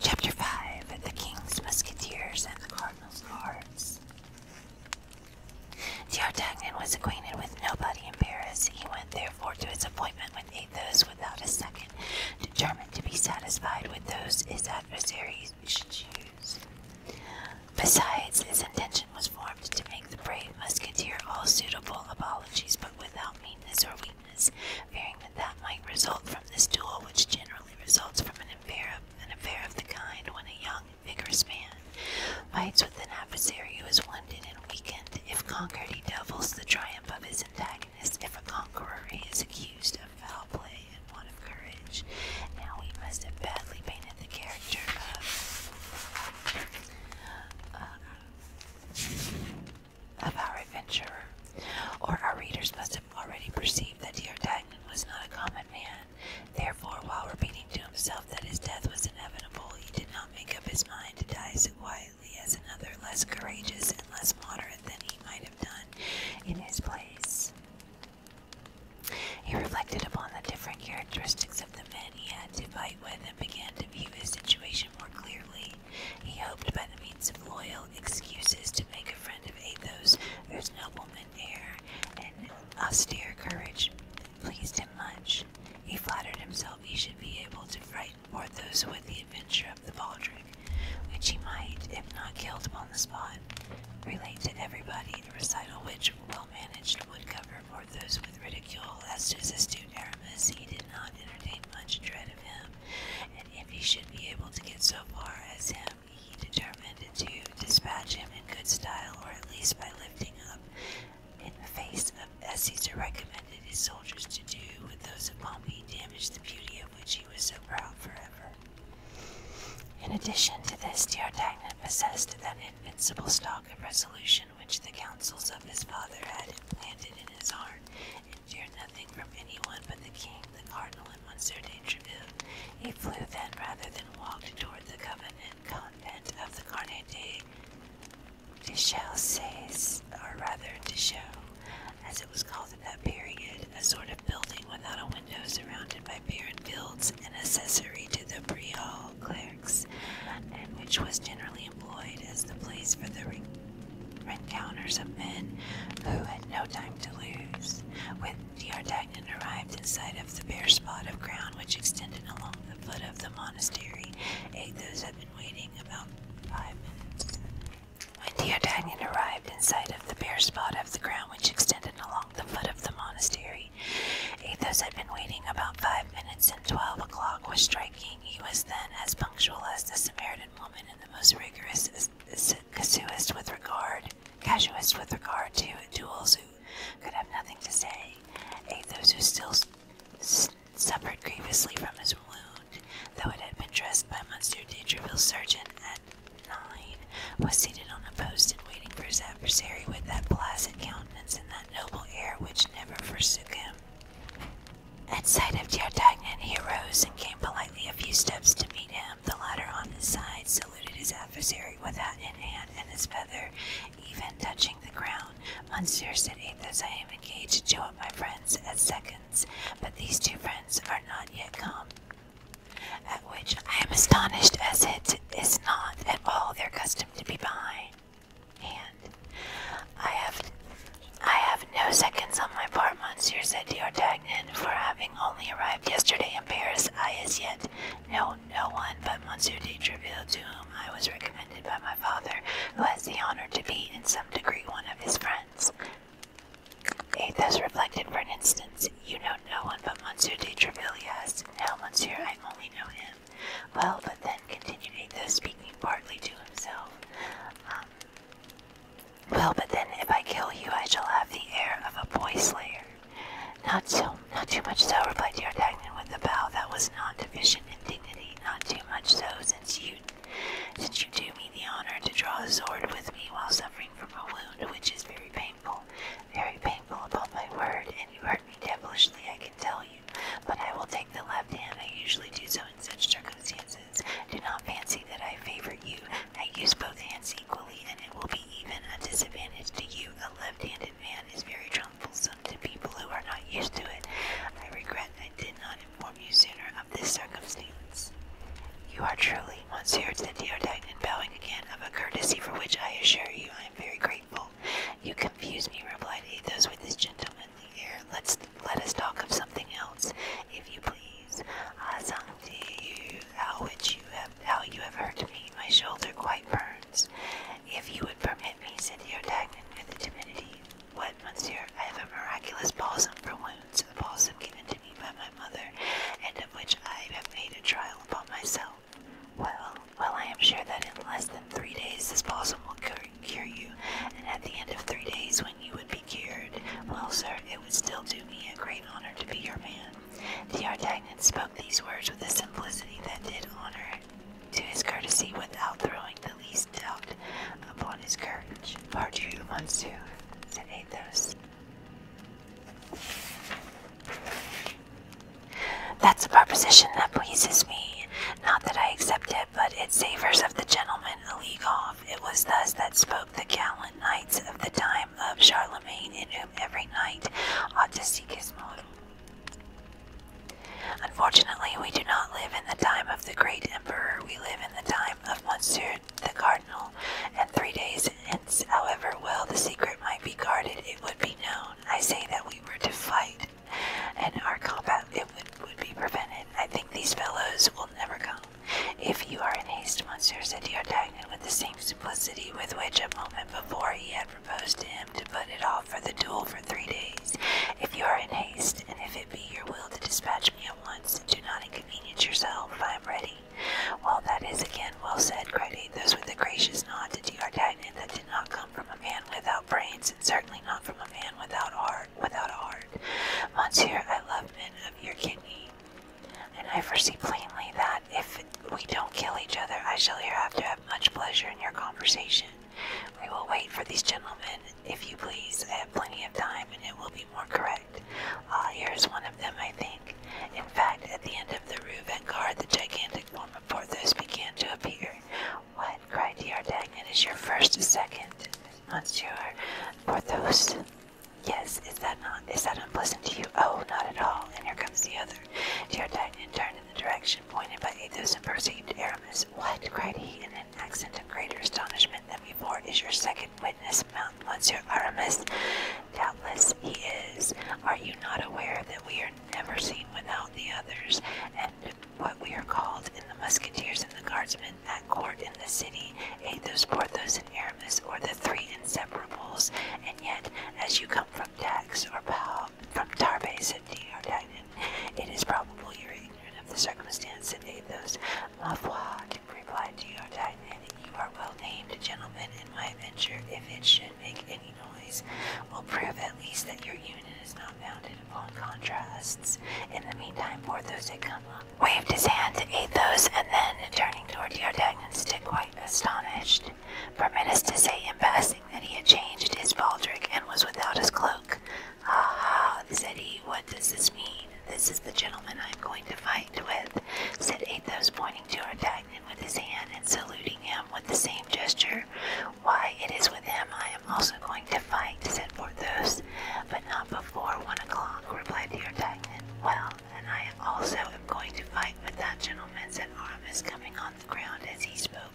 Chapter 5 The King's Musketeers and the Cardinal's Guards. D'Artagnan was acquainted with nobody in Paris. He went therefore to his appointment with Athos without a second, determined to be satisfied with those his adversaries should choose. Besides, his intention was formed to make the brave musketeer all suitable apologies, but without meanness or weakness, fearing that that might result from this duel which generally results from an an affair of the kind when a young, vigorous man fights with an adversary who is wounded and weakened. If conquered, he doubles the triumph of his antagonist. If a conqueror, he is accused of foul play and want of courage. Now we must have badly painted the character of, uh, of our adventurer. Or our readers must have already perceived that Dear was not a common man. Therefore, while repeating to himself that his death was inevitable, he did not make up his mind to die so quietly as another less courageous and less moderate than he might have done in his place. He reflected upon the different characteristics of the men he had to fight with and began to view his situation more clearly. He hoped by the suites loyal excuses to make a friend of Athos, whose nobleman air and austere courage pleased him much. He flattered himself he should be able to frighten Porthos with the adventure of the Baldrick, which he might, if not killed upon the spot, relate to everybody, the recital which, well managed, would cover Porthos with ridicule. As to his astute Aramis, he did not entertain much dread of him, and if he should be able to get so far as him, he determined to dispatch him in good style, or at least by lifting up in the face of as Caesar recommended his soldiers to do with those of Pompey, damaged the beauty of which he was so proud forever. In addition to this, Diartagnan possessed that invincible stock of resolution which the counsels of his father had implanted in his heart, and feared nothing from any one but the king the cardinal in one certain interview. He flew then rather than walked toward the covenant convent of the Carne de, de says, or rather de Chaux, as it was called in that period, a sort of building without a window surrounded by barren fields, an accessory to the Brial clerks, and which was generally employed as the place for the encounters of men who had no time to lose, with the Ardaghnan arrived in sight of the bare spot of ground which extended along the foot of the monastery. Athos had been waiting about five minutes. When the arrived in sight of the bare spot of the ground which extended along the foot of the monastery, Athos had been waiting about five minutes, and twelve o'clock was striking. He was then as punctual as the Samaritan woman and the most rigorous as casuist with regard, casuist with regard to duels who could have nothing to say, ate those who still suffered grievously from his wound, though it had been dressed by Monsieur de Treville's surgeon at nine, was seated on a post in waiting for his adversary with that placid countenance and that noble air which never forsook him. At sight of D'Artagnan, he arose and came politely a few steps to meet him. The latter, on his side, saluted his adversary with hat in hand and his feather even touching the ground. Monsieur, said Athos, I am engaged to two of my friends as seconds, but these two friends are not yet come. At which I am astonished, as it is not at all their custom to be behind. And I have, I have no seconds on my part, Monsieur, said D'Artagnan, for having only arrived yesterday in Paris, I as yet know no one but Monsieur de Treville, to whom I was recommended by my father, who has the honor to be in some degree one of his friends. Athos reflected for an instant. You know no one but Monsieur de Treville, yes. No, Monsieur, I only know him. Well, but then, continued Athos, speaking partly to himself, um, well, but then if I kill you, I shall have the air of a boy slayer. Not so, not too much so, replied D'Artagnan with a bow that was not deficient in dignity. Not too much so, since you, since you do me the honor to draw a sword with me while suffering from a wound which is very painful, very painful upon my word, and you hurt me devilishly, I can tell you. But I will take the left hand. I usually do so in such circumstances. Do not fancy that I favor you I use both hands equally, and it will be even a disadvantage to you. A left-handed man is very troublesome to people who are not used to it. I regret I did not inform you sooner of this circumstance. You are truly, Monsieur, said Theodine, and bowing again, of a courtesy for which I assure you I am very grateful. You confuse me, replied Athos with his gentlemanly air. Let's let us talk of something else, if you please. Ah, Sangti, you, thou you have, thou you have hurt me, my shoulder quite burns. If you would permit me, said D'Artagnan with timidity. What, monsieur? I have a miraculous balsam for wounds, a balsam given to me by my mother, and of which I have made a trial upon myself. Well, well, I am sure that in less than three days this balsam will cure you, and at the end of three days, when you would be cured, well, sir, it would still do me a great honor to be your man. The Artagnan spoke these words with a simplicity that did honor to his courtesy without throwing the least doubt upon his courage. Pardieu, monsieur, said Athos. That's a proposition that pleases me. Not that I accept it, but it savors of the gentleman a league off. It was thus that spoke the gallant knights of the time time Charlemagne, in whom every knight ought to seek his model. Unfortunately, we do not live in the time of the great emperor, we live in the time of Monsieur the Cardinal, and three days hence, however well the secret might be guarded, it would be known. I say that we were to fight, and our combat it would, would be prevented. I think these fellows will never come. If you are in haste, Monsieur, said D'Artagnan with the same simplicity with which a moment before he had proposed to him to put it off for the duel for three days, if you are in haste, and if it be your will to dispatch me at once, do not inconvenience yourself, I am ready. Well, that is again well said, cried Those with the gracious nod that did not come from a man without brains, and certainly not from a man without art, without heart, Monsieur, I love men of your kidney. And I foresee plainly that if we don't kill each other, I shall hereafter have much pleasure in your conversation. We will wait for these gentlemen, if you please. I have plenty of time, and it will be more correct. Ah, here is one of them, I think. In fact, at the end of the Rue Vanguard, the gigantic form of Porthos began to appear. What? cried D'Artagnan. Is your first, second, Monsieur Porthos? Yes, is that not is that unpleasant to you? Oh, not at all. And here comes the other. Dear D'Artagnan turned in the direction pointed by Athos and perceived Aramis. What? cried he in an accent of greater astonishment than before. Is your second witness Mountain Monsieur Aramis? Doubtless he is. Are you not aware that we are never seen without the others, and what we are called in the musketeers and the guardsmen that court in the city? Athos, Porthos, and Aramis or the three inseparables, and yet, as you come from Dax or Pal, from Tarbe, said D. D'Artagnan, it is probable you are ignorant of the circumstance that made those. Ma foi, replied D. D'Artagnan, you are well named, gentleman, and my adventure, if it should make any noise, will prove at least that your unit is not founded upon contrasts. In the meantime, Porthos had come up, waved his hand to Athos, and then, turning toward D'Artagnan, quietly astonished, for Midas to say in passing that he had changed his baldric and was without his cloak. Aha, said he, what does this mean? This is the gentleman I am going to fight with, said Athos, pointing to D'Artagnan with his hand and saluting him with the same gesture. Why, it is with him I am also going to fight, said Porthos. But not before one o'clock, replied D'Artagnan. Well, and I also am going to fight with that gentleman, said Aramis, coming on the ground as he spoke.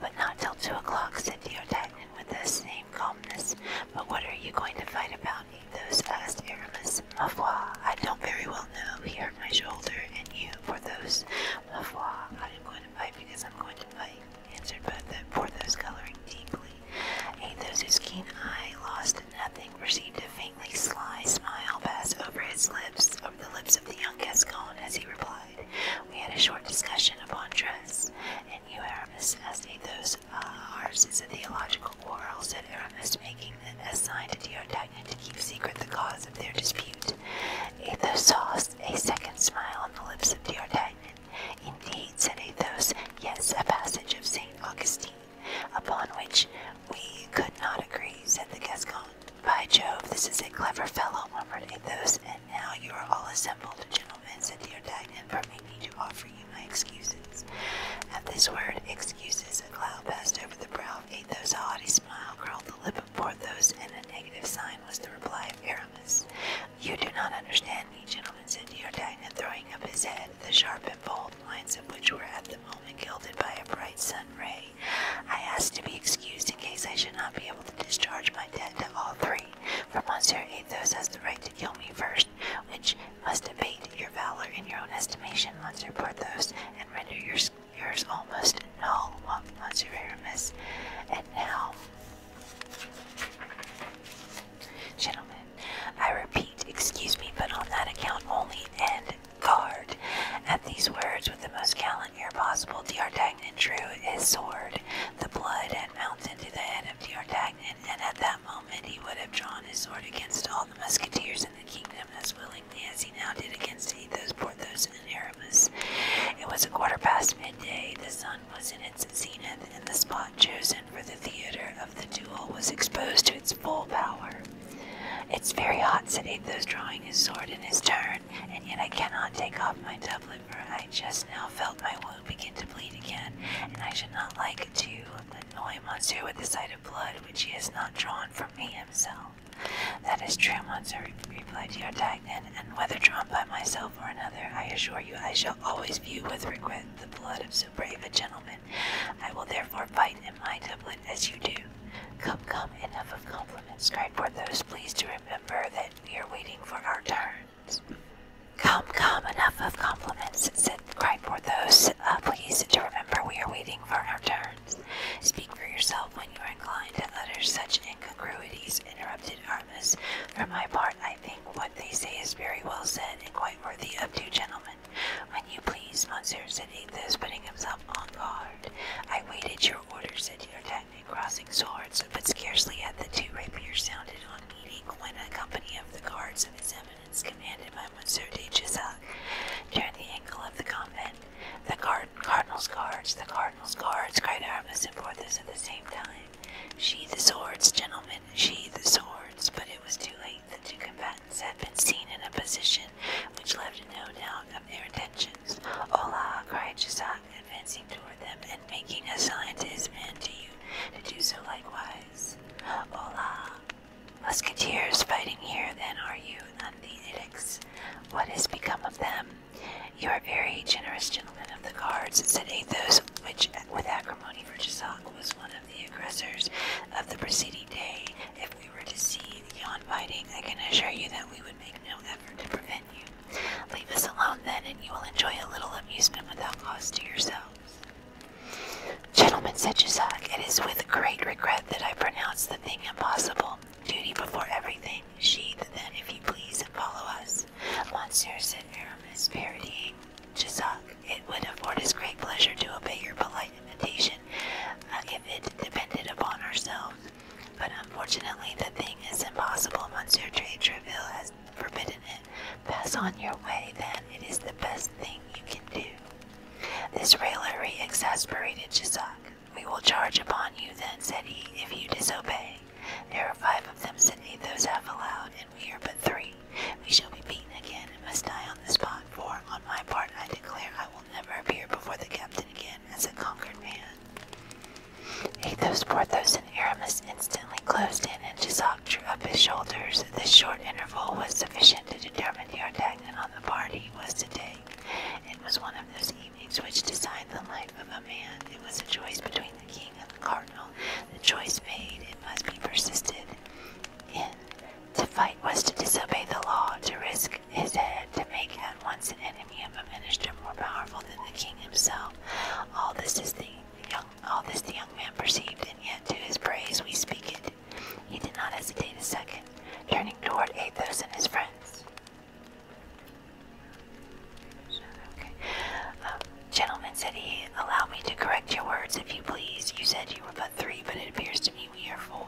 But not till two o'clock, said D'Artagnan with the same calmness. But what are you going to fight about, Those asked Aramis. Ma foi, I don't very well know. Here my shoulder, and you, for those. Ma foi, I am going to fight because I'm going to fight, answered both Porthos, coloring deeply. Athos Athos's keen eye lost nothing, perceived a faintly sly smile pass over his lips, over the lips of the young Gascon, as he replied, We had a short discussion upon dress, and you, Aramis, asked me those uh, ours is a theological quarrel, said Aramis, making a sign to D'Artagnan to keep secret the cause of their dispute. Athos saw a second smile on the lips of D'Artagnan. Indeed, said Athos, yes, a passage of St. Augustine. Upon which we could not agree, said the Gascon. By Jove, this is a clever fellow, murmured Athos, and now you are all assembled, gentlemen, said D'Artagnan, permit me to offer you my excuses. At this word, excuses, a cloud passed over the brow of Athos, a haughty smile curled the lip of Porthos, and a negative sign was the reply of Aramis. You do not understand me, gentlemen, said D'Artagnan, throwing up his head the sharp and bold lines of which were at the moment gilded by a bright sun ray. I ask to be excused in case I should not be able to discharge my debt to all three, for Monsieur Athos has the right to kill me first, which must abate your valor in your own estimation, Monsieur Porthos, and render yours, yours almost null, Monsieur Aramis. And now, gentlemen, I repeat, excuse me, but on that account only, and at these words, with the most gallant air possible, D'Artagnan drew his sword. The blood had mounted to the head of D'Artagnan, and at that moment he would have drawn his sword against all the musketeers in the kingdom as willingly as he now did against Athos, Porthos, and Aramis. It was a quarter past midday. The sun was in its zenith, and the spot chosen for the theater of of the duel was exposed to its full power. It's very hot, said Athos, drawing his sword in his turn, and yet I cannot take off my doublet, for I just now felt my wound begin to bleed again, and I should not like to annoy Monsieur with the sight of blood which he has not drawn from me himself. That is true, Monsieur, replied D'Artagnan, and whether drawn by myself or another, I assure you I shall always view with regret the blood of so brave a gentleman. I will therefore fight him." my doublet as you do. Come, come, enough of compliments, Cry for those, please, to remember that we are waiting for our turns. Come, come, enough of compliments, said, cry for those, uh, please, to remember we are waiting for our turns. Speak for yourself when you are inclined to utter such incongruities, interrupted Aramis. For my part, I think what they say is very well said and quite worthy of two gentlemen when you please, monsieur, said Athos, putting himself on guard. I waited your orders, said D'Artagnan, crossing swords, but scarcely had the two rapiers sounded on meeting when a company of the guards of his eminence, commanded by Monsieur de Jussac, turned the angle of the convent. The cardinal's guards, the cardinal's guards, cried Aramis and Porthos at the same time. Sheathe the swords, gentlemen, sheathe the swords, but it was too late the two combatants had been seen in a position which left no doubt of their intentions. Hola! cried Jussac, advancing toward them and making a sign to his men to do so likewise. Hola! Musketeers fighting here, then, are you? Athenics. What has become of them? You are very generous gentlemen of the guards, said Athos, which, with acrimony for Jussac, was one of the aggressors of the preceding day we were to see yon fighting, I can assure you that we would make no effort to prevent you. Leave us alone then, and you will enjoy a little amusement without cost to yourselves. Gentlemen, said Jussac, it is with great regret that I pronounce the thing impossible. Duty before everything. Sheath then, if you please, and follow us. Monsieur, said Aramis, parodying Jussac, it would afford us great pleasure to obey your polite invitation, if it depended upon ourselves. But unfortunately, the thing is impossible. Monsieur de Treville has forbidden it. Pass on your way, then. It is the best thing you can do. This raillery exasperated Jussac. We will charge upon you, then, said he, if you disobey. There are five of them, said Athos half aloud, and we are but three. We shall be beaten again and must die on the spot, for, on my part, I declare I will never appear before the captain again as a conquered man. Athos, Porthos, and Aramis instantly closed in, and Jussac drew up his shoulders. This short interval was sufficient to determine the D'Artagnan on the part he was to take. It was one of those evenings which decide the life of a man. It was a choice between the king and the cardinal. The choice made, it must be persisted in. To fight was to disobey the law, to risk his head, to make at once an enemy of a minister more powerful than the king himself. All this is the young all this the young man perceived, and yet to his praise we speak it. He did not hesitate a second, turning toward Athos and his friends. Um, gentlemen, said he, allow me to correct your words if you please. You said you were but three, but it appears to me we are four.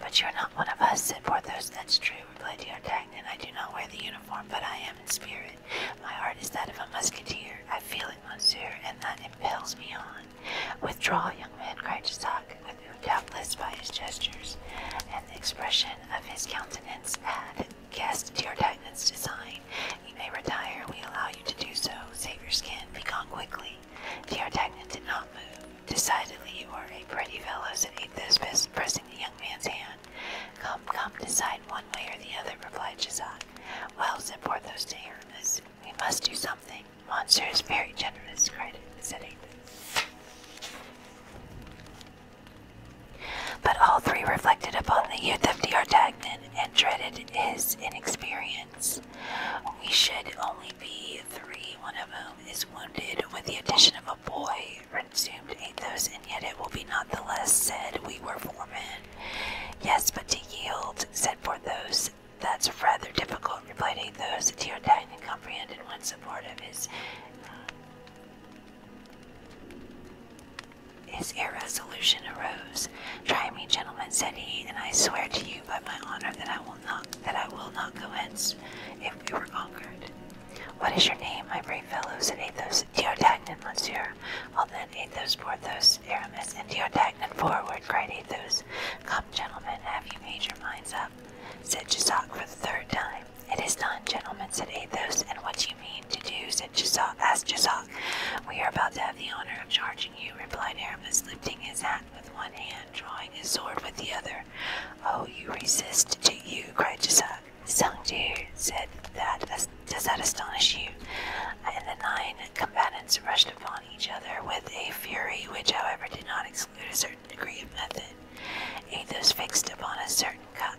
But you are not one of us, said Porthos. That's true, replied D'Artagnan. I do not wear the uniform, but I am in spirit. My heart is that of a musketeer. I feel it, monsieur, and that impels me on. Withdraw, young man, cried Jussac, who was doubtless by his gestures and the expression of his countenance had guessed D'Artagnan's design. You may retire. We allow you to do so. Save your skin. Be gone quickly. Geotagnan did not move. Decidedly, you are a pretty fellow, said Athos, pressing the young man's hand. Come, come, decide one way or the other, replied Jussac. Well, said Porthos to Aramis, we must do something. Monsieur is very generous, cried it, said But all three reflected upon the youth of D'Artagnan and dreaded his inexperience. We should only be three, one of whom is wounded, with the addition of a boy, resumed Athos, and yet it will be not the less said we were four men. Yes, but to yield, said Porthos. That's rather difficult, replied Athos. D'Artagnan comprehended once support of his his irresolution arose. Try me, gentlemen, said he, and I swear to you by my honor that I will not that I will not go if we were conquered. What is your name, my brave fellows? said Athos. Diardagnan, monsieur. Well then, Athos, Porthos, Aramis, and Diardagnan forward, cried Athos. Come, gentlemen, have you made your minds up? said Jussac for the third time. It is done, gentlemen, said Athos. And what you mean to do? said Jussac, asked Jussac. We are about to have the honor of charging you, replied Aramis, lifting his hat with one hand drawing his sword with the other. Oh, you resist, To you? cried Jisak. Sungju said that does that astonish you? And the nine combatants rushed upon each other with a fury which, however, did not exclude a certain degree of method. Athos fixed upon a certain Ka-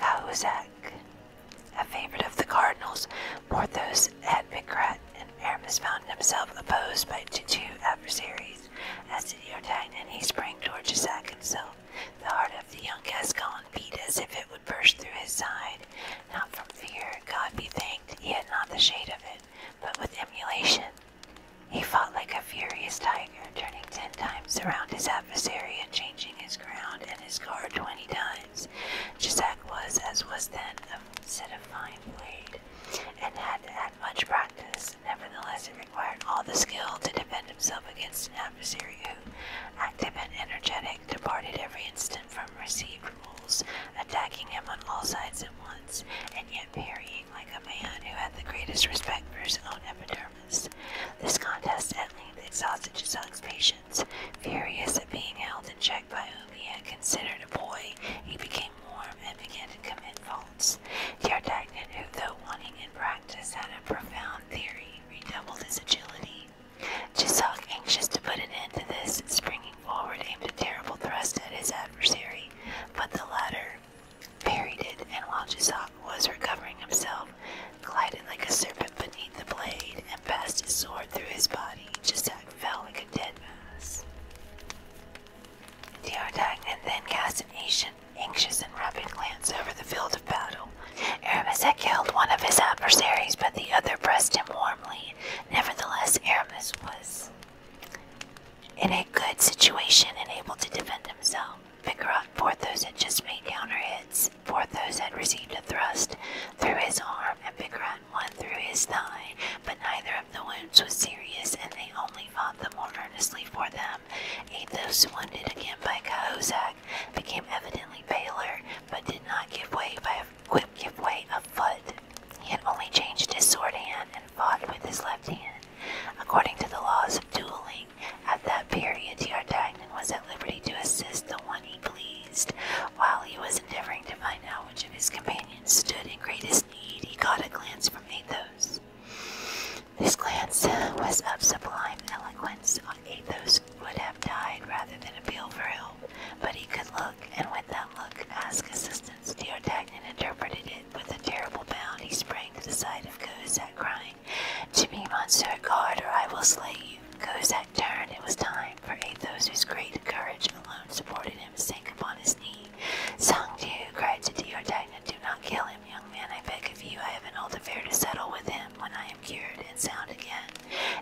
Cahusac, a favorite of the cardinal's. Porthos had Picrat and Aramis found himself opposed by two adversaries. As did D'Artagnan, he sprang towards Jussac himself. The heart of the young Gascon beat as if it would burst through his side. Not from fear, God be thanked, he had not the shade of it, but with emulation. He fought like a furious tiger, turning ten times around his adversary and changing his ground and his guard twenty times. Jussac was, as was then, a set of and had much practice. Nevertheless, it required all the skill to defend himself against an adversary who, active and energetic, departed every instant from received rules, attacking him on all sides at once, and yet parrying like a man who had the greatest respect for his own epidermis. This contest at length exhausted Giselle's patience. Furious at being held in check by whom he had considered a boy, he became warm and began to commit faults. Yardagnan, who, though wanting in practice, had a profound theory, redoubled his agility. Chisok, anxious to put an end to this, springing forward, aimed a terrible thrust at his adversary, but the latter parried it, and while Chisok was recovering himself, glided like a serpent beneath the blade and passed his sword through his body. Chisok fell like a dead mass. Theodagnant then cast an anxious and rapid glance over the field of battle. Aramis had killed one of his adversaries, but the other pressed him warmly. Nevertheless, Aramis was in a good situation and able to defend himself. Picarot Porthos had just made counter hits. Porthos had received a thrust through his arm, and Picarot through his thigh, but neither of the wounds was serious, and they only fought the more earnestly for them. Athos, wounded again by Cahusac, became evidently paler, but did not give way by a quick giveaway of foot. He had only changed his sword hand and fought with his left hand. According to the laws of dueling, at that period D'Artagnan was at liberty to assist the one he pleased, while he was endeavoring to find out which of his companions stood in greatest he caught a glance from Athos. This glance uh, was of sublime eloquence. Athos would have died rather than appeal for help, but he could look, and with that look, ask assistance. D'Artagnan interpreted it. With a terrible bound, he sprang to the side of Cahusac, crying, "To me, Monsieur, guard, or I will slay you!" Cahusac turned. It was time for Athos, whose great courage alone supported him him sank upon his knee. Song cried to Diordaina, Do not kill him, young man, I beg of you. I have an old affair to settle with him when I am cured and sound again.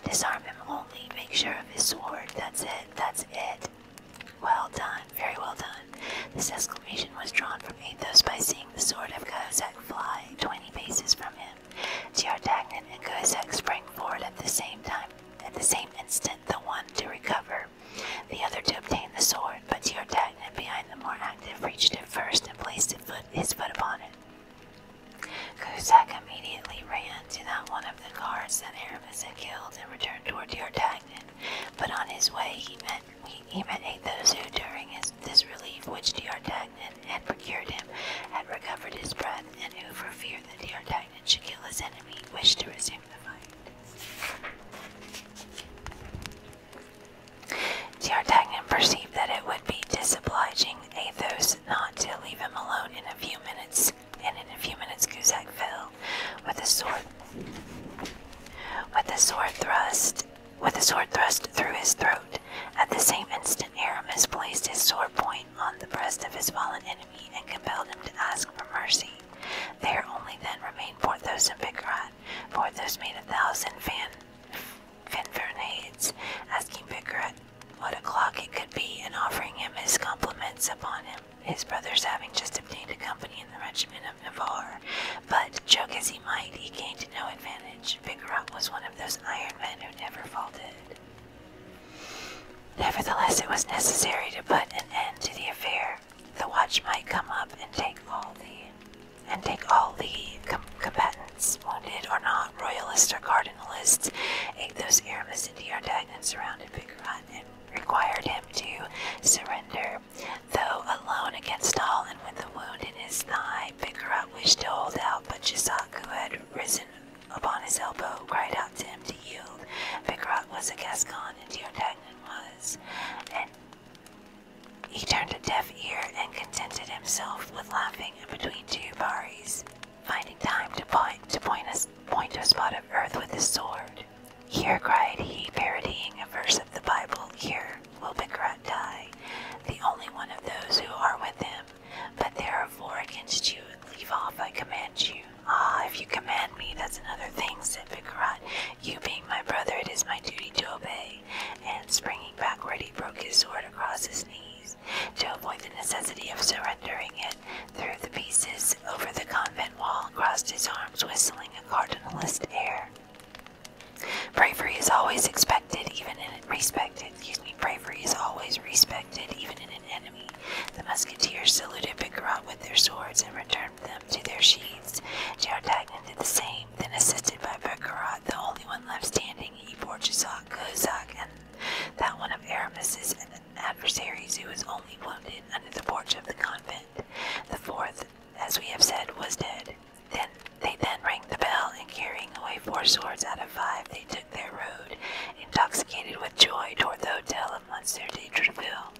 Disarm him only, make sure of his sword. That's it, that's it. Well done, very well done. This exclamation was drawn from Athos by seeing the sword of Kozak fly twenty paces from him. Diartagnan and Kozak sprang forward at the same time, at the same instant, the one to recover the other to obtain the sword, but Teartagnan, behind the more active, reached it first and placed foot, his foot upon it. Kuzak immediately ran to that one of the guards that Aramis had killed and returned toward Teartagnan, but on his way he met he, he met Athos, who, during his, this relief which D'Artagnan had procured him, had recovered his breath, and who, for fear that D'Artagnan should kill his enemy, wished to resume the fight. D'Artagnan perceived that it would be disobliging Athos not to leave him alone in a few minutes, and in a few minutes Guzak fell with a sword with a sword thrust with a sword thrust through his throat. At the same instant Aramis placed his sword point on the breast of his fallen enemy and compelled him to ask for mercy. There only then remained Porthos and Bicarat. Porthos made a thousand fan, fanfarnades, asking Bicarat what o'clock it could be and offering him his compliments upon him, his brothers having just obtained a company in the regiment of Navarre. But, joke as he might, he gained no advantage. Bicarat was one of those iron men who never faltered. Nevertheless, it was necessary to put an end to the affair the watch might come up and take all the and take all the combatants, wounded or not, royalists or cardinalists. Athos, Aramis, and D'Artagnan surrounded Bicarat and required him to surrender. Though alone against all, and with a wound in his thigh, Bicarat wished to hold out, but Jussac, who had risen upon his elbow, cried out to him to yield. Bicarat was a Gascon, and D'Artagnan was, and he turned a deaf ear and contented himself with laughing in between two baris, finding time to point to point a, spot of earth with his sword. Here, cried he, parodying a verse of the Bible, here will Bikarat die, the only one of those who are with him. But there are four against you, leave off, I command you. Ah, if you command me, that's another thing, said Vicarat. You being my brother, it is my duty to obey. And springing backward, he broke his sword across his knees. To avoid the necessity of surrendering it, threw the pieces over the convent wall and crossed his arms, whistling a cardinalist air. Bravery is always expected, even in respected. Excuse me, bravery is always respected, even in an enemy. The musketeers saluted Bicarat with their swords and returned them to their sheets. Jarotagnan did the same, then assisted by Bergerat, the only one left standing, he bore Jussac, Kozak, and that one of Aramis's adversaries who was only wounded under the porch of the convent. The fourth, as we have said, was dead. Then they then rang the bell, and carrying away four swords out of five, they took their road, intoxicated with joy, toward the hotel of Monsieur de Treville.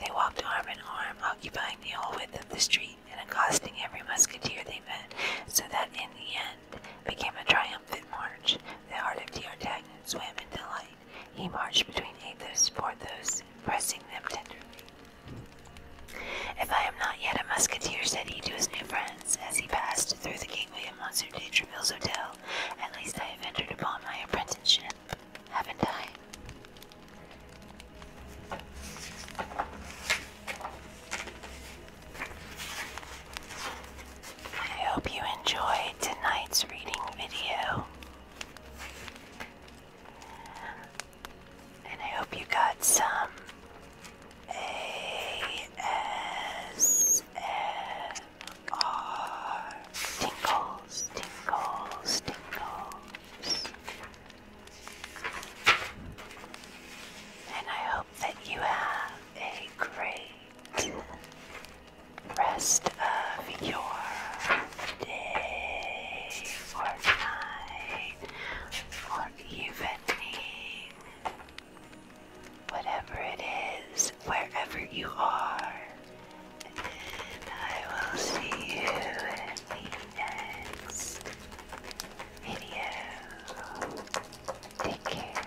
They walked arm in arm, occupying the whole width of the street and accosting every musketeer they met, so that in the end became a triumphant march. The heart of D'Artagnan swam in delight. He marched between Athos and Porthos, pressing them tenderly. If I am not yet a musketeer, said he to his new friends, as he passed through the gateway of Monsieur de Tréville's hotel, at least I have entered upon my apprenticeship haven't I? I hope you enjoyed tonight's reading video. And I hope you got some ASMR Tinkles, tinkles, tinkles, And I hope that you have a great rest of your day or night or evening. Whatever it is, wherever you are, I will see you in the next video. Take care.